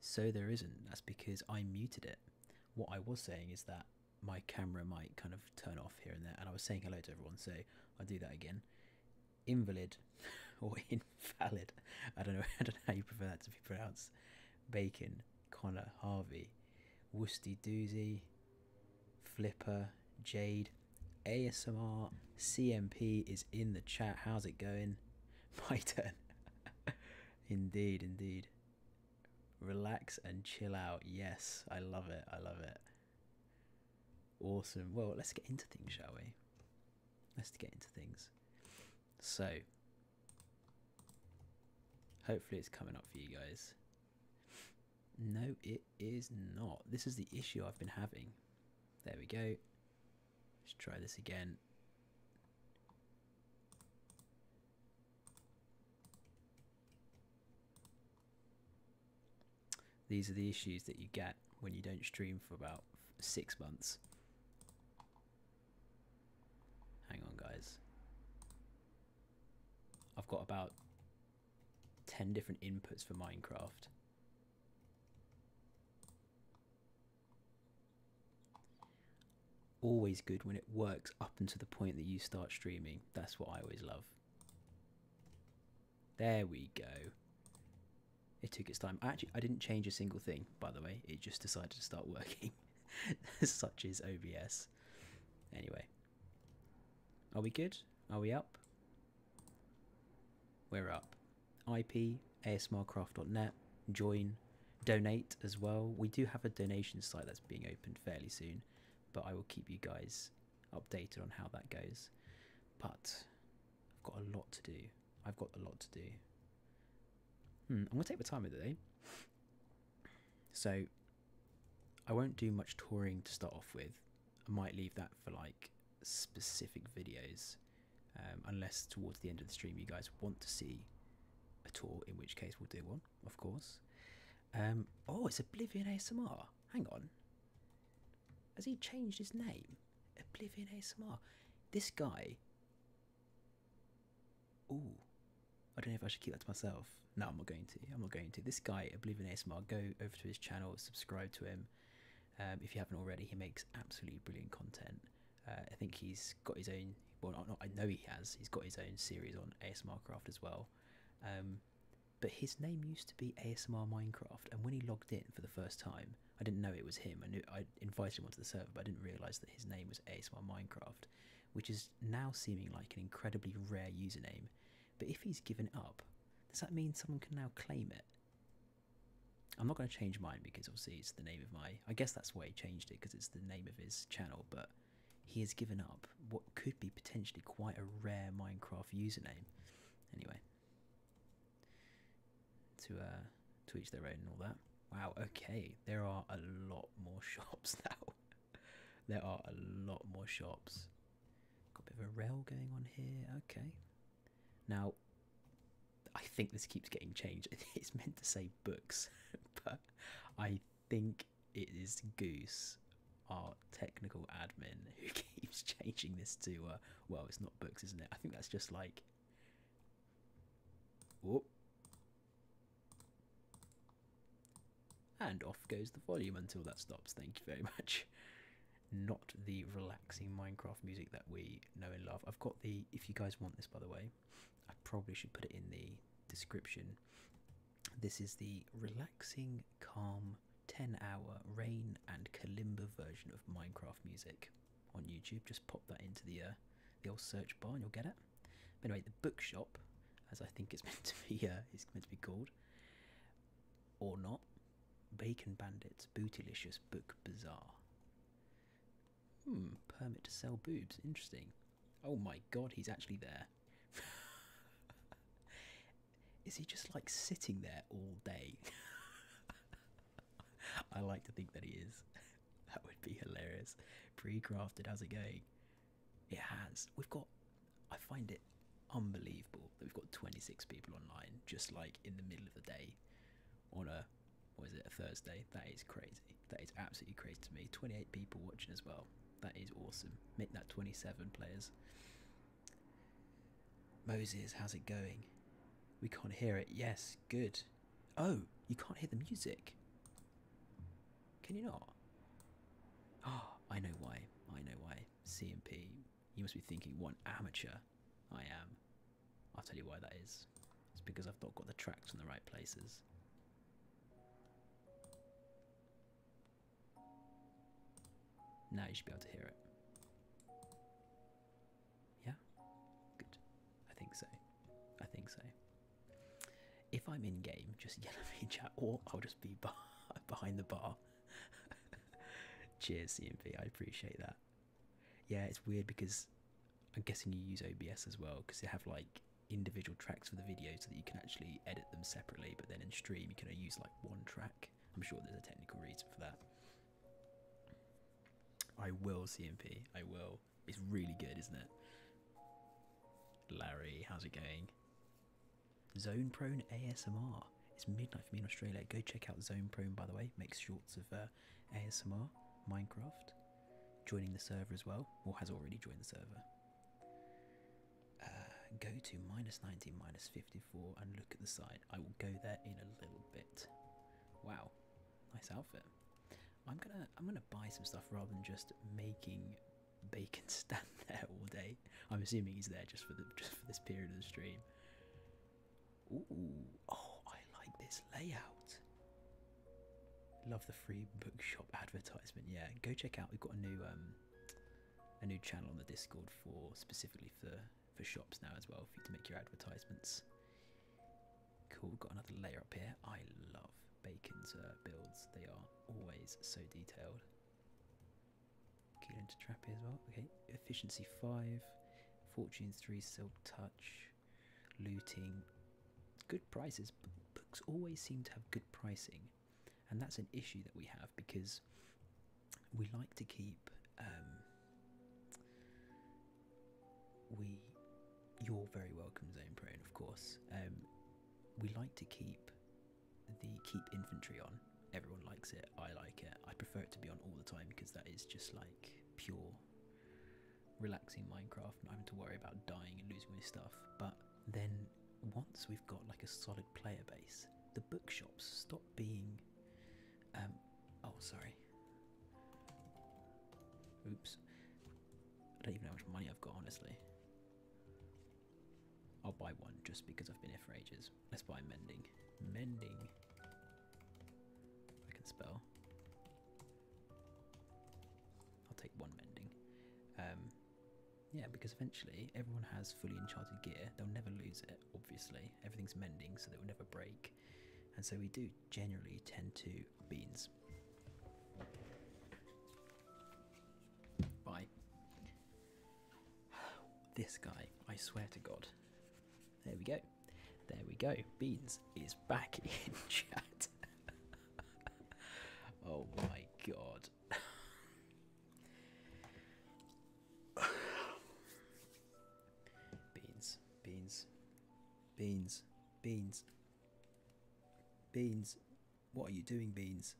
So there isn't. That's because I muted it. What I was saying is that my camera might kind of turn off here and there, and I was saying hello to everyone, so I'll do that again. Invalid or invalid, I don't know. I don't know how you prefer that to be pronounced. Bacon, Connor, Harvey, Woosty Doozy, Flipper, Jade, ASMR CMP is in the chat. How's it going? My turn. indeed, indeed. Relax and chill out. Yes, I love it. I love it. Awesome. Well, let's get into things, shall we? Let's get into things. So, hopefully, it's coming up for you guys. No, it is not. This is the issue I've been having. There we go. Let's try this again. These are the issues that you get when you don't stream for about six months. Hang on, guys. I've got about 10 different inputs for Minecraft. Always good when it works up until the point that you start streaming. That's what I always love. There we go. It took its time. Actually, I didn't change a single thing, by the way. It just decided to start working, such is OBS. Anyway. Are we good? Are we up? We're up. IP, asmrcraft.net, join, donate as well. We do have a donation site that's being opened fairly soon, but I will keep you guys updated on how that goes. But I've got a lot to do. I've got a lot to do. Hmm, I'm gonna take the time of the day, So I won't do much touring to start off with. I might leave that for like specific videos, um, unless towards the end of the stream you guys want to see a tour, in which case we'll do one, of course. Um, oh, it's Oblivion ASMR. Hang on. Has he changed his name? Oblivion ASMR. This guy. Ooh. I don't know if I should keep that to myself. No, I'm not going to. I'm not going to. This guy, Oblivion ASMR, go over to his channel, subscribe to him. Um, if you haven't already, he makes absolutely brilliant content. Uh, I think he's got his own. Well, I know he has. He's got his own series on ASMR Craft as well. Um, but his name used to be ASMR Minecraft, and when he logged in for the first time, I didn't know it was him. I knew I invited him onto the server, but I didn't realise that his name was ASMR Minecraft, which is now seeming like an incredibly rare username. But if he's given up, does that mean someone can now claim it? I'm not going to change mine because obviously it's the name of my. I guess that's why he changed it because it's the name of his channel, but he has given up what could be potentially quite a rare Minecraft username. Anyway, to uh, to each their own and all that. Wow. Okay, there are a lot more shops now. there are a lot more shops. Got a bit of a rail going on here. Okay, now, I think this keeps getting changed. It's meant to say books, but I think it is Goose, our technical admin, who keeps changing this to, uh, well, it's not books, isn't it? I think that's just like. And off goes the volume until that stops. Thank you very much not the relaxing Minecraft music that we know and love. I've got the, if you guys want this by the way, I probably should put it in the description. This is the relaxing, calm, 10 hour rain and kalimba version of Minecraft music on YouTube. Just pop that into the, uh, the old search bar and you'll get it. But anyway, the bookshop, as I think it's meant to be, uh, it's meant to be called, or not, Bacon Bandits, Bootylicious, Book Bazaar. Hmm, permit to sell boobs. Interesting. Oh my god, he's actually there. Is he just like sitting there all day? I like to think that he is. That would be hilarious. Pre crafted, how's it going? It has. We've got. I find it unbelievable that we've got 26 people online just like in the middle of the day on a what is it a Thursday? That is crazy. That is absolutely crazy to me. 28 people watching as well. That is awesome. Make that 27 players. Moses, how's it going? We can't hear it. Yes, good. Oh, you can't hear the music. Can you not? Oh, I know why. I know why. CMP you must be thinking, what amateur I am. I'll tell you why that is. It's because I've not got the tracks in the right places. Now you should be able to hear it. Yeah? Good. I think so. I think so. If I'm in game, just yell at me, chat, or I'll just be behind the bar. Cheers, CMP. I appreciate that yeah, it's weird because I'm guessing you use OBS as well because they have like individual tracks for the video so that you can actually edit them separately. But then in stream, you can only use like one track. I'm sure there's a technical reason for that. I will CMP. I will. It's really good, isn't it? Larry, how's it going? Zone prone ASMR. It's midnight for me in Australia. Go check out Zone Prone, by the way. Makes shorts of uh, ASMR, Minecraft. Joining the server as well, or has already joined the server. Uh, go to minus 19, minus 54, and look at the side. I will go there in a little bit. Wow, nice outfit. I'm gonna I'm gonna buy some stuff rather than just making Bacon stand there all day. I'm assuming he's there just for the just for this period of the stream. Ooh, oh, I like this layout. Love the free bookshop advertisement. Yeah, go check out. We've got a new um, a new channel on the Discord for specifically for for shops now as well for you to make your advertisements. Cool. got another layer up here. I love Bacon's uh, builds. They are always so detailed. Keelan to Trappy as well. Okay, efficiency 5, fortune 3, silk touch, looting. Good prices. books always seem to have good pricing, and that's an issue that we have because we like to keep. Um, we, you're very welcome, Zone Prone, of course. Um, we like to keep the keep inventory on everyone likes it. I like it. I prefer it to be on all the time because that is just like pure relaxing Minecraft, not having to worry about dying and losing my stuff. But then once we've got like a solid player base, the bookshops stop being. Um, oh, sorry. Oops. I don't even know how much money I've got, honestly. I'll buy one just because I've been here for ages. Let's buy mending. Mending. I can spell. I'll take one mending. Um, yeah, because eventually everyone has fully enchanted gear. They'll never lose it, obviously. Everything's mending, so they will never break. And so we do generally tend to beans. Bye. This guy, I swear to God, there we go. There we go. Beans is back in chat. oh my god. beans, beans, beans, beans, beans. What are you doing, beans?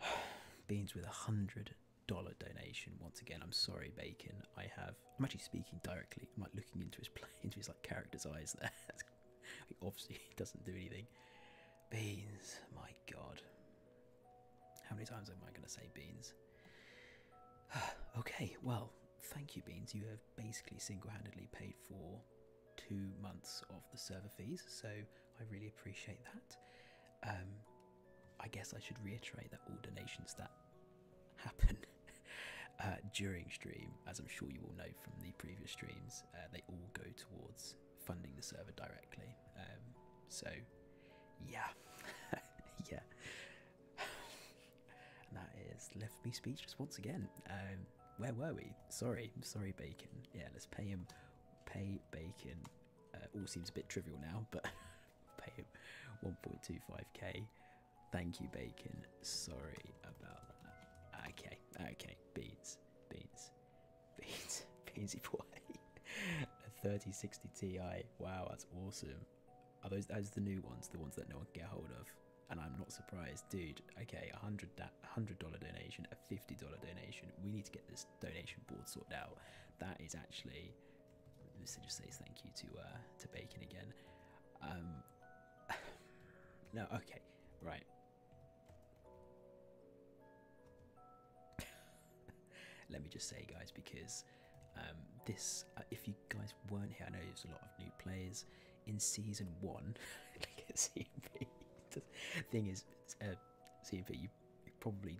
Beans with a hundred dollar donation once again i'm sorry bacon i have i'm actually speaking directly i'm like looking into his play into his like character's eyes there he obviously doesn't do anything beans my god how many times am i going to say beans okay well thank you beans you have basically single-handedly paid for two months of the server fees so i really appreciate that um I guess I should reiterate that all donations that happen uh, during stream, as I'm sure you all know from the previous streams, uh, they all go towards funding the server directly. Um, so, yeah, yeah. And that is left me speechless once again. Um, where were we? Sorry, sorry, Bacon. Yeah, let's pay him. Pay Bacon. Uh, all seems a bit trivial now, but Pay him 1.25k. Thank you, Bacon. Sorry about that. Okay, okay. Beans, beans, beans, beansy boy. A 3060 Ti. Wow, that's awesome. Are those those the new ones? The ones that no one can get hold of? And I'm not surprised, dude. Okay, a 100 hundred dollar donation, a fifty dollar donation. We need to get this donation board sorted out. That is actually Lisa just says thank you to uh, to Bacon again. Um, no, okay, right. Let me just say, guys, because um, this, uh, if you guys weren't here, I know there's a lot of new players in season one. the thing is, uh, you probably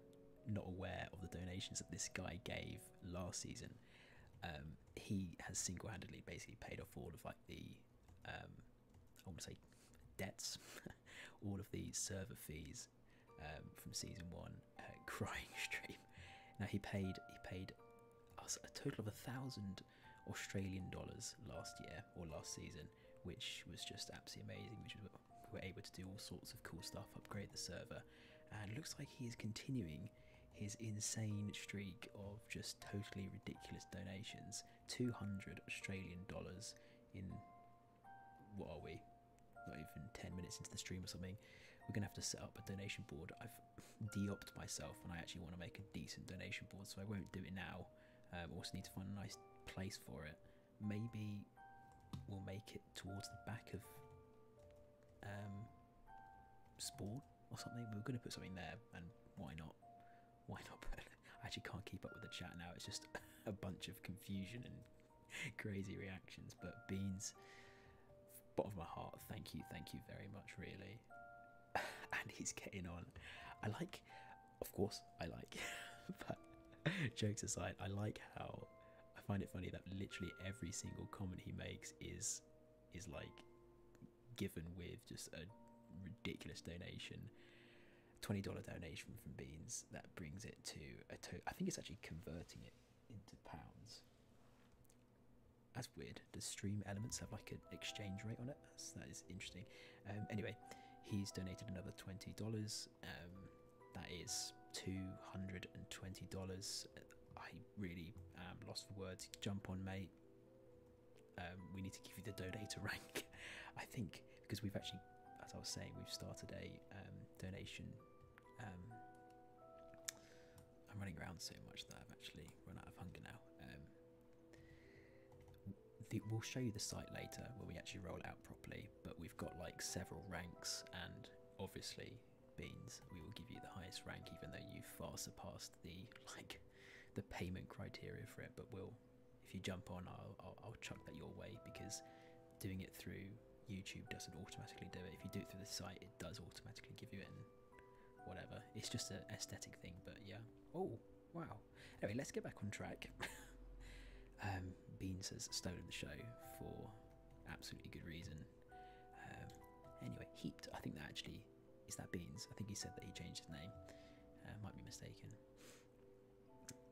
not aware of the donations that this guy gave last season. Um, he has single-handedly basically paid off all of like the, um, I want to say, debts, all of the server fees um, from season one. Uh, crying stream. Now he paid he paid us a total of a thousand Australian dollars last year or last season, which was just absolutely amazing. Which was we were able to do all sorts of cool stuff, upgrade the server, and looks like he is continuing his insane streak of just totally ridiculous donations. 200 Australian dollars in what are we? Not even 10 minutes into the stream or something. We're gonna have to set up a donation board. I've de-opted myself and I actually want to make a decent donation board, so I won't do it now. I um, also need to find a nice place for it maybe we'll make it towards the back of um, sport or something. We are going to put something there, and why not? Why not? I actually can't keep up with the chat now. It's just a bunch of confusion and crazy reactions. But beans, bottom of my heart, thank you, thank you very much, really. and he's getting on. I like, of course, I like, but jokes aside, I like how I find it funny that literally every single comment he makes is is like given with just a ridiculous donation. $20 donation from Beans that brings it to a total. I think it's actually converting it into pounds. That's weird. Does stream elements have like an exchange rate on it? That's, interesting. Um, anyway, he's donated another $20. Um, that is $220 i really um, lost the words jump on mate um, we need to give you the donator rank i think because we've actually as i was saying we've started a um, donation i'm running around so much that i've actually run out of hunger now we'll show you the site later where we actually roll it out properly but we've got like several ranks and obviously beans, we will give you the highest rank, even though you far surpassed the like the payment criteria for it. But we'll, if you jump on, I'll I'll, chuck that your way because doing it through YouTube doesn't automatically do it. If you do it through the site, it does automatically give you it. whatever, it's just an aesthetic thing. But yeah. Oh wow. Anyway, let's get back on track. um, Beans has stolen the show for absolutely good reason. Um, anyway, Heaped, I think that actually is that Beans. I think he said that he changed his name. Uh, might be mistaken.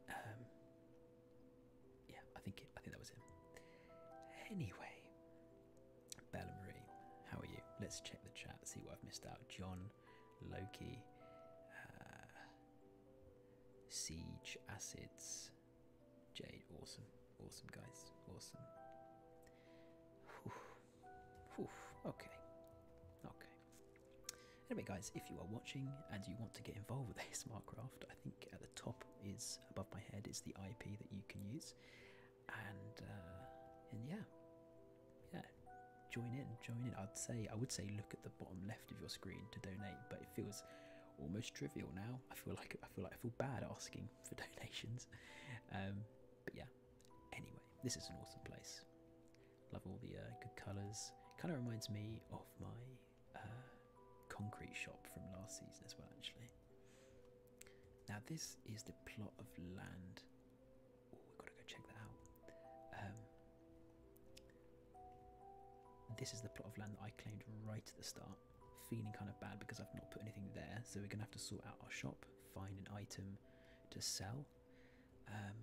Um, yeah, I think I think that was him. Anyway, Bella Marie, how are you? Let's check the chat, see what I've missed out. John, Loki, uh, Siege, Acids, Jade, awesome, awesome guys, awesome. Whew. Whew. Okay, okay. Anyway, guys, if you are watching and you want to get involved with ASMR Craft, I think at the top is above my head is the IP that you can use, and uh, and yeah, yeah. Join in, join in. I'd say I would say look at the bottom left of your screen to donate, but it feels almost trivial now. I feel like I feel like I feel bad asking for donations. Um, but yeah. Anyway, this is an awesome place. Love all the uh, good colours. Kind of reminds me of my uh, concrete shop from last season as well, actually. Now this is the plot of land. we've got to go check that out. Um, this is the plot of land that I claimed right at the start feeling kind of bad because I've not put anything there. So we're gonna have to sort out our shop, find an item to sell. Um,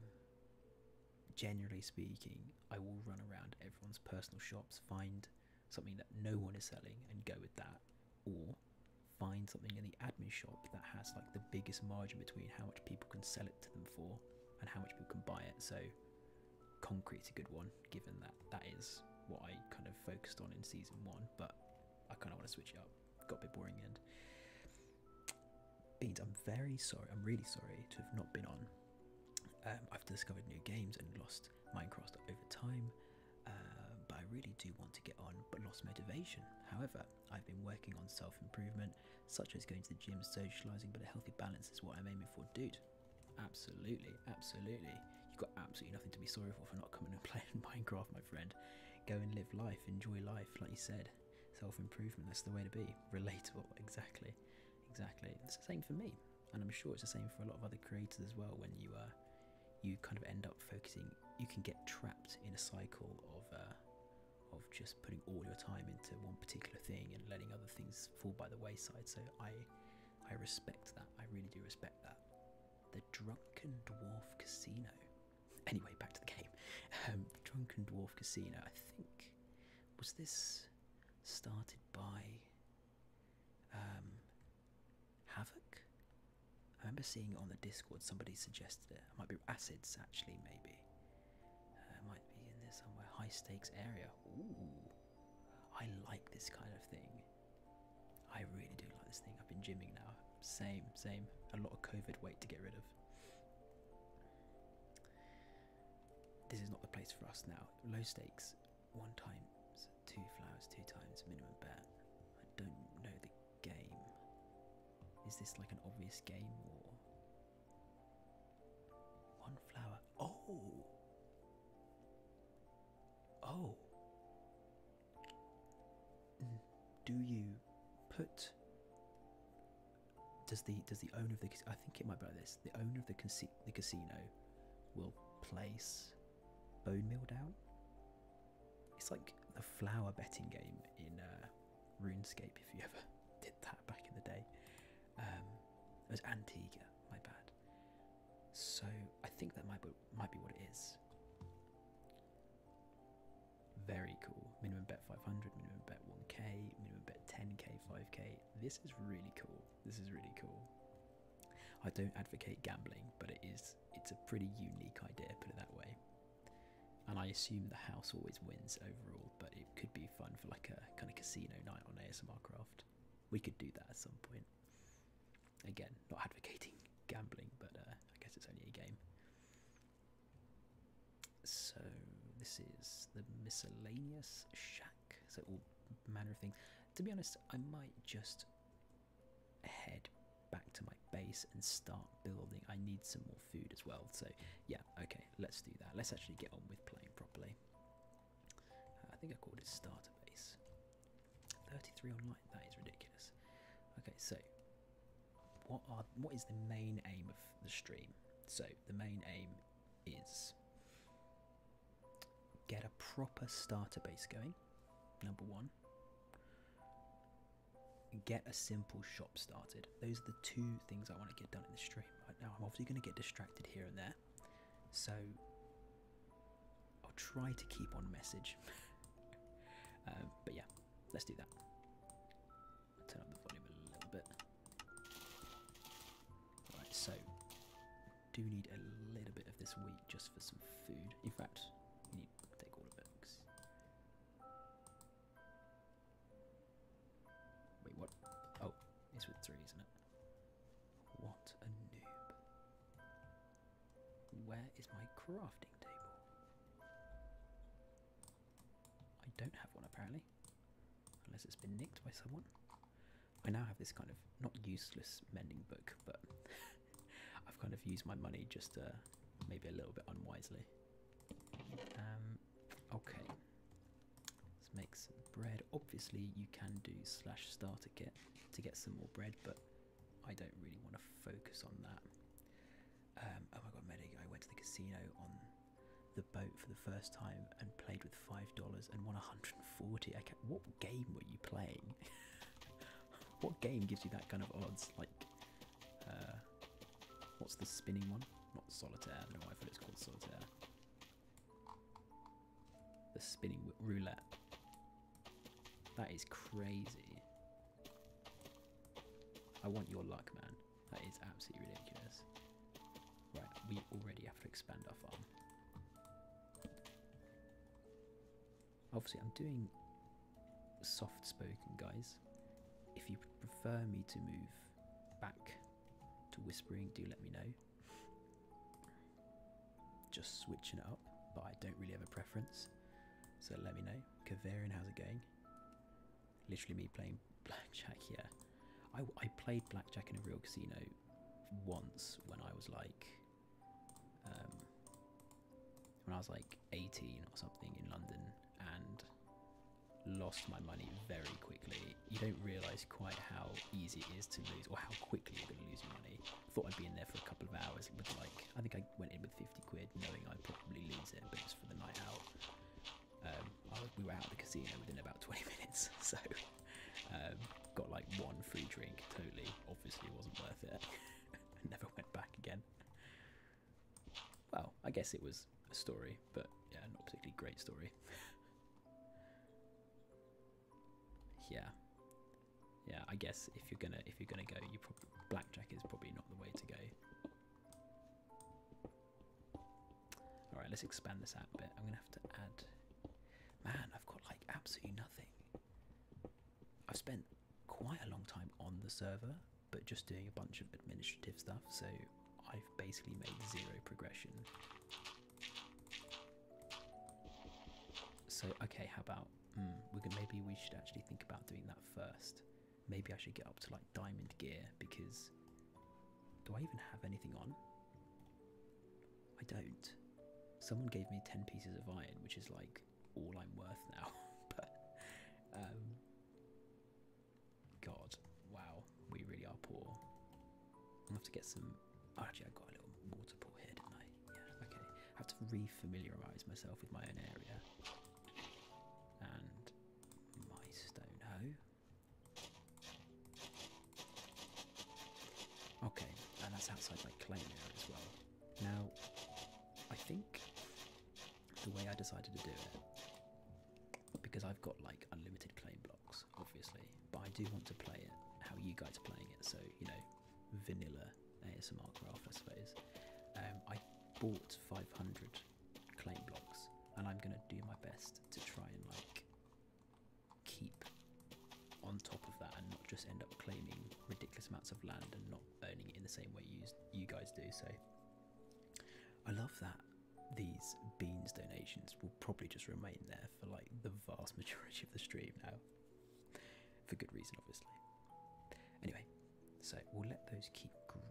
generally speaking, I will run around everyone's personal shops, find something that no one is selling, and go with that, or find something in the admin shop that has like the biggest margin between how much people can sell it to them for and how much people can buy it. So concrete's a good one, given that that is what I kind of focused on in season one, but I kind of want to switch it up. Got a bit boring And Beans, I'm very sorry, I'm really sorry to have not been on. Um, I've discovered new games and lost Minecraft over time, uh, but I really do want to get on, but lost motivation. However, I've been working on self improvement, such as going to the gym, socializing, but a healthy balance is what I'm aiming for, dude. Absolutely, absolutely. You've got absolutely nothing to be sorry for for not coming and playing Minecraft, my friend. Go and live life, enjoy life, like you said. Self improvement, that's the way to be. Relatable, exactly. Exactly. It's the same for me. And I'm sure it's the same for a lot of other creators as well when you are, uh, you kind of end up focusing you can get trapped in a cycle of uh, of just putting all your time into one particular thing and letting other things fall by the wayside. So I I respect that. I really do respect that. The Drunken Dwarf Casino. Anyway, back to the game. Um, the Drunken Dwarf Casino. I think was this started by um, Havoc? I remember seeing it on the Discord. Somebody suggested it. It might be Acids, actually, maybe. Uh, it might be in there somewhere. High stakes area. I like this kind of thing. I really do like this thing. I've been gymming now. Same, same. A lot of COVID weight to get rid of. This is not the place for us now. Low stakes, one times, two flowers, two times, minimum bet. I don't know the game. Is this like an obvious game or. One flower, Oh. Oh. Mm. Do you put does the does the owner of the I think it might be like this. The owner of the casino will place bone meal down. It's like the flower betting game in uh, RuneScape if you ever did that back in the day. Um, it was Antigua, my bad. So I think that might be, might be what it is. Very cool. Minimum bet 500, minimum bet 1k, minimum bet 10k, 5k. This is really cool. This is really cool. I don't advocate gambling, but it is it's a pretty unique idea, put it that way. And I assume the house always wins overall, but it could be fun for like a kind of casino night on ASMR Craft. We could do that at some point. Again, not advocating gambling, but uh, I guess it's only a game. So this is the miscellaneous shack. So all manner of things. To be honest, I might just head back to my base and start building. I need some more food as well. So yeah, okay, let's do that. Let's actually get on with playing properly. Uh, I think I called it starter base. 33 online. That is ridiculous. Okay, so what are what is the main aim of the stream? So the main aim is get a proper starter base going. Number one. Get a simple shop started. Those are the two things I want to get done in the stream right now. I'm obviously going to get distracted here and there. So I'll try to keep on message. Uh, but yeah, let's do that. turn up the volume a little bit. Right, so do need a little bit of this wheat just for some food. In fact, need take all of it. Wait, what? Oh, it's with three, isn't it? What a noob. Where is my crafting table? I don't have one apparently. Unless it's been nicked by someone. I now have this kind of not useless mending book, but I've kind of used my money just uh, maybe a little bit unwisely. Um, okay. Let's make some bread. Obviously, you can do slash starter kit to get some more bread, but I don't really want to focus on that. Um, oh my god, Medic, I went to the casino on the boat for the first time and played with $5 and won 140 okay what game were you playing what game gives you that kind of odds like uh, what's the spinning one not solitaire i don't know why i thought it's called solitaire the spinning roulette. That is crazy. I want your luck, man. That is absolutely ridiculous. Right, we already have to expand our farm. Obviously, I'm doing soft spoken, guys. If you prefer me to move back to whispering, do let me know. Just switching it up, but I don't really have a preference. So let me know. Kavarian, how's it going? Literally me playing blackjack, yeah. I, I played blackjack in a real casino once when I was like, um, when I was like 18 or something in London and lost my money very quickly. You don't realise quite how easy it is to lose or how quickly you're going to lose money. Thought I'd be in there for a couple of hours with like, I think I went in with 50 quid knowing I'd probably lose it, but it for the night out. Um, we were out of the casino within about 20 minutes, so um, got like one free drink totally. Obviously, wasn't worth it. Never went back again. Well, I guess it was a story, but yeah, not particularly great story. yeah yeah i guess if you're gonna if you're gonna go you probably blackjack is probably not the way to go all right let's expand this out a bit i'm gonna have to add man i've got like absolutely nothing i've spent quite a long time on the server but just doing a bunch of administrative stuff so i've basically made zero progression so okay, how about hmm, we could maybe we should actually think about doing that first. Maybe I should get up to like diamond gear because do I even have anything on? I don't. Someone gave me ten pieces of iron, which is like all I'm worth now. but um, God, wow, we really are poor. i have to get some actually, I got a little water pool here, didn't I? Yeah, okay. I have to re-familiarise myself with my own area. And my stone hoe. Okay, and that's outside my claim area as well. Now, I think the way I decided to do it, because I've got like unlimited claim blocks, obviously, but I do want to play it how you guys are playing it, so you know, vanilla ASMR graph, I suppose. Um, I bought 500 claim blocks, and I'm gonna do my best to try and like keep on top of that and not just end up claiming ridiculous amounts of land and not owning it in the same way you you guys do. So I love that these beans donations will probably just remain there for like the vast majority of the stream now for good reason, obviously. Anyway, so we'll let those keep growing.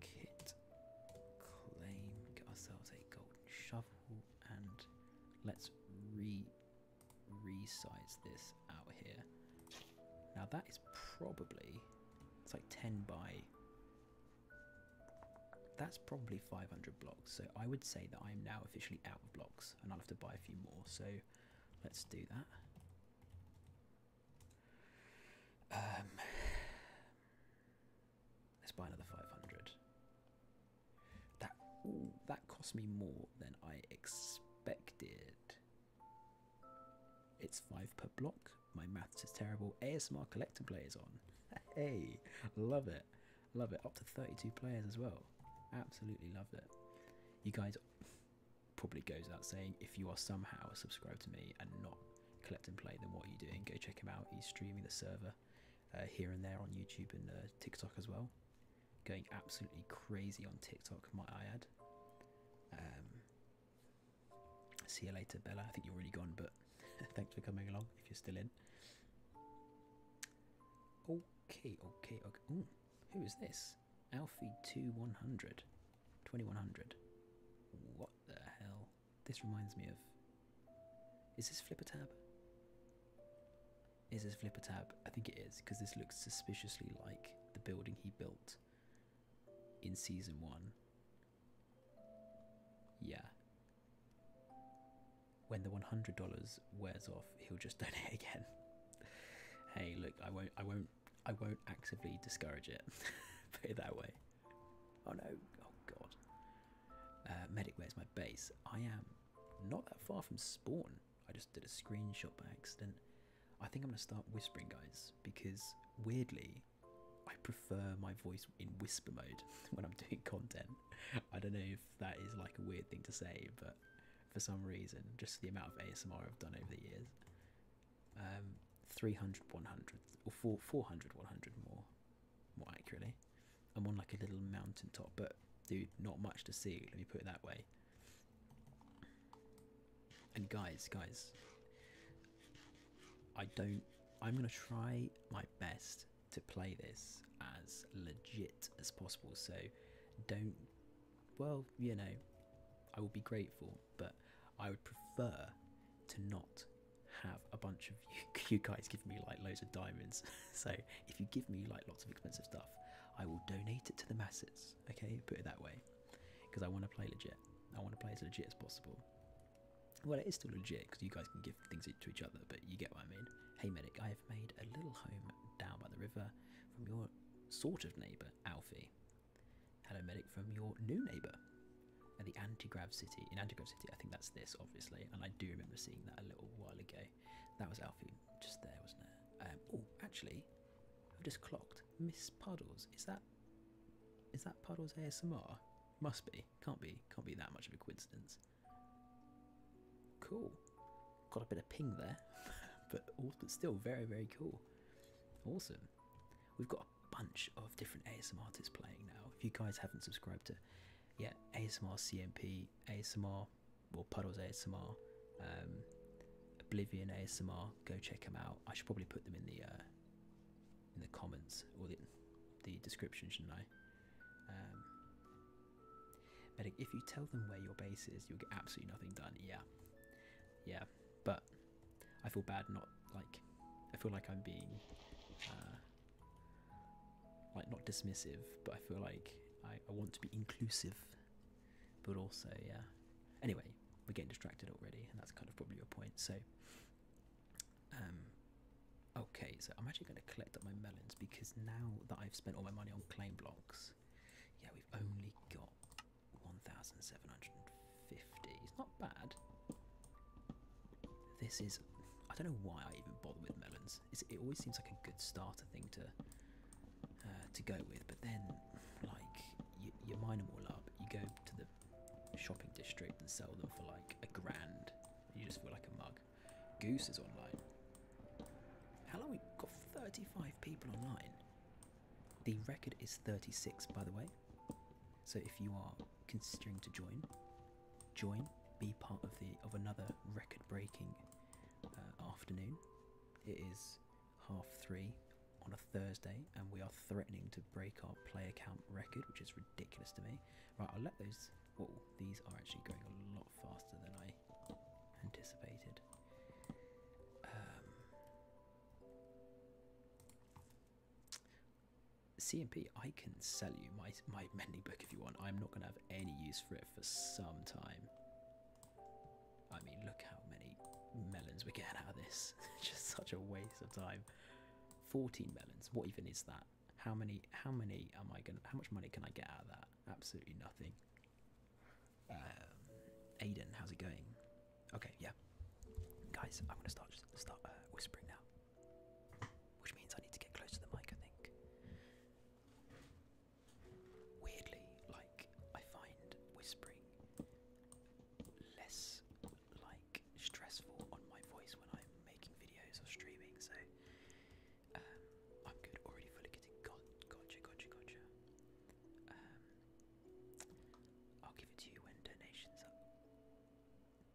Kit, claim, get ourselves a golden shovel, and let's re resize this out here. Now that is probably it's like ten by that's probably 500 blocks, so I would say that I am now officially out of blocks, and I'll have to buy a few more. So let's do that. Um, let's buy another 500. That that cost me more than I expected. It's five per block. My maths is terrible. ASMR collector play is on. Hey, love it. Love it. Up to 32 players as well. Absolutely loved it. You guys probably goes out saying if you are somehow subscribed to me and not collect and play, then what are you doing? Go check him out. He's streaming the server uh, here and there on YouTube and uh, TikTok as well. Going absolutely crazy on TikTok, might I add. Um, see you later, Bella. I think you're already gone, but thanks for coming along if you're still in. Okay, okay, okay. who is this? Alfie two one hundred. 2100. What the hell? This reminds me of. Is this Flipper Tab? Is this Flipper Tab? I think it is, because this looks suspiciously like the building he built in season one. Yeah, when the $100 wears off, he'll just donate again. hey, look, I won't, I won't, I won't actively discourage it. Put it that way. Oh no! Oh god! Uh, Medic, where's my base? I am not that far from spawn. I just did a screenshot by accident. I think I'm gonna start whispering, guys, because weirdly, I prefer my voice in whisper mode when I'm doing content. I don't know if that is like a weird thing to say, but for some reason, just the amount of ASMR I've done over the years, um, 300, 100, or four, 400, 100 more, more accurately. I'm on like a little mountaintop, but dude, not much to see, let me put it that way. And guys, guys, I don't, I'm going to try my best to play this as legit as possible. So don't, well, you know, I will be grateful, but I would prefer to not have a bunch of you, guys give me like loads of diamonds. so if you give me like lots of expensive stuff, I will donate it to the masses. Okay, put it that way, because I want to play legit. I want to play as legit as possible. Well, it is still legit because you guys can give things to each other, but you get what I mean. Hey medic, I have made a little home down by the river from your sort of neighbour, Alfie. Hello medic from your new neighbour at the Antigrav City. In Antigrav City, I think that's this, obviously, and I do remember seeing that a little while ago. That was Alfie just there, wasn't it? Um, oh, actually, I've just clocked. Miss Puddles, is that is that Puddles ASMR? Must be. Can't be. Can't be that much of a coincidence. Cool. Got a bit of ping there, but still very very cool. Awesome. We've got a bunch of different ASMR artists playing now. If you guys haven't subscribed to yet, yeah, ASMR CMP, ASMR, well Puddles ASMR, um, Oblivion ASMR, go check them out. I should probably put them in the uh, in the comments or the the description, shouldn't I? Um, but if you tell them where your base is, you'll get absolutely nothing done. Yeah, yeah, but I feel bad not like I feel like I'm being uh, like not dismissive, but I feel like I, I want to be inclusive, but also yeah. Anyway, we're getting distracted already, and that's kind of probably your point. So, um, Okay, so I'm actually going to collect up my melons because now that I've spent all my money on claim blocks, yeah, we've only got 1,750. It's not bad. This is. I don't know why I even bother with melons. it always seems like a good starter thing to uh, to go with, but then, like, you, you mine them all up, you go to the shopping district and sell them for like a grand, you just feel like a mug. Goose is online. Hello, we've got 35 people online? The record is 36, by the way. So if you are considering to join, join, be part of the of another record-breaking uh, afternoon. It is half three on a Thursday, and we are threatening to break our player count record, which is ridiculous to me. Right, I'll let those. Oh, these are actually going a lot faster than I anticipated. Um, CMP, I can sell you my my mending book if you want. I'm not going to have any use for it for some time. I mean, look how many melons we're getting out of this. Just such a waste of time. 14 melons. What even is that? How many? How many am I gonna? How much money can I get out of that? Absolutely nothing. Um, Aiden, how's it going? Okay, yeah. Guys, I'm gonna start start uh, whispering now, which means I need to get close to the mic. I think. Weirdly, like I find whispering less like stressful on my voice when I'm making videos or streaming, so um, I'm good. Already fully getting got. Gotcha. Gotcha. Gotcha. Um, I'll give it to you when donations up.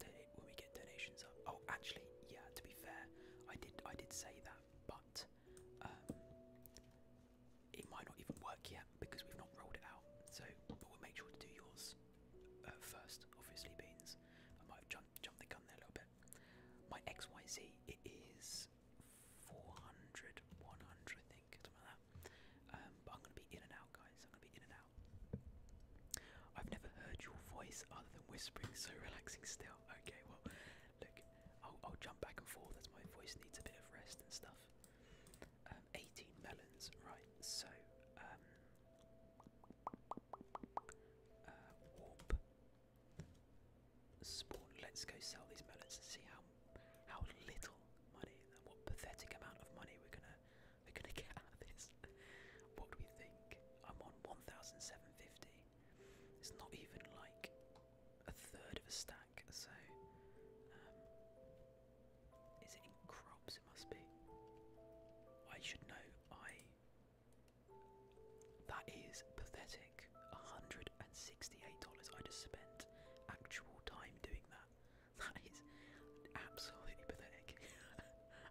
Donate when we get donations up. Oh, actually, yeah. To be fair, I did. I did say that, but um, it might not even work yet because we've not rolled it out. So, but we'll make sure to do yours uh, first. Obviously, beans. I might have jumped, jumped the gun there a little bit my XYZ it is 400, 100 I think, something like that. Um, but I'm gonna be in and out, guys. I'm gonna be in and out. I've never heard your voice other than whispering, so relaxing still. Okay, well, look, I'll, jump back and forth as my voice needs a bit of rest and stuff. Um, 18 melons, right? So, um, uh, Spawn. Let's go sell these melons and see how how little money and what pathetic amount of money we're gonna we're gonna get out of this. what do we think? I'm on 1,750. It's not even like a third of a stack. So, um, is it in crops? It must be. I should know. I that is pathetic. $168 I just spent actual time doing that. That is absolutely pathetic.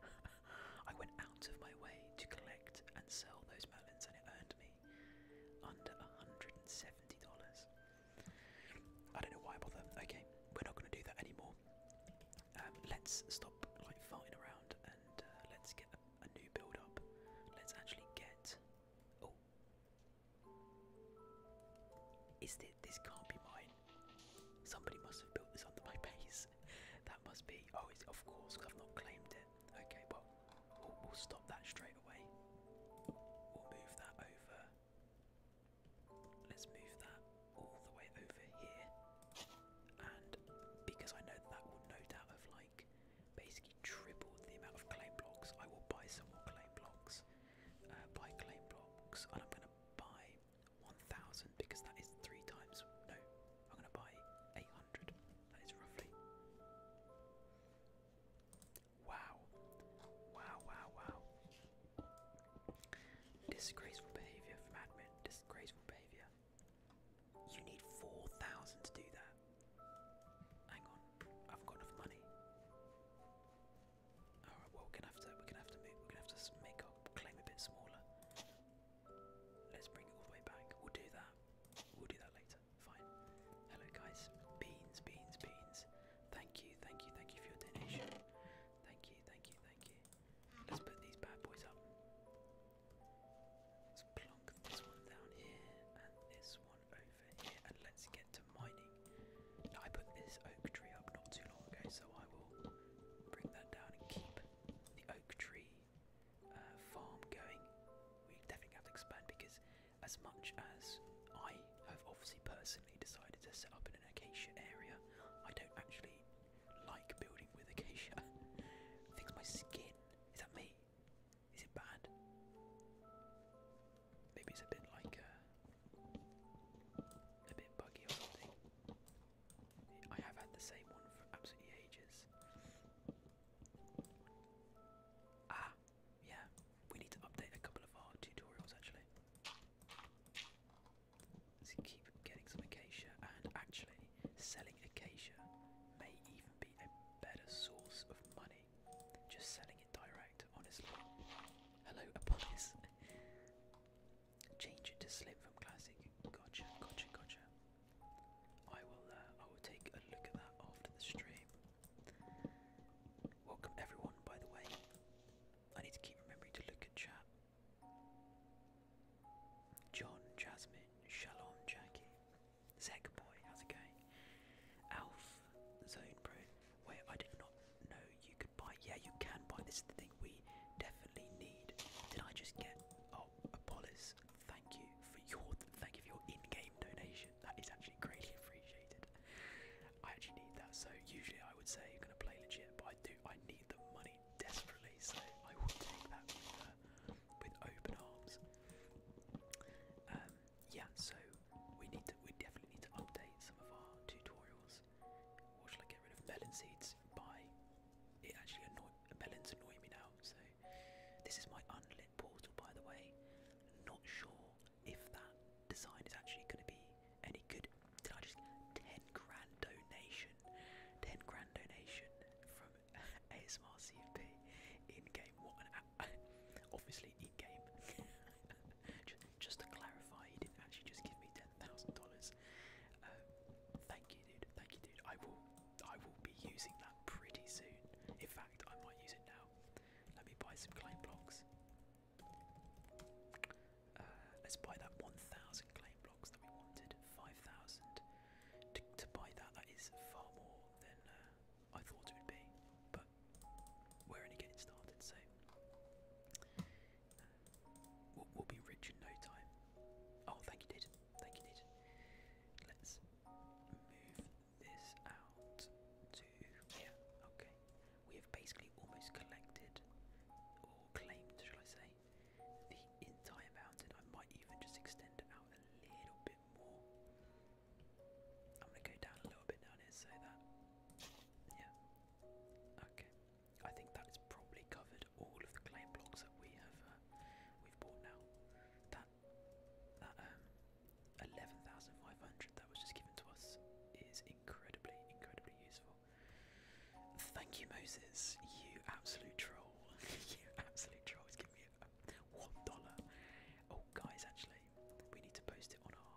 I went out of my way to collect and sell those melons and it earned me under $170. I don't know why I bother. Okay, we're not going to do that anymore. Um, let's stop like farting around and uh, let's get a new build up. Let's actually get. Oh. Is that This can't be mine. Somebody must have built this under my base. that must be. Oh, it's, of course, because I've not claimed it. Okay, but we'll stop that straight away. We'll move that over. Let's move that all the way over here. And because I know that will no doubt have like basically tripled the amount of clay blocks. I will buy some more clay blocks. Uh, buy clay blocks, and I'm gonna buy 1,000 because that is three times. No, I'm gonna buy 800. That is roughly. Wow. Wow, wow, wow. Disgraceful behaviour from admin. Disgraceful behaviour. You need 4,000 to do that. Hang on, I've got enough money. All right, well we're gonna have to we're gonna have to move, we're gonna have to make our claim a bit smaller. Let's bring it all the way back. We'll do that. We'll do that later. Fine. Hello guys. Beans, beans, beans. Thank you, thank you, thank you for your donation. Thank you, thank you, thank you. Let's put these bad boys up. Let's plonk this one down here and this one over here, and let's get to mining. I put this oak tree up not too long ago, so I will bring that down and keep the oak tree uh, farm going. We definitely have to expand because, as much as I have obviously personally decided to set up in an acacia area, I don't actually like building with acacia. I think my skin. Is that me? Is it bad? Maybe it's a bit like uh, a, bit buggy or something. I have had the same one for absolutely ages. Ah, yeah, we need to update a couple of our tutorials actually. let keep getting some acacia, and actually, selling acacia may even a better source of money. Just selling it direct, honestly. Hello, Apollis. Change it to Slim from Classic. Gotcha, gotcha, gotcha. I will. Uh, I will take a look at that after the stream. Welcome everyone. By the way, I need to keep remembering to look at chat. John, Jasmine, Shalom, Jackie. Zach boy, how's it going? Alf Zone Pro. Wait, I did not know you could buy. Yeah, you can buy. This is the thing we definitely need. Did I just get? Oh, Apollos. Thank you for your thank you for your in-game donation. That is actually greatly appreciated. I actually need that. So usually I would say you're gonna play legit, but I do. I need the money desperately, so I will take that with uh, open arms. Um, yeah, so we need to, we definitely need to update some of our tutorials. Or shall I get rid of melon seeds? By it actually annoy melons annoy me now. So this is my unlit portal, by the way. Not sure if that design is actually going to be any good. Did I just ten grand donation? Ten grand donation from ASMR CMP in game. What obviously in game. just, just to clarify, he didn't actually just give me ten thousand dollars. Um, thank you, dude. Thank you, dude. I will, I will be using that pretty soon. In fact, I might use it now. Let me buy some claim blocks. Uh, let's buy that 1,000 claim blocks that we wanted, 5,000. To, to buy that, that is far more than uh, I thought it would be, but we're only getting started, so uh, we'll, be rich in no time. Oh, thank you, did. Thank you, did. Let's move this out to yeah. Okay, we have basically almost collected or claimed, shall I say, the entire mountain. I might even just extend it out a little bit I'm gonna go down a little bit down here, so that. Yeah. Okay. I think that is probably covered all of the claim blocks that we have uh, we've bought now. That that um, eleven thousand five hundred that was just given to us is incredibly, incredibly useful. Thank you, Moses. You absolute troll. you absolute troll one dollar. Oh, guys, actually, we need to post it on our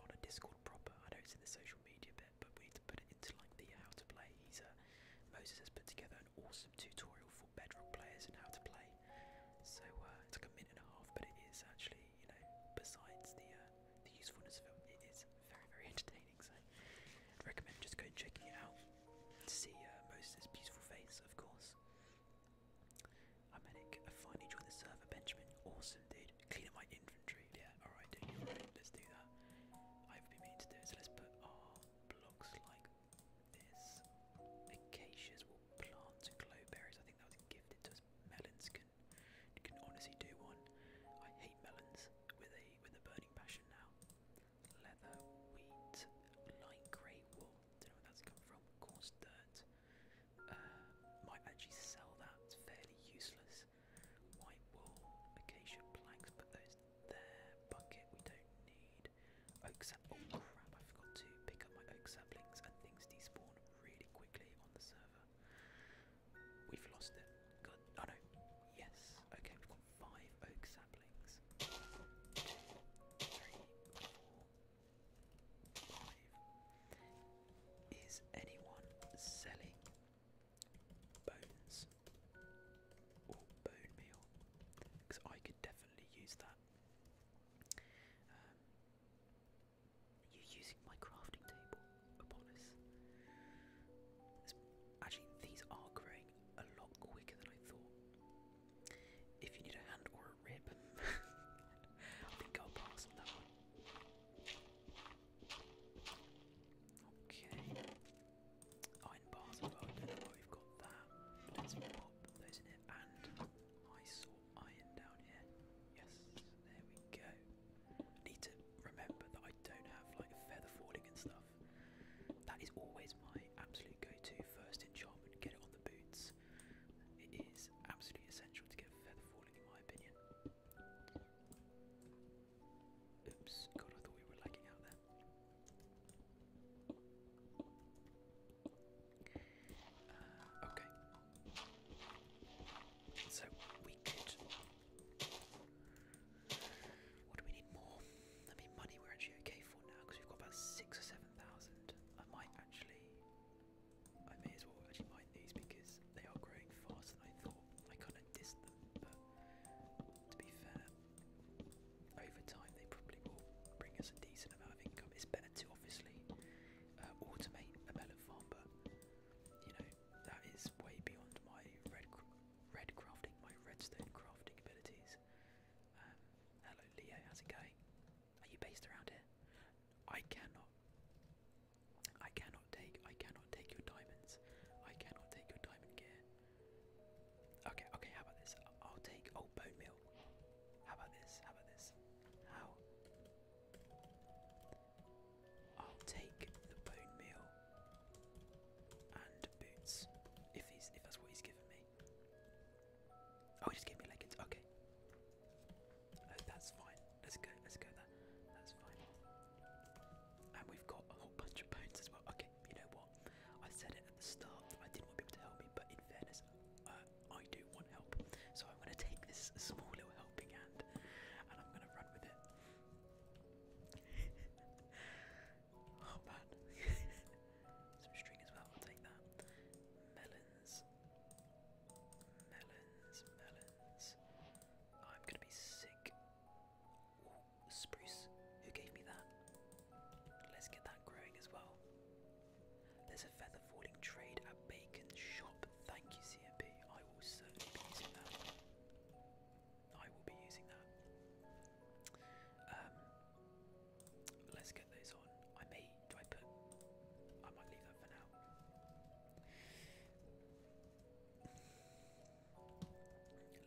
on a Discord proper. I know it's in the social media bit, but we need to put it into like the how to play. He's uh, Moses has put together an awesome tutorial for Bedrock players and how to play. So uh, it's like a minute and a half, but it is actually, you know, besides the uh, the usefulness of it, it is very very entertaining. So I'd recommend just go checking it out to see uh, Moses' beautiful face, of course. Amenic, I finally joined the server, Benjamin. Awesome, dude. Clean up my inventory. Yeah, alright, dude. Let's do that. I've been meaning to do it, so let's put our blocks like this. Acacias will plant glowberries. I think that was gifted to us. Melons can can honestly do one. I hate melons with a with a burning passion now leather, wheat, light grey wool. Don't know where that's come from. Coarse dirt. Uh, might actually sell that. It's fairly useless. White wool, acacia planks. Put those there. Bucket we don't need. Oak sap. Oh, I forgot to pick up my oak saplings, and things despawn really quickly on the server. We've lost it. Good. Oh no. Yes. Okay five oak saplings. Is anyone selling bones or bone meal? Because I could definitely use that. Um, you using my crafting table, Apollos? Actually, these are grey a lot quicker than I thought. If you need a hand or a rib, I think I'll pass on that one. Okay. Iron bars as well, we've got that. Let's pop those in it. And I saw iron down here. Yes, there we go. need to remember that I don't have like feather falling and stuff. That is always my absolute go-to first enchantment. Get it on the boots. It is absolutely essential to get feather falling, in my opinion. Oops, God, I thought we were lagging out there. Uh, okay. So we could. What do we need more? I mean, money we're actually okay for now because we've got about six or seven 7,000. I might actually, I may as well actually mine these because they are growing faster than I thought. I kind of dissed them, but to be fair, over time they probably will bring us a decent amount of income. It's better to obviously uh, automate a melon farm, but you know, that is way beyond my red, red crafting, my redstone crafting abilities. Um, hello, Leo. How's it going? Are you based around here? I cannot. I cannot take. I cannot take your diamonds. I cannot take your diamond gear. Okay. Okay. How about this? I'll take. old bone meal. How about this? How about this? How? I'll take the bone meal and boots if he's if that's what he's given me. Oh, he just gave me leggings. Okay. that's fine. Let's go. Let's go there. That's fine. And we've got a whole bunch of bones as well. Okay, you know what? I said it at the start. I didn't want people to help me, but in fairness, uh, I do want help. So I'm going to take this small little helping hand and I'm going to run with it. Oh man. Some string as well, I'll take that. Melons. Melons, melons. I'm gonna be sick. spruce. Who gave me that? Let's get that growing as well. There's a feather falling trade at Bacon Shop. Thank you, CMP. I will be using that. I will be using that. Um, Let's get those on. I may do I put I might leave that for now.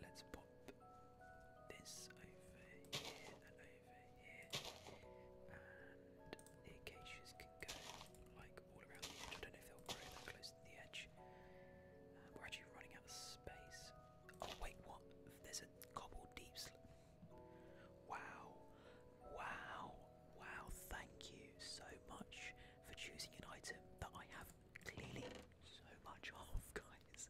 Let's pop this over here and over here. And the acacias can go like all around the edge. I don't know if they'll grow that close to the edge. Uh, we're actually running out of space. Oh wait, what? There's a cobble deep Wow, wow, wow, thank you so much for choosing an item that I have clearly so much of, guys.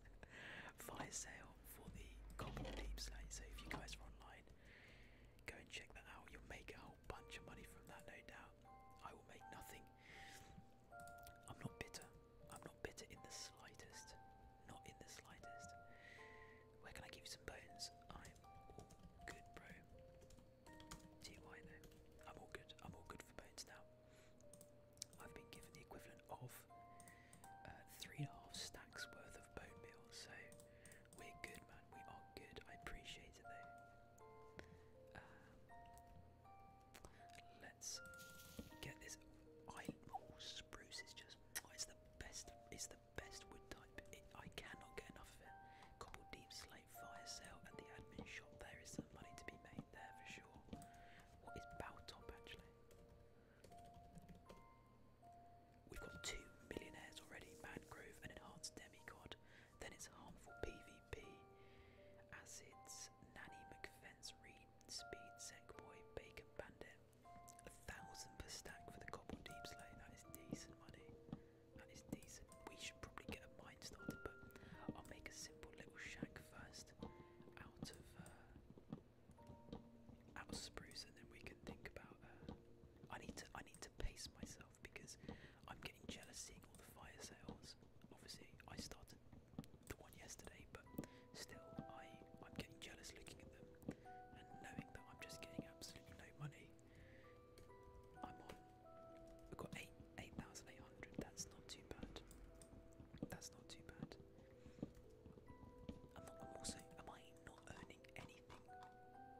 Fire sale for the Goblin Deep Slate, so if you guys are online, go and check that out. You'll make a whole bunch of money from that, no doubt. I will make nothing. I'm not bitter. I'm not bitter in the slightest. Not in the slightest. Where can I give you some bones? I'm all good, bro. TY though. I'm all good. I'm all good for bones now. I've been given the equivalent of uh, three and a half stacks worth of bone meal, so we're good, man. We are good. I appreciate it though. Um, let's get this. I oh, spruce is just Oh, it's the best. It's the best wood type. I cannot get enough of it. Couple deep slate fire sale at the admin shop. There is some money to be made there for sure. What is bow top actually? We've got two millionaires already. Mangrove and enhanced demigod. Then it's harmful PvP. Acids. Nanny McFence. Reed. Speed. Sec boy. Bacon bandit. A thousand per stack for the cobble deep slate. That is decent money. That is decent. We should probably get a mine started, but I'll make a simple little shack first out of uh, out of spruce, and then we can think about. Uh, I need to I need to pace myself because I'm getting jealous seeing all the fire sales. Obviously, I started the one yesterday, but Still, I I'm getting jealous looking at them and knowing that I'm just getting absolutely no money. i have got eight eight thousand eight hundred. That's not too bad. That's not too bad. I'm, not, also. Am I not earning anything?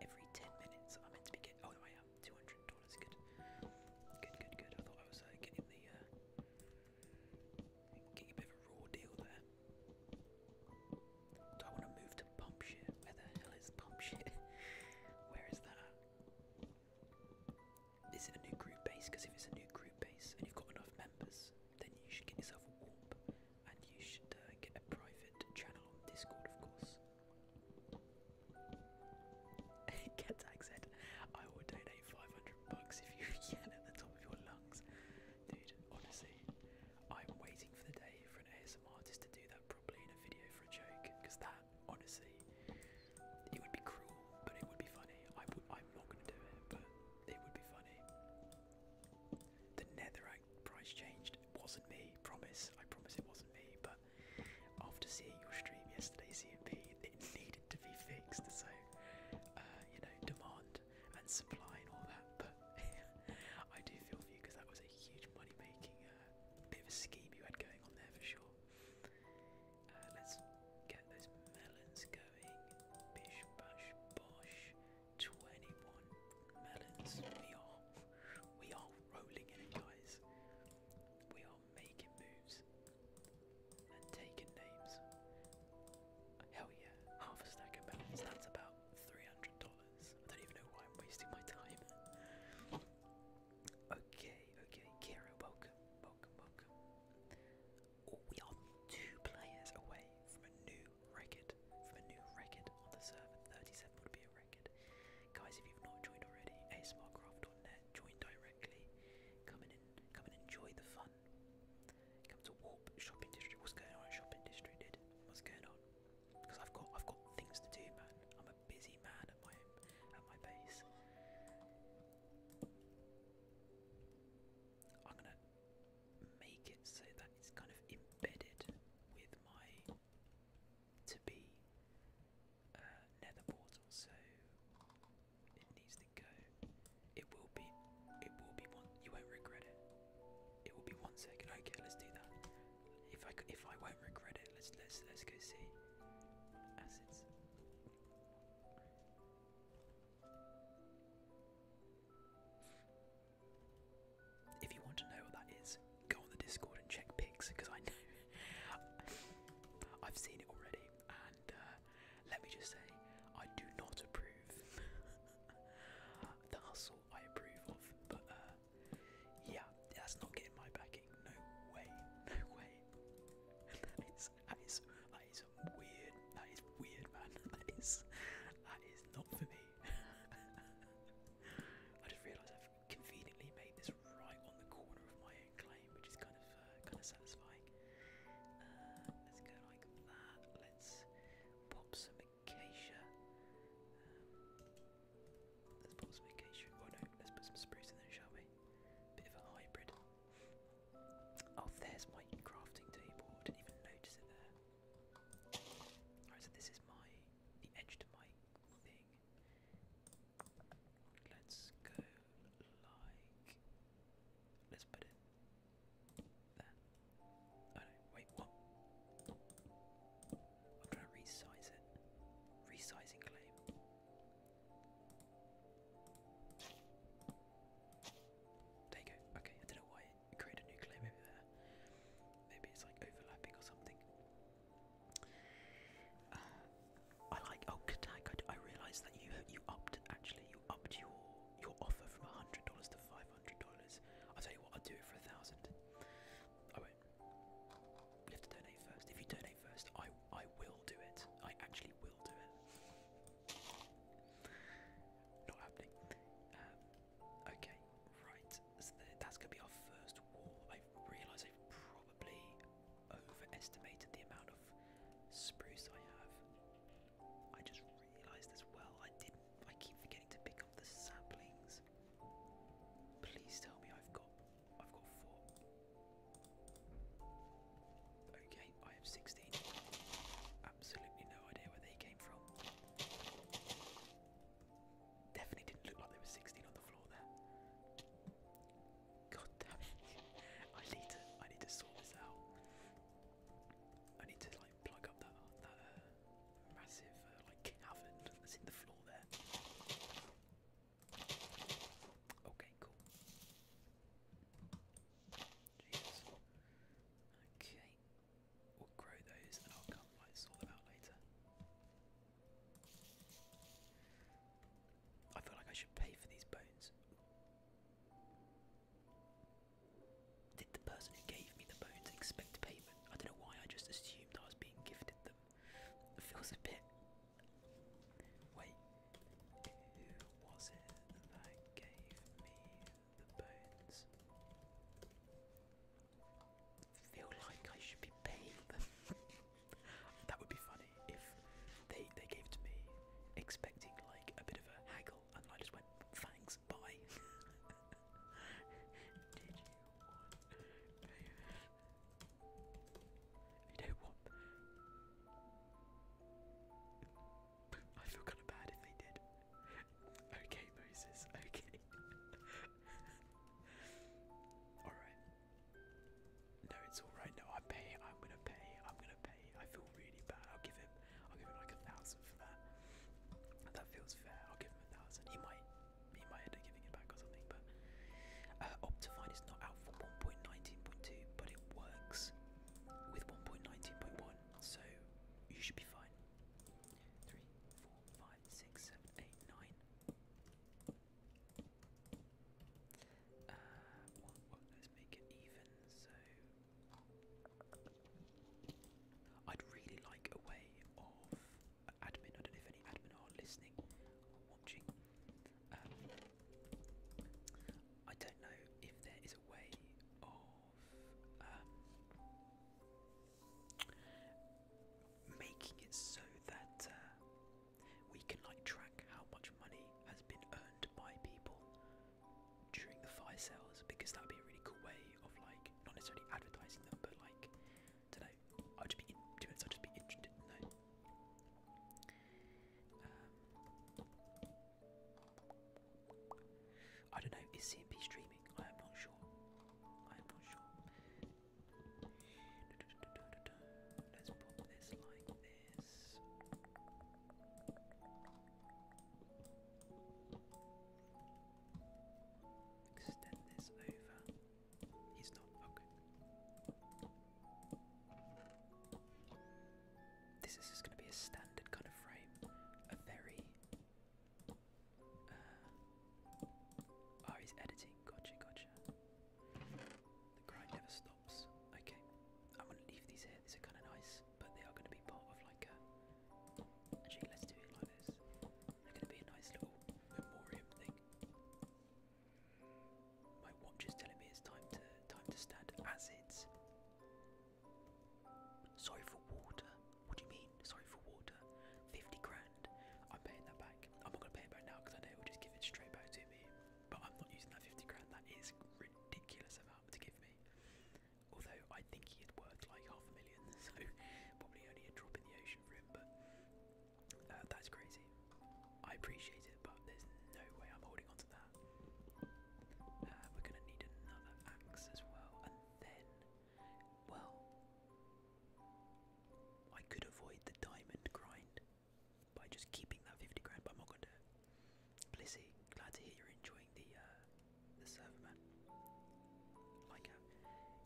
Every ten minutes, I'm meant to be getting. Oh no, I am. Two hundred dollars. Good. Good. Good. Good. I thought I was uh, getting the. Uh, Get a bit of a raw deal there. Do I want to move to pump shit? Where the hell is pump shit? Where is that? Is it a new group base? Because if it's a new group base and you've got enough members, then you should get yourself a warp and you should uh, get a private channel on Discord, of course. Get said, I will donate 500 bucks if you can at the top of your lungs. Dude, honestly, I'm waiting for the day for an ASMR artist to do that properly in a video for a joke, because that, honestly, it would be cruel, but it would be funny. i w I'm not going to do it, but it would be funny. The Netherite price changed. It wasn't me, promise. I promise it wasn't me, but after seeing your stream yesterday, CMP, it needed to be fixed, so, uh, you know, demand and supply and all that, but I do feel for you because that was a huge money making uh, bit of a scheme you had going on there for sure. Uh, let's get those melons going. Bish, bash, bosh. 21 melons. We are, we are rolling in guys. We are making moves and taking names. Hell yeah, half a stack of bells. That's about three hundred dollars. I don't even know why I'm wasting my time. Okay, okay, Kira, welcome, welcome, welcome. Oh, we are two players away from a new record. From a new record on the server. 37 would be a record. Guys, if you've not joined already, asmarcraft.net, join directly. Come in come and enjoy the fun. Come to warp shopping district. What's going on shopping district, What's going on? Because I've got I've got things to do, man. I'm a busy man at my at my base. I'm gonna make it so that it's kind of embedded with my to be uh, nether portal, so it needs to go it will be, it will be one. You won't regret it. It will be one second. Okay, let's do that. If I if I won't regret it, let's let's let's go see assets. If you want to know what that is, go on the Discord and check pics because I know I've seen it already. And uh, let me just say, I do not approve. the hustle I approve of, but uh, yeah, that's not getting my backing. No way, no way. that is that is that is weird. That is weird, man. That is that is not for me. I just realised I've conveniently made this right on the corner of my own claim, which is kind of uh, kind of satisfying. Uh, let's go like that. Let's pop some acacia. Um, let's put some acacia. Oh no, let's put some spruce in there, shall we? Bit of a hybrid. Oh, there's my crafting table. didn't even notice it there. Alright, so this is my the edge to my thing. Let's go like let's put it there. Oh wait, what? I'm trying to resize it. Resizing claim. There you go. Okay, I don't know why it a new claim over there. Maybe it's like overlapping or something. Uh, I like oh Katak. I, realised that you you upped actually you upped your your offer from $100 to $500. I'll tell you what, I'll do it for a thousand. I won't. You have to donate first. If you donate first, I I will do it. I actually will do it. Not happening. Um, okay, right. that's gonna be our first wall. I realise I've probably overestimated the amount of spruce I have. I just realized as well I didn't I keep forgetting to pick up the saplings. Please tell me I've got I've got four. Okay, I have 16. Absolutely no idea where they came from. Definitely didn't look like there were 16 on the floor there. God damn it. I need to I need to sort this out. I need to like plug up that that uh, massive uh, like cavern that's in the floor there. Okay, cool. Okay. We'll grow those and I'll come like sort them out later. I feel like I should pay for these bones. Did the person who gave me the bones expect payment? I don't know why I just assumed I was being gifted them. feels a bit. Wait, who was it that gave me the bones? Feel like I should be paying them. that would be funny if they they gave to me expecting like a bit of a haggle, and I just went thanks, bye. Did you want You don't want. I feel kind of bad if they did. Okay, Moses. Okay. all right. No, it's all right. No, I'm I'm gonna pay. I'm gonna pay. I feel really bad. I'll give him. I'll give him like a thousand for that. That feels fair. I'll give him a thousand. He might, he might end up giving it back or something. But uh, Optifine is not out for 1.19.2, but it works with 1.19.1, so you should be fine. Three, four, five, six, seven, eight, nine. Uh, well, let's make it even. So I'd really like a way of admin. I don't know if any admin are listening watching. Um, I don't know if there is a way of um, making it so that uh, we can like track how much money has been earned by people during the fire sales because that would be a really cool way of like not necessarily advertising them, but like don't know. I'll just be in, I'll just be interested in no. Um, I don't know. Is CMP streaming? I am not sure. I am not sure. Let's put this like this. Extend this over. He's not okay. This is just going to be a standard kind of frame. A very. Uh, oh, he's editing. Gotcha, gotcha. The grind never stops. Okay, I'm going to leave these here. These are kind of nice, but they are going to be part of like a. Actually, let's do it like this. they going to be a nice little memoriam thing. My watch is telling me it's time to time to stand as it's. Sorry for water. What do you mean? Sorry for water. Fifty grand. I'm paying that back. I'm not going to pay it back now because I know it will just give it straight back to me. But I'm not using that fifty grand. That is ridiculous amount to give me although I think he had worth like half a million, so probably only a drop in the ocean for him. But uh, that's crazy. I appreciate it, but there's no way I'm holding on to that. Uh, we're gonna need another axe as well, and then, well, I could avoid the diamond grind by just keeping that 50 grand, but I'm not gonna do glad to hear you're enjoying uh, the server man. Um,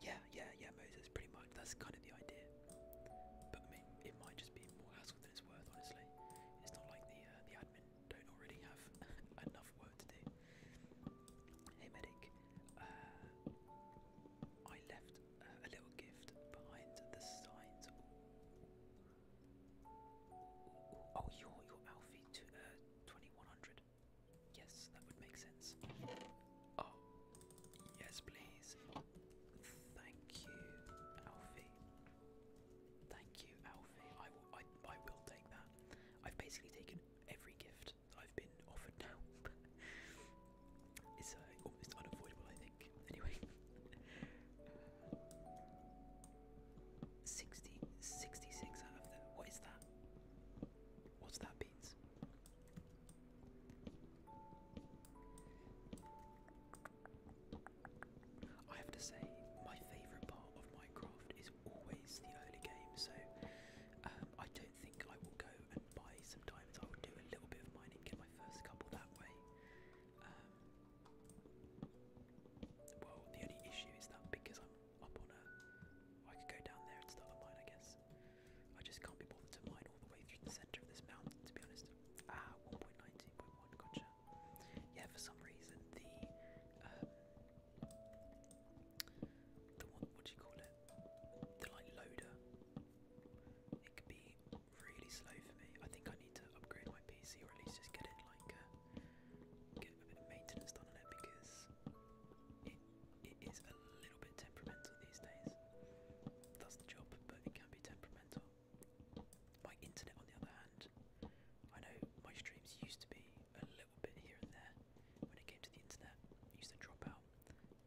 yeah, yeah, yeah, Moses. Pretty much. That's kind of the idea. But I mean, it might just be more hassle than it's worth. Honestly, it's not like the uh, the admin don't already have enough work to do. Hey medic, uh, I left a little gift behind the signs. Oh, you're, you're Alfie to 2100. Yes, that would make sense. Oh, yes, please. Thank you, Alfie. Thank you, Alfie. I will, I, I will take that. I've basically taken every gift I've been offered now. it's almost uh, oh, unavoidable, I think. Anyway. 60, 66 out of What is that? What's that, beans? I have to say, my favourite part of Minecraft is always the early game, so um, I don't think I will go and buy some I will do a little bit of mining, get my first couple that way. Um, well, the only issue is that because I'm up on a. I could go down there and start a mine, I guess. I just can't be bothered to mine all the way through the centre of this mountain, to be honest. Ah, 1.19.1, gotcha. Yeah, for some reason the um, the what do you call it? The like loader. It can be really slow for me. I think I need to upgrade my PC or at least just get it like uh, get a bit of maintenance done on it because it, it is a little bit temperamental these days. That's the job, but it can be temperamental. My internet, on the other hand, I know my streams used to be a little bit here and there when it came to the internet, used to drop out,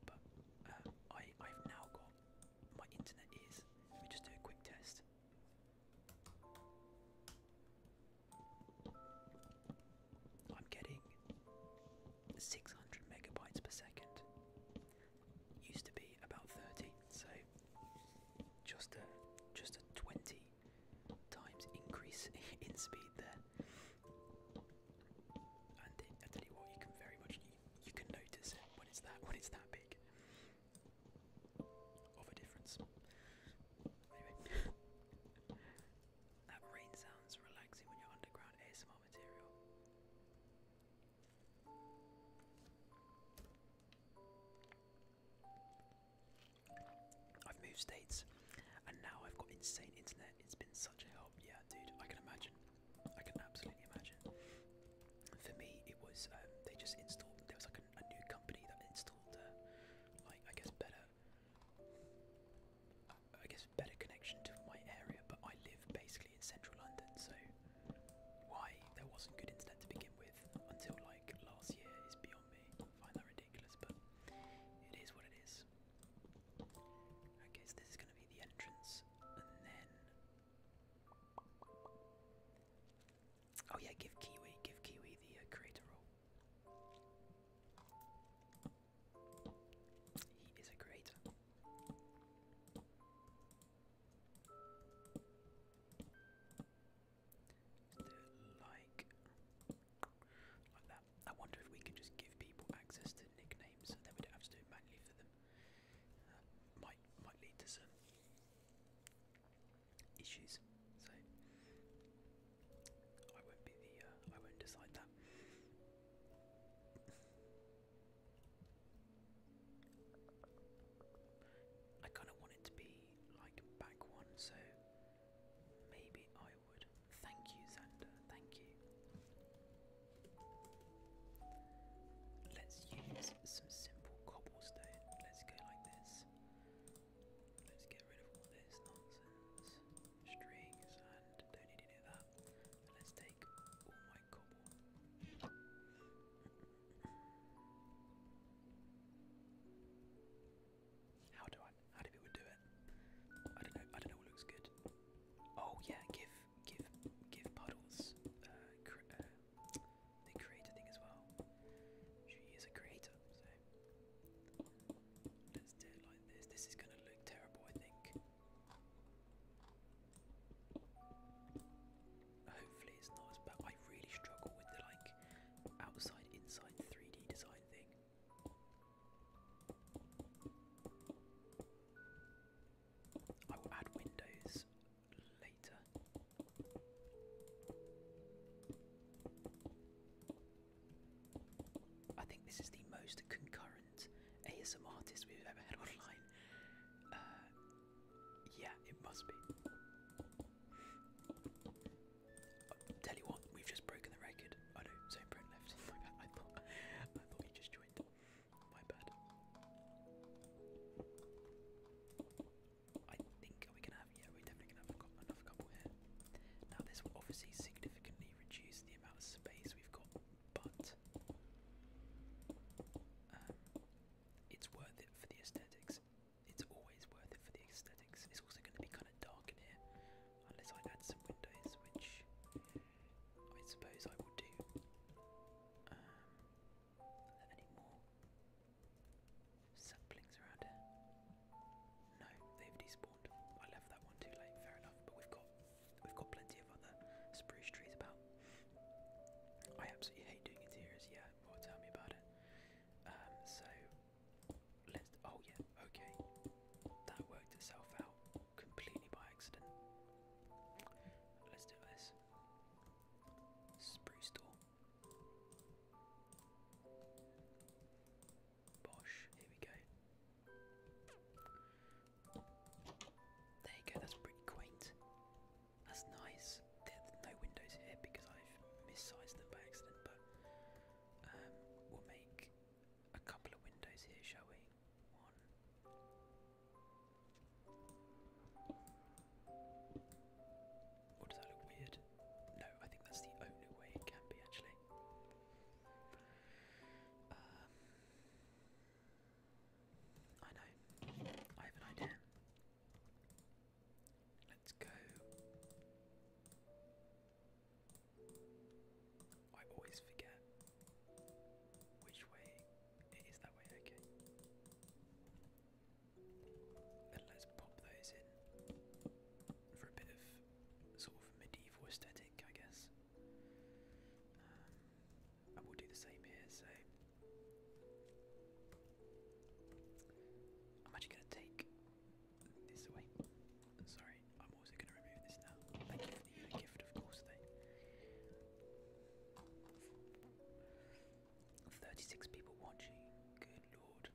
but uh, I, I've now got my internet is. Let me just do a quick test. I'm getting 600 megabytes per second. Used to be about 30, so just a just a 20 times increase in speed there. And I tell you what, you can very much you, can notice when it's that when it's that big of a difference. That rain sounds relaxing when you're underground ASMR material. I've moved states and now I've got insane internet. It's been such a help. Yeah, dude, I can imagine. I can absolutely imagine. For me, it was um, they just installed, there was like a, new company that installed, I guess, better I guess, better connection to my area, but I live basically in central London, so why there wasn't good internet to begin with until like last year is beyond me. I find that ridiculous, but it is what it is. I guess this is going to be the entrance, and then. Oh yeah, give Kiwi, give Kiwi the uh, creator role. He is a great. like, like that. I wonder if we can just give people access to nicknames and then we don't have to do it manually for them. Uh, might might lead to some issues. So I won't be the. Uh, I won't decide that. I kind of want it to be like back one, so maybe I would. Thank you, Xander. Thank you. Let's use some simple cobblestone. Let's go like this. Let's get rid of all this nonsense. Strings and don't need any of that. let's take all my cobble. How do I how do people do it? I don't know, I don't know what looks good. Oh yeah, give give give puddles uh, uh, the creator thing as well. She is a creator, Let's do it like this. This is gonna look terrible, I think. Hopefully it's not as bad. I really struggle with the like outside inside 3D design thing. I will add windows later. I think this is the most concurrent ASM artist we've ever had online. Uh, yeah, it must be. tell you what, we've just broken the record. Oh no, Zone Pro left. My bad. I thought, I just joined. My bad. I think are gonna have? Yeah, we're definitely gonna have another couple here. Now this will obviously significantly reduce the amount of space we've got, but um, it's worth it for the aesthetics. It's always worth it for the aesthetics. It's also going to be kind of dark in here, unless I add some windows, which I suppose I would do. Um, any more saplings around here? No, they've despawned. I left that one too late. Fair enough. But we've got we've got plenty of other spruce trees about. I absolutely hate doing interiors. Yeah, well, tell me about it. Um, so let's. Oh yeah. Okay. That worked itself out completely by accident. Let's do this. Spruce door. Bosh, here we go. There you go, that's pretty quaint. That's nice. There's no windows here because I've mis-sized them by accident, but um, we'll make a couple of windows here, shall we? does that look weird? No, I think that's the only way it can be actually. Um, I know. I have an idea. Let's go. I always forget which way it is that way, okay. let's pop those in for a bit of sort of medieval aesthetic. I guess. I um, will do the same here, so I'm actually going to take this away. Sorry, I'm also going to remove this now. Thank you for the gift, of course, though. 36 people watching, good lord.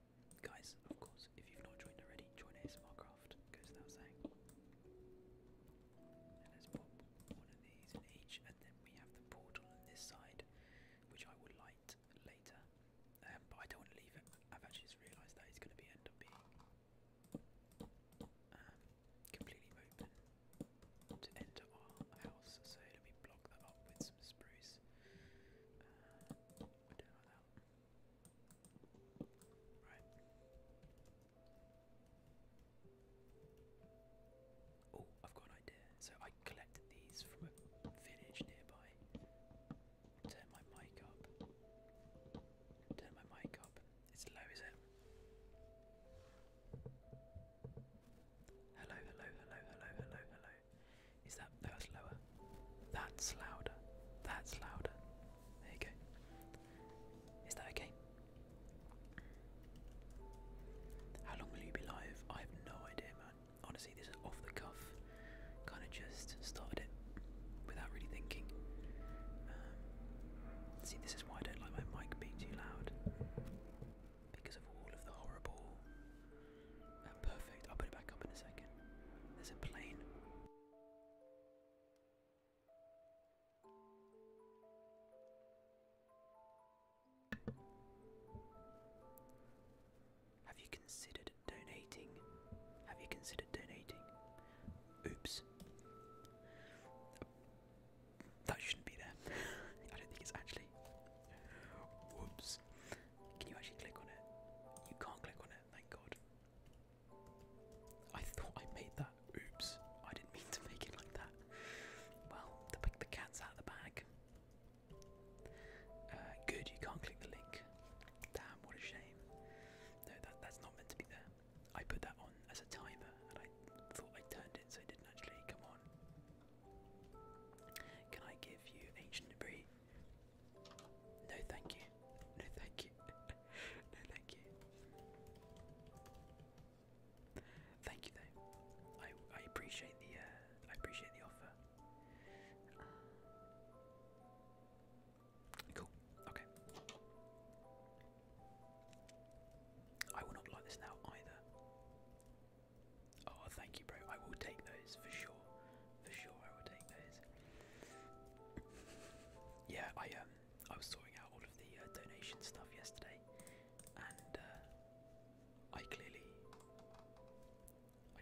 Guys, of course, channels. If you've not joined already, join ASMR Craft, goes without saying. let's pop one of these in each, and then we have the portal on this side, which I will light later. Um, but I don't want to leave it. I've actually just realised that it's going to be end up being um, completely open to enter our house, so let me block that up with some spruce. Uh, Oh, I've got an idea. So I collected these from a village nearby. Turn my mic up. Turn my mic up. It's low, is it? Hello, hello, hello, hello, hello, hello. Is that no, that's lower? That's louder. That's louder. There you go. Is that okay? How long will you be live? I have no idea, man. Honestly, this is off the cuff. Kind of just started it without really thinking. Um, see, this is why I don't like my mic being too loud. Because of all of the horrible. Uh, perfect, I'll put it back up in a second. There's a plane. Have you considered donating? Have you considered donating? Oops. That shouldn't be there. I don't think it's actually. Whoops. Can you actually click on it? You can't click on it, thank God. I thought I made that. Oops, I didn't mean to make it like that. Well, the, the cat's out of the bag. Uh, good, you can't click the link. Damn, what a shame. No, that's not meant to be there. I put that on as a timer and I thought I turned it so it didn't actually come on. Can I give you ancient debris? No, thank you. No, thank you. no, thank you. Thank you, though. I I appreciate the uh, I appreciate the offer. Cool. Okay. I will not like this now either. Oh, thank you, bro. I will take those for sure for sure I will take those. yeah, I um I was sorting out all of the uh, donation stuff yesterday, and uh, I clearly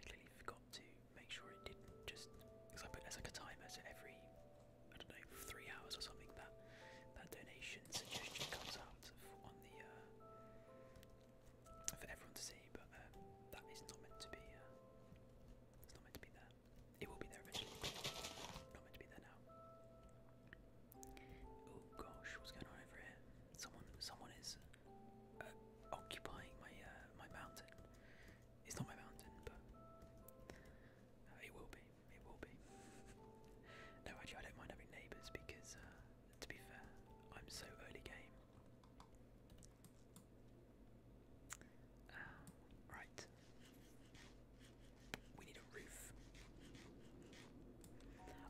I clearly forgot to make sure it didn't just because I put there's like a timer so every I don't know three hours or something that that donation suggestion comes out on the uh, for everyone to see, but um, that is not meant to be. it's not meant to be there. It will be there eventually. Not meant to be there now. Oh gosh, what's going on over here? Someone, someone is uh, occupying my uh, my mountain. It's not my mountain, but uh, it will be. It will be. no, actually, I don't mind having neighbours because, to be fair, I'm so early game. Oh, right. We need a roof.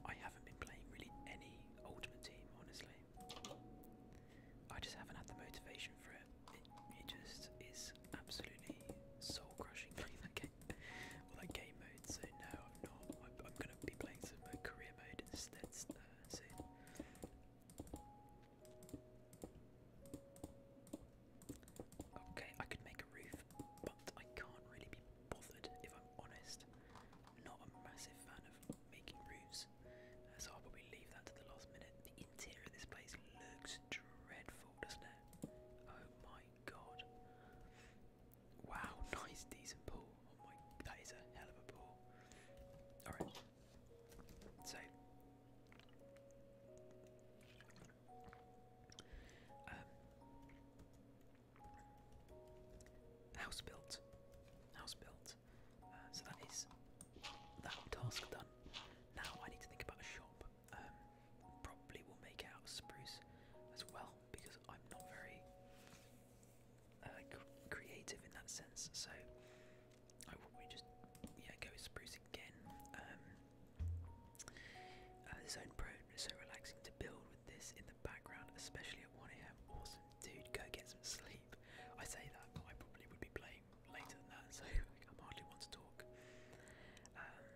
I haven't been playing really any Ultimate Team, honestly. I just haven't had the motivation for it. It, just is absolutely soul crushing playing that game, or that game mode. So no, I'm not. I'm, gonna be playing some uh, career mode instead uh, Okay, I could make a roof, but I can't really be bothered if I'm honest. not a massive fan of making roofs, uh, so I'll probably leave that to the last minute. The interior of this place looks dreadful, doesn't it? Oh my god. Wow, nice, decent pool. Oh my, that is a hell of a pool. Alright, so, um, house built, house built. Uh, so that is that task done. Now I need to think about a shop. Um, probably will make out of spruce as well because I'm not very uh, creative in that sense. So I will just yeah go spruce again. zone um, uh, pro is so relaxing to build with this in the background, especially at 1am. Awesome, dude. Go get some sleep. I say that, but I probably would be playing later than that, so I'm hardly want to talk. Um,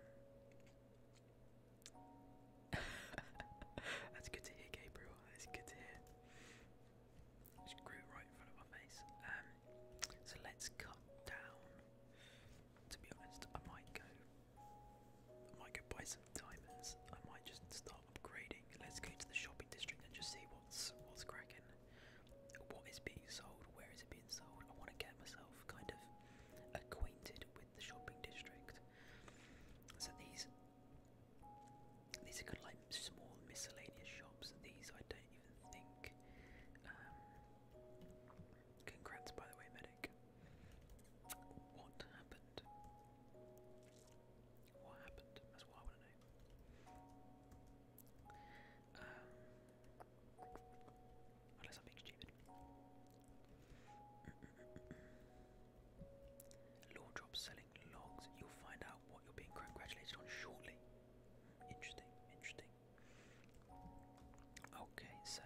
that's good to hear, Gabriel. That's good to hear. Just grew right in front of my face. Um, so let's cut down. To be honest, I might go. might go buy some diamonds. I might just start upgrading. Let's go to the shopping district and just see what's what's cracking. What is being sold? Where is it being sold? I want to get myself kind of acquainted with the shopping district. So these these are kind of like small miscellaneous shops. These I don't um, congrats, by the way, medic. What happened? What happened? That's what I want to know. unless um, I'm being stupid. Law drop selling logs. You'll find out what you're being congratulated on shortly. Interesting, interesting. Okay, so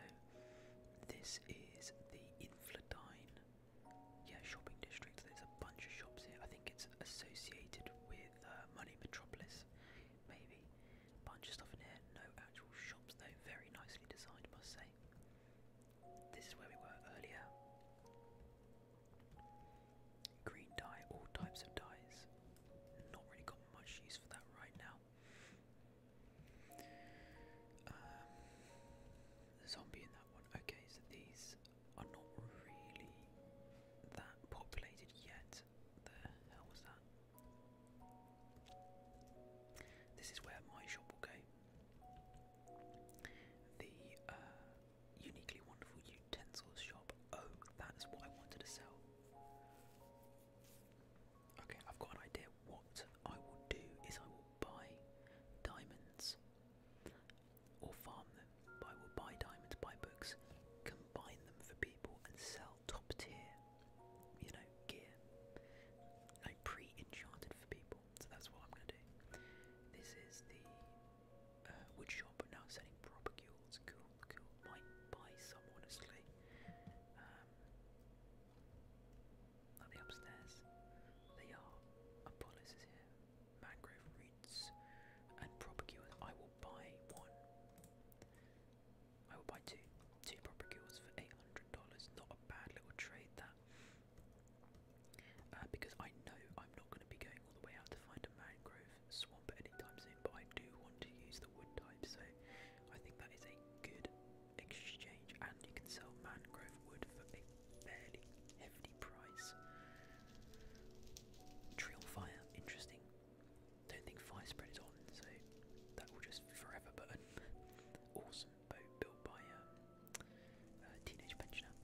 this is the Infladine yeah, shopping district. There's a bunch of shops here. I think it's associated with uh, Money Metropolis, maybe. Bunch of stuff in here. No actual shops though. Very nicely designed, must say. This is where we were earlier. Green dye, all types of dyes. Not really got much use for that right now. Um, zombie in that one. Okay, so these are not really that populated yet. The hell was that? This is where my shop will go. The uh, uniquely wonderful utensils shop. Oh, that's what I wanted to sell. Okay, I've got an idea. What I will do is I will buy diamonds or farm them. I will buy diamonds, buy books, combine them for people, and sell top tier, you know, gear. Like pre enchanted for people. So that's what I'm going to do. This is the uh, wood shop but now selling propagules. Cool, cool. Might buy some honestly. Um, upstairs? They are. Apollos is here. Mangrove roots and propagules. I will buy one. I will buy two. Two propagules for eight hundred dollars. Not a bad little trade that. Uh, because I know I'm not going to be going all the way out to find a mangrove swamp anytime soon, but I do want to use the wood type, so I think that is a good exchange. And you can sell mangrove wood for a fairly hefty price. Trail fire, interesting. Don't think fire spread is on, so that will just forever burn. awesome boat built by um, a teenage pensioner.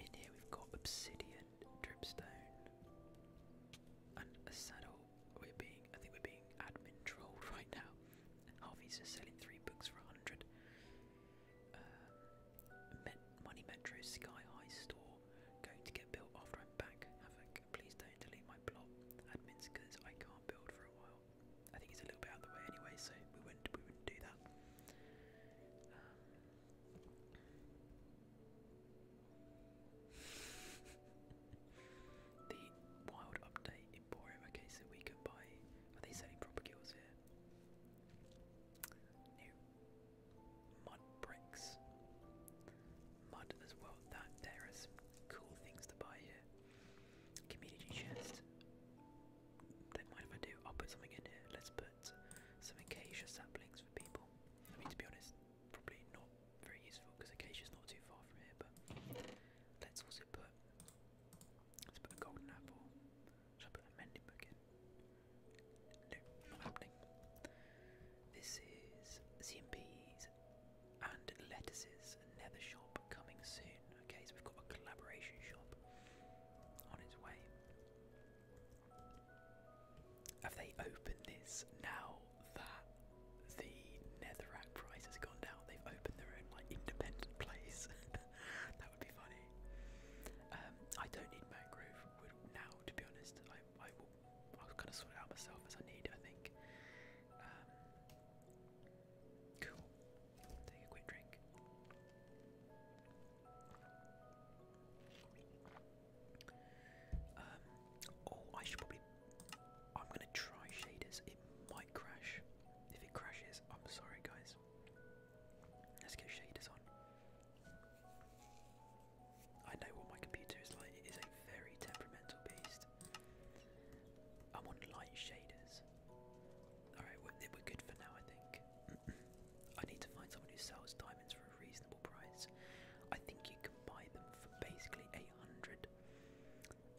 In here we've got obsidian, dripstone, and a saddle. We're being, I think we're being admin trolled right now. Harvey's selling three books for a hundred. Um, Money Metro Sky High Store. Going to get built after I'm back. Havoc, please don't delete my block, Admins, because I can't build for a while. I think it's a little bit out of the way anyway, so we wouldn't do that. Um, the wild update emporium. Okay, so we could buy. Are they selling proper cures here? mud bricks, mud as well. That there are some cool things to buy here. Community chest. Don't mind if I do. I'll put something in here. Let's put some acacia saplings for people. I mean, to be honest, probably not very useful because acacia's not too far from here. But let's also put let's put a golden apple. Should I put a mending book in? No, not happening. This is CMPs and lettuces. Nether shop coming soon. Okay, so we've got a collaboration shop on its way. Have they opened this now that the Netherrack price has gone down? They've opened their own like independent place. that would be funny. Um, I don't need mangrove wood now, to be honest. I I will kind of sort out myself as I need. I think. Um, cool. Take a quick drink. Um, oh, I should probably. I'm gonna try shaders. It might crash. If it crashes, I'm sorry, guys. Let's get shaders on. I know what my computer is like. It is a very temperamental beast. I'm on light shaders. Alright, we're good for now, I think. I need to find someone who sells diamonds for a reasonable price. I think you can buy them for basically eight hundred,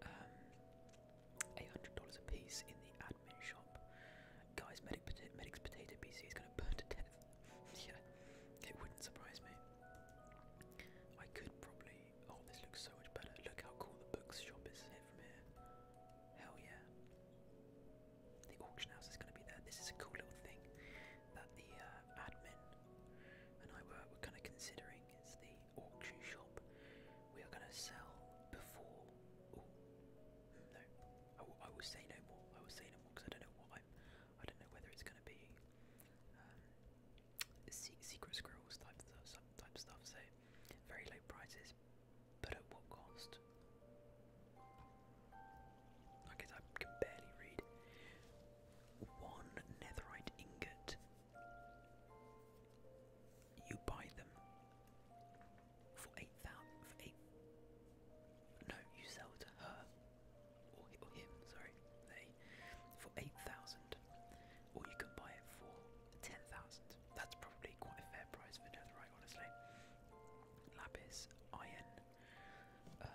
um, eight hundred dollars a piece in the admin shop. Guys, medic's potato PC is gonna burn to death. yeah, it wouldn't surprise me. I could probably. Oh, this looks so much better. Look how cool the books shop is from here. Hell yeah. The auction house is going to be there. This is a cool little thing that the uh, admin and I were, were kind of considering. It's the auction shop. We are going to sell before. Ooh, hmm, no, I, w I will say no more. I will say no more because I don't know what I'm. I don't know whether it's going to be um, se secret scrolls type stuff, type stuff. So very low prices, but at what cost? I guess I can barely read. One netherite ingot. You buy them for eight thousand. No, you sell to her or him. Sorry, they for eight thousand, or you can buy it for ten thousand. That's probably quite a fair price for netherite, honestly lapis, iron, uh,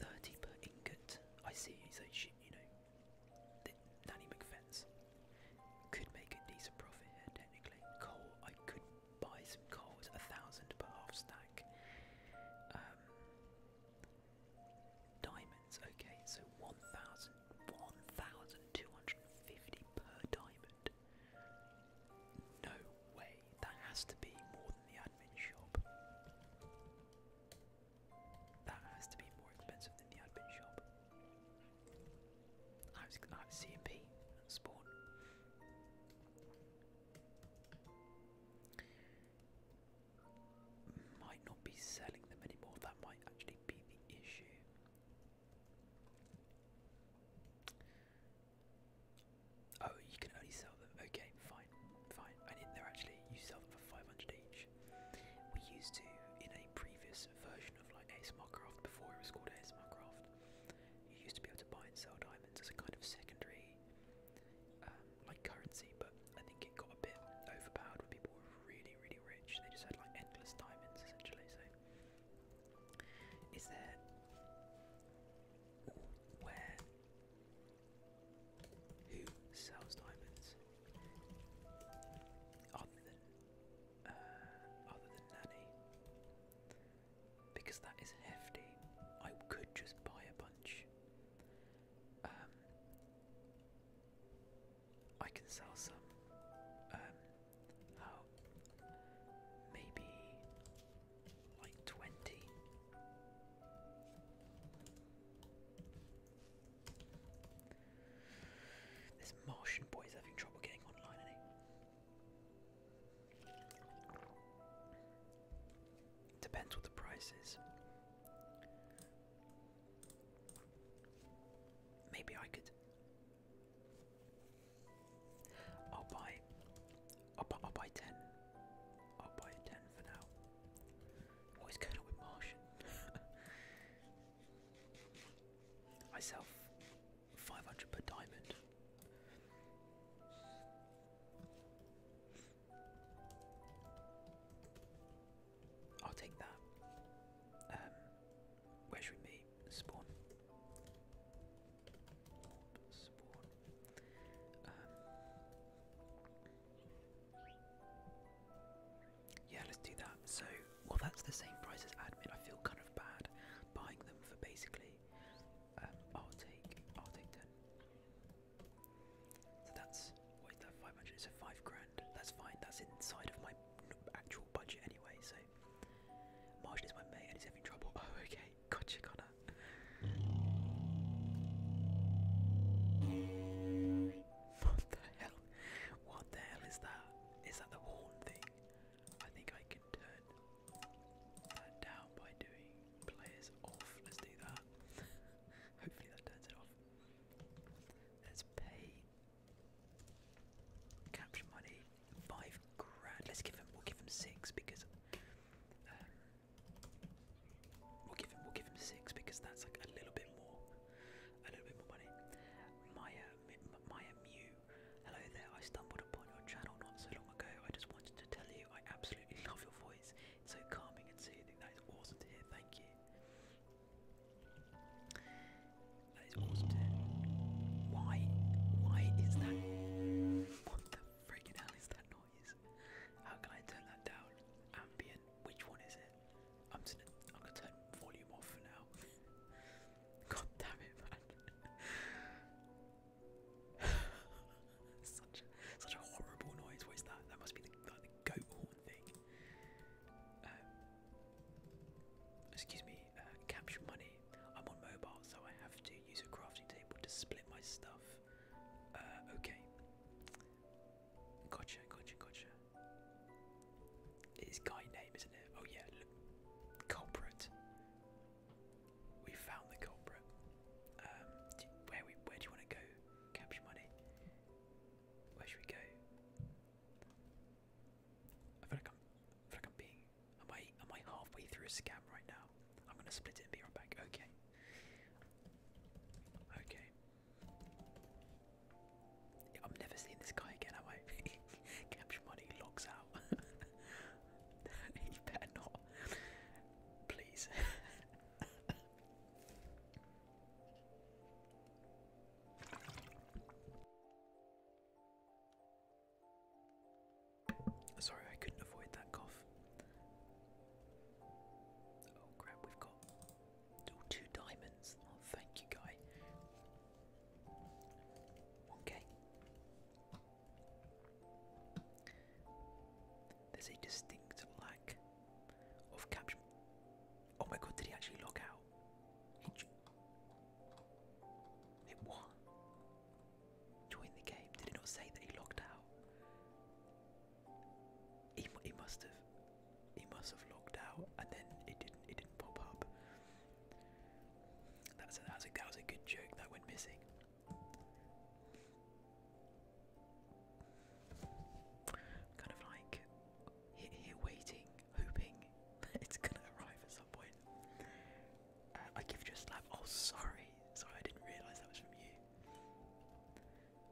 30 per ingot. I see, so she, you know, Nanny McFence could make a decent profit here technically. Coal, I could buy some coal at a thousand per half stack. Um, diamonds, okay, so 1,000, per diamond. No way, that has to be more than the admin shop. That has to be more expensive than the admin shop. I was I was CMP and spawn. Might not be selling them anymore, that might actually be the issue. Oh, you can only sell them. Okay, fine, fine. I mean, they're actually you sell them for five hundred each. We used to in a previous version of like ASMR Craft before it was called ASMR Craft. You used to be able to buy and sell diamonds as a kind of secondary, um, like currency. But I think it got a bit overpowered when people were really, really rich. They just had like endless diamonds essentially. So is there. where. Who sells diamonds? Other than. Uh, other than Nanny. Because that is hefty. I could just buy a bunch. Um, I can sell some. Um, Oh, maybe like twenty. This Martian boy is having trouble getting online, Depends what the price is. Maybe I could I'll buy, I'll buy, I'll buy ten. I'll buy ten for now. What is going with Martian? I five hundred per diamond. I'll take that. Um, where should spawn. Orb um, yeah, let's do that. So, well, that's the same price as admin. I feel kind of bad buying them for basically. Um, I'll take, I'll take ten. So that's what is that? Five hundred. So five grand. That's fine. That's inside of my actual budget anyway. So mate. Martian is my mate and he's having trouble. Oh, okay. Gotcha, Connor. what the hell? What the hell is that? Is that the horn thing? I think I can turn that down by doing players off. Let's do that. Hopefully that turns it off. Let's pay. Capture money. Five grand. Let's give him. We'll give him six because. Um, we'll give him. We'll give him six because that's like a little bit more. A little bit more money. Maya, Maya Mew. Hello there. I stumbled upon your channel not so long ago. I just wanted to tell you I absolutely love your voice. It's so calming and soothing. That is awesome to hear. Thank you. That is awesome to hear. Why? Why is that what the freaking hell is that noise? How can I turn that down? Ambient. Which one is it? I'm gonna, turn volume off for now. God damn it, man. such, a horrible noise. What is that? That must be the, goat horn thing. Um, excuse me. Uh, capture money. I'm on mobile, so I have to use a crafting table to split my stuff. Uh, okay. Gotcha, gotcha, gotcha. It's guy name, isn't it? Oh yeah, look. Culprit. We found the culprit. Um, where we? Where do you want to go? Capture money. Where should we go? I feel I'm, I feel I'm being Am I am I halfway through a scam right now? I'm gonna split it and be right back. Okay. Okay. I'm never seeing this guy again, am I? Capture money logs out. he better not. Please. Sorry, I couldn't avoid that cough. Oh crap, we've got oh, two diamonds. Oh, thank you, guy. Okay. There's a distinct lack of caption. Oh my god, did he actually log out? He Join the game. Did it not say that he logged out? He, he must have. He must have logged out, and then it didn't. It didn't pop up. that was a that was a good joke that went missing. kind of like here, waiting, hoping it's gonna arrive at some point. I give you a slap. Oh, sorry. Sorry, I didn't realise that was from you.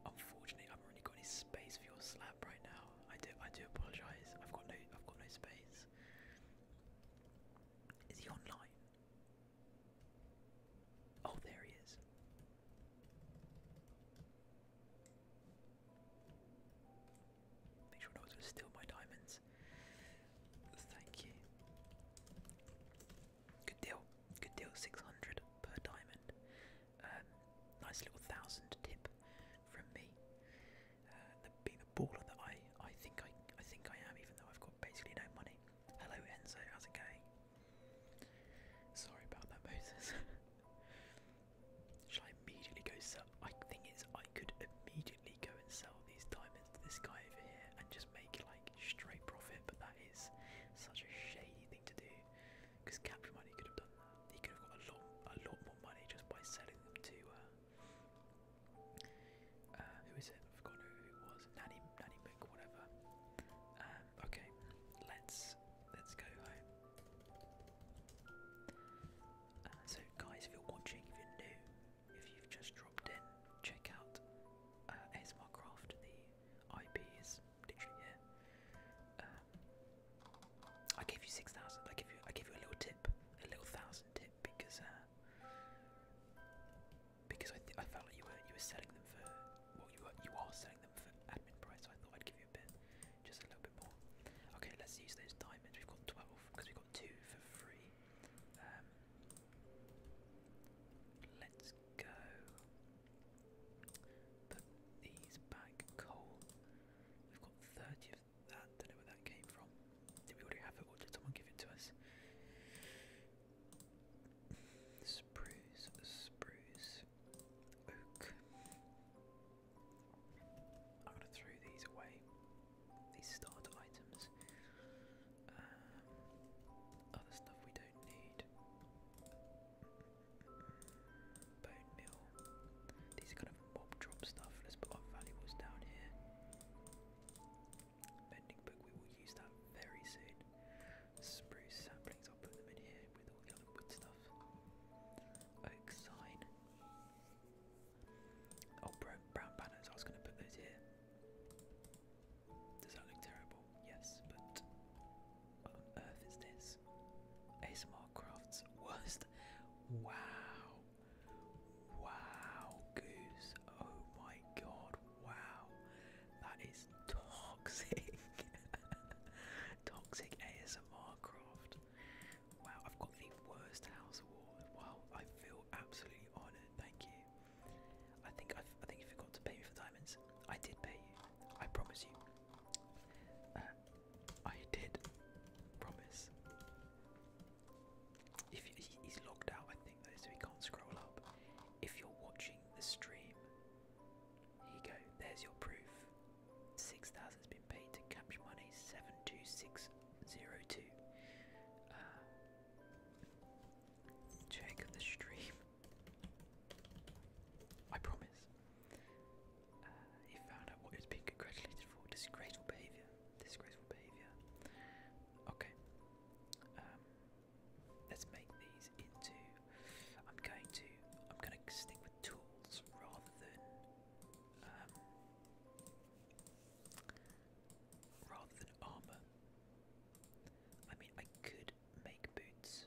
Unfortunately, I haven't really got any space for your slap right now. I do, I do apologise. I've got no, I've got no space. Is he online? Oh, there he is. Make sure no one's gonna steal my diamonds. Thank you. Good deal. Good deal. 600 per diamond. Um, nice little thousand tip from me. Uh, being the baller that I, I think I, I think I am, even though I've got basically no money. Hello Enzo, how's it going? Sorry about that, Moses. Should I immediately go sub? I think it's I could immediately go and sell these diamonds to this guy over here and just make like straight profit. But that is such a shady thing to do because Capture Money could have done that. He could have got a lot, a lot more money just by selling them to. Uh, uh, who is it? I've forgotten who it was. Nanny, Nanny Book, whatever. Um, okay, let's let's go home. Uh, so, guys, if you're watching, if you're new, if you've just dropped in, check out uh, The IP is literally here. Um, I gave you six thousand. I give you. I give you a little tip, a little thousand tip, because uh, because I, I felt like you were you were selling them for what you were you are selling them for admin price. So I thought I'd give you a bit, just a little bit more. Okay, let's use those diamonds. We've got twelve because we got two for free. Um, let's go. Put these back. Coal. We've got thirty of that. Don't know where that came from. Did we already have it, or did someone give it to us? Spruce, spruce, oak. I'm gonna throw these away these starter items. Um, other stuff we don't need. Bone meal. These are kind of mob drop stuff. Let's put our valuables down here. Bending book, we will use that very soon. Spruce saplings, I'll put them in here with all the other wood stuff. Oak sign. Oh, brown banners, I was going to put those here. Does that look terrible? Yes, but what on earth is this? ASMR Crafts worst. Wow. Wow, Goose. Oh my god. Wow. That is toxic. toxic ASMR Craft. Wow, I've got the worst house award. Wow, I feel absolutely honoured. Thank you. I think i think you forgot to pay me for diamonds. I did pay you. I promise you. Uh, I did promise. If you, he's logged out, I think though, so he can't scroll up. If you're watching the stream, here go. There's your proof. Six thousand has been paid to Capture Money seven two six zero two. Uh, check the stream. I promise. Uh, he found out what he was being congratulated for. Disgraceful behaviour. Disgraceful behaviour. Okay. Um, let's make these into. I'm going to. I'm going to stick with tools rather than. Um, rather than armour. I mean, I could make boots.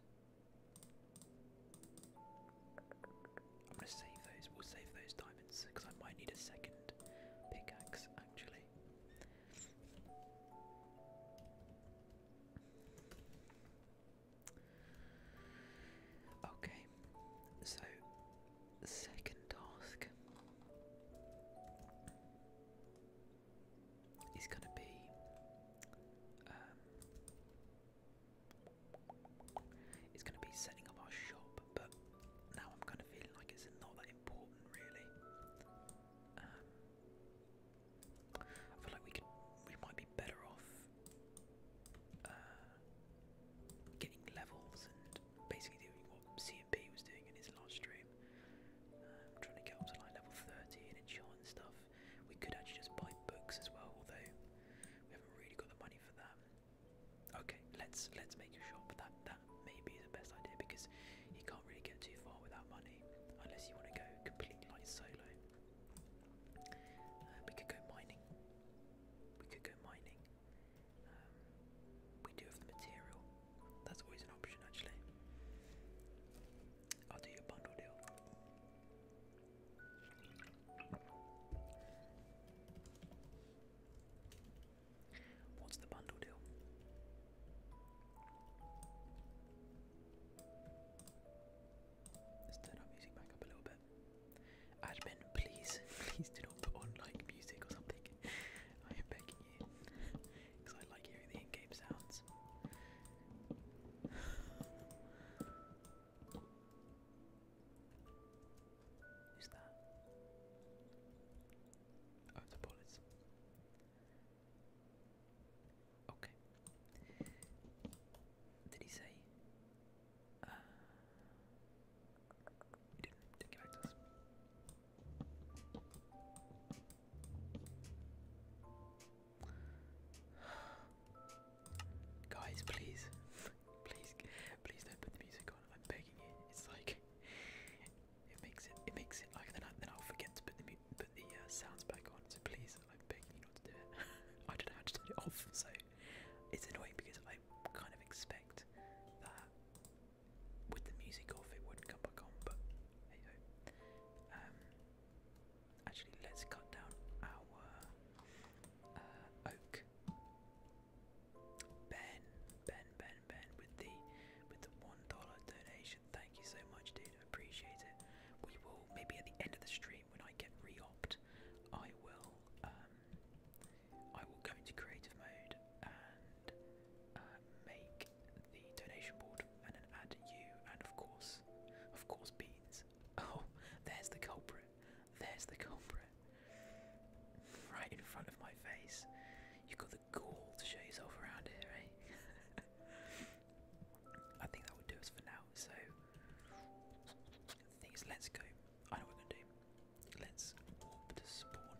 I'm gonna save those. We'll save those diamonds because I might need a second pickaxe actually. Okay, so second task is going to be um, it's going to be setting up our shop, but now I'm kind of feeling like it's not that important, really. Um, I feel like we could we might be better off uh, getting levels and basically doing what CMP was doing in his live stream. Um, trying to get up to like level 30 and enchant and stuff. We could actually just buy books as well, although we haven't really got the money for that. Okay, let's let's make a shop. That that maybe is the best idea because you can't really get too far without money unless you want to go completely like solo. Uh, we could go mining. We could go mining. Um, we do have the material. That's always an option, actually. I'll do your bundle deal. What's the bundle deal? Let's turn our music a little bit. Admin, please, please do not put on like music or something. I am begging because I like hearing the in-game sounds. Who's that? Oh, the bullets. Okay. Did he say? Uh, Guys, please, please, please don't put the music on. I'm begging you. It's like it makes it, it makes it like then, I, then I'll forget to put the put the uh, sounds back on. So please, I'm begging you not to do it. I don't know how to turn it off. So it's annoying because I kind of expect that with the music off, it wouldn't come back on, but hey ho. Um, actually, let's cut down our uh, Ben, Ben, Ben, Ben, with the with the one dollar donation. Thank you so much, dude. appreciate it. We will maybe at the end of the stream when I get re I will um, I will go into creative mode and uh, make the donation board and then add you and of course, of course, beans. Oh, there's the culprit. There's the culprit. Right in front of my face. You have got the gall to show yourself around here, eh? I think that would do us for now. So, things. Let's go. I know we're gonna do. Let's warp to spawn.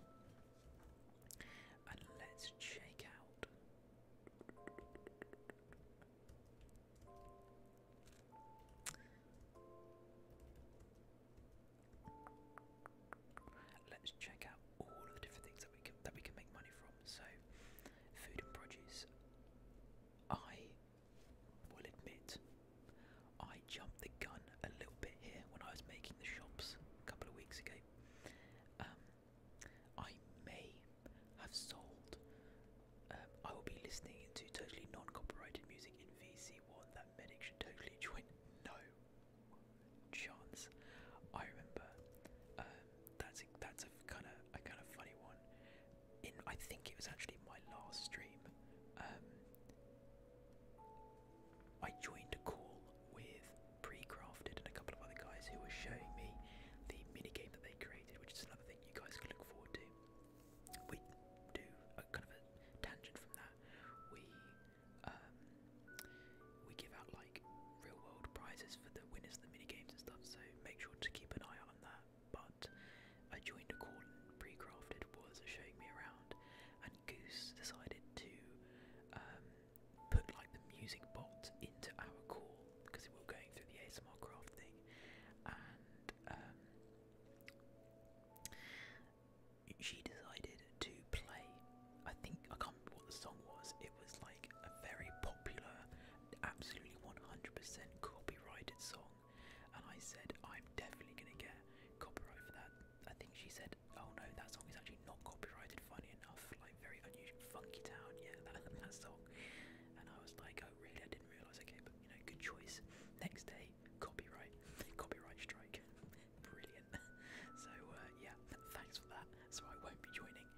And let's check out. Let's check out all of the different things that we that we can make money from. So, food and produce. I will admit, I jumped the gun a little bit here when I was making the shops a couple of weeks ago. Um, I may have sold. Um, I will be listening to totally non-copyrighted music in VC1. That medic should totally join. No chance. I remember. Um, that's a, that's a kind of a kind of funny one. In I think it was actually my last stream. I joined a call with Precrafted and a couple of other guys who were showing me the mini game that they created, which is another thing you guys can look forward to. We do a kind of a tangent from that. We um, we give out like real world prizes for the winners of the mini games and stuff, so make sure to keep an eye on that. But I joined a call and Precrafted was showing me around, Goose decided to um, put like the music bot into our call because we were going through the ASMR craft and um, she decided to play. I think I can't remember what the song was. It was like a very popular, absolutely 100% copyrighted song, and I said I'm definitely gonna get copyright for that I think she said, "Oh no, that song is actually not copyrighted." Funny enough, like very unusual, funky town, yeah, that, song. And I was like, "Oh really?" I didn't realize. Okay, but you know, good choice. Next day, copyright, copyright strike. Brilliant. So uh, yeah, thanks for that. So I won't be joining.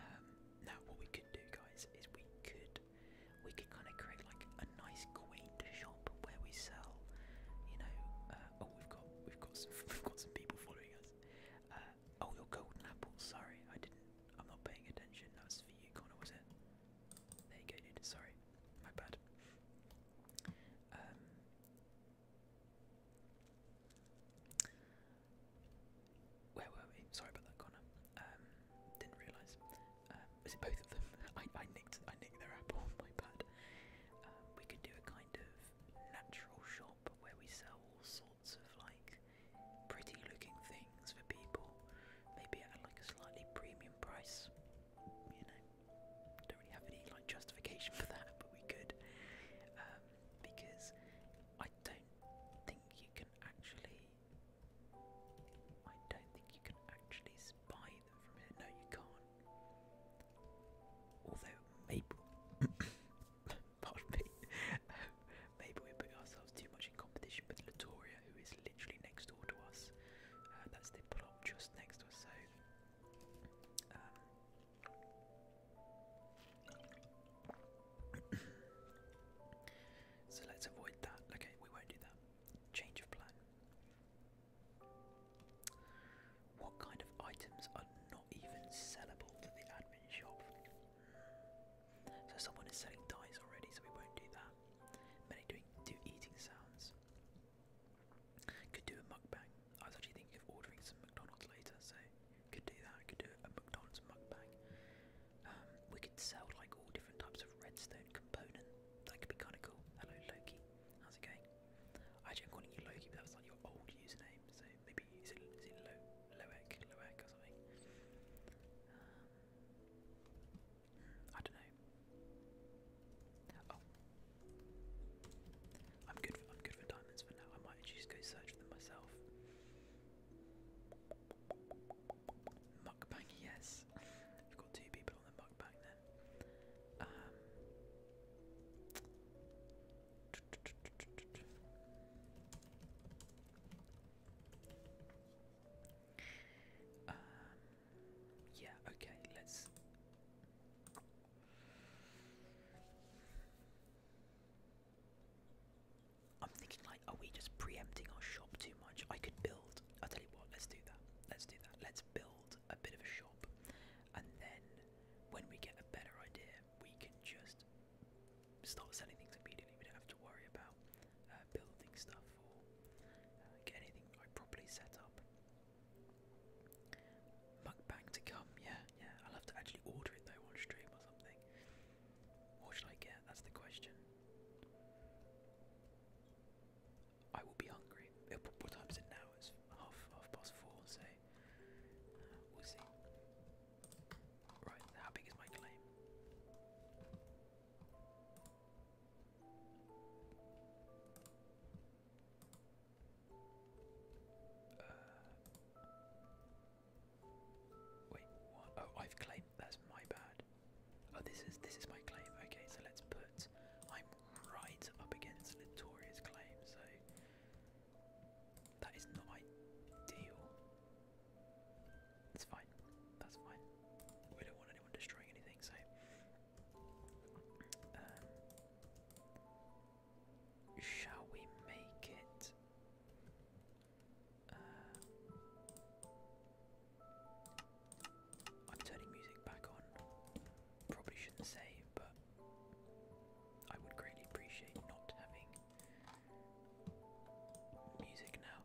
Um, now what we could do, guys, is we could we could kind of create like a nice quaint shop where we sell, you know. Uh, oh, we've got we've got we've got some people following us. Uh, oh, your golden apples. Sorry, I didn't. I'm not paying attention. That was for you, Connor, was it? There you go, Sorry, my bad. Um, where were we? Sorry about that, Connor. Um, didn't realise. was um, it both of them? I, I nicked. I nicked their apple. My bad. we could do a kind of natural shop where we sell all sorts of like pretty looking things for people, maybe at like a slightly premium price. You know, don't really have any like justification for that, but we could um, because I don't think you can actually. I don't think you can actually buy them from here. No, you can't. Although maybe, pardon me, um, maybe we put ourselves too much in competition with Latoria, who is literally next door to us. Uh, that's the plot just next to us. So. Um, so let's avoid that. Okay, we won't do that. Change of plan. What kind of items are not even sellable to the admin shop? So someone is selling dice already, so we won't do that. Many doing do eating sounds. Could do a mukbang. I was actually thinking of ordering some McDonald's later, so could do that. Could do a McDonald's mukbang. Um, we could sell like all different types of redstone component. That could be kind of cool. Hello Loki, how's it going? I'm calling you Loki, but that was like your old username, so maybe is it is it Lo Loek Loek or something? Um, I don't know. Oh, I'm good. I'm good for diamonds for now. I might just go search them myself. Mukbang, yes. We've got two people on the mukbang then. Um, um, yeah, okay, let's. I'm thinking, like, are we just preempting our shop too much? I could build. I'll tell you what, let's do that. Let's do that. Let's build a bit of a shop, and then when we get a better idea, we can just start selling things immediately. We don't have to worry about uh, building stuff or getting uh, get anything like properly set up. Mukbang to come, yeah, yeah. I'll have to actually order it though on stream or something. What should I get? That's the question. I will be hungry. What time is it now? It's half half past four, so we'll see. Right, how big is my claim? Uh, wait, Oh, I've claimed. That's my bad. Oh, this is this is my claim. Okay, so let's put. I'm right up against Litoria's claim, so that is not ideal. It's fine. That's fine. We don't want anyone destroying anything, so. Um, shall we make it? Uh, I'm turning music back on. Probably shouldn't say, but I would greatly appreciate not having music now,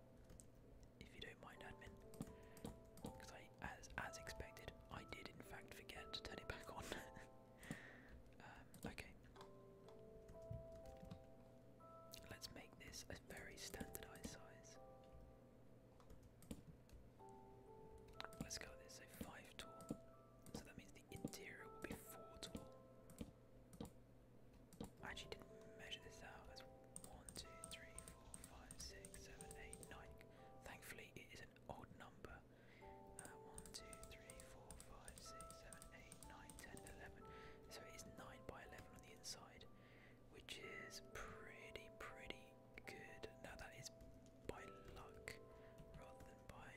if you don't mind, admin. Because I, as as expected, I did in fact forget to turn it back on. Um, okay. Let's make this a very standardized size. Let's go this, so five tall. So that means the interior will be four tall. I actually didn't measure this out. That's one, two, three, four, five, six, seven, eight, nine. Thankfully, it is an odd number. Uh, one, two, three, four, five, six, seven, eight, nine, ten, eleven. So it is nine by eleven on the inside, which is pretty, pretty good. Now that is by luck rather than by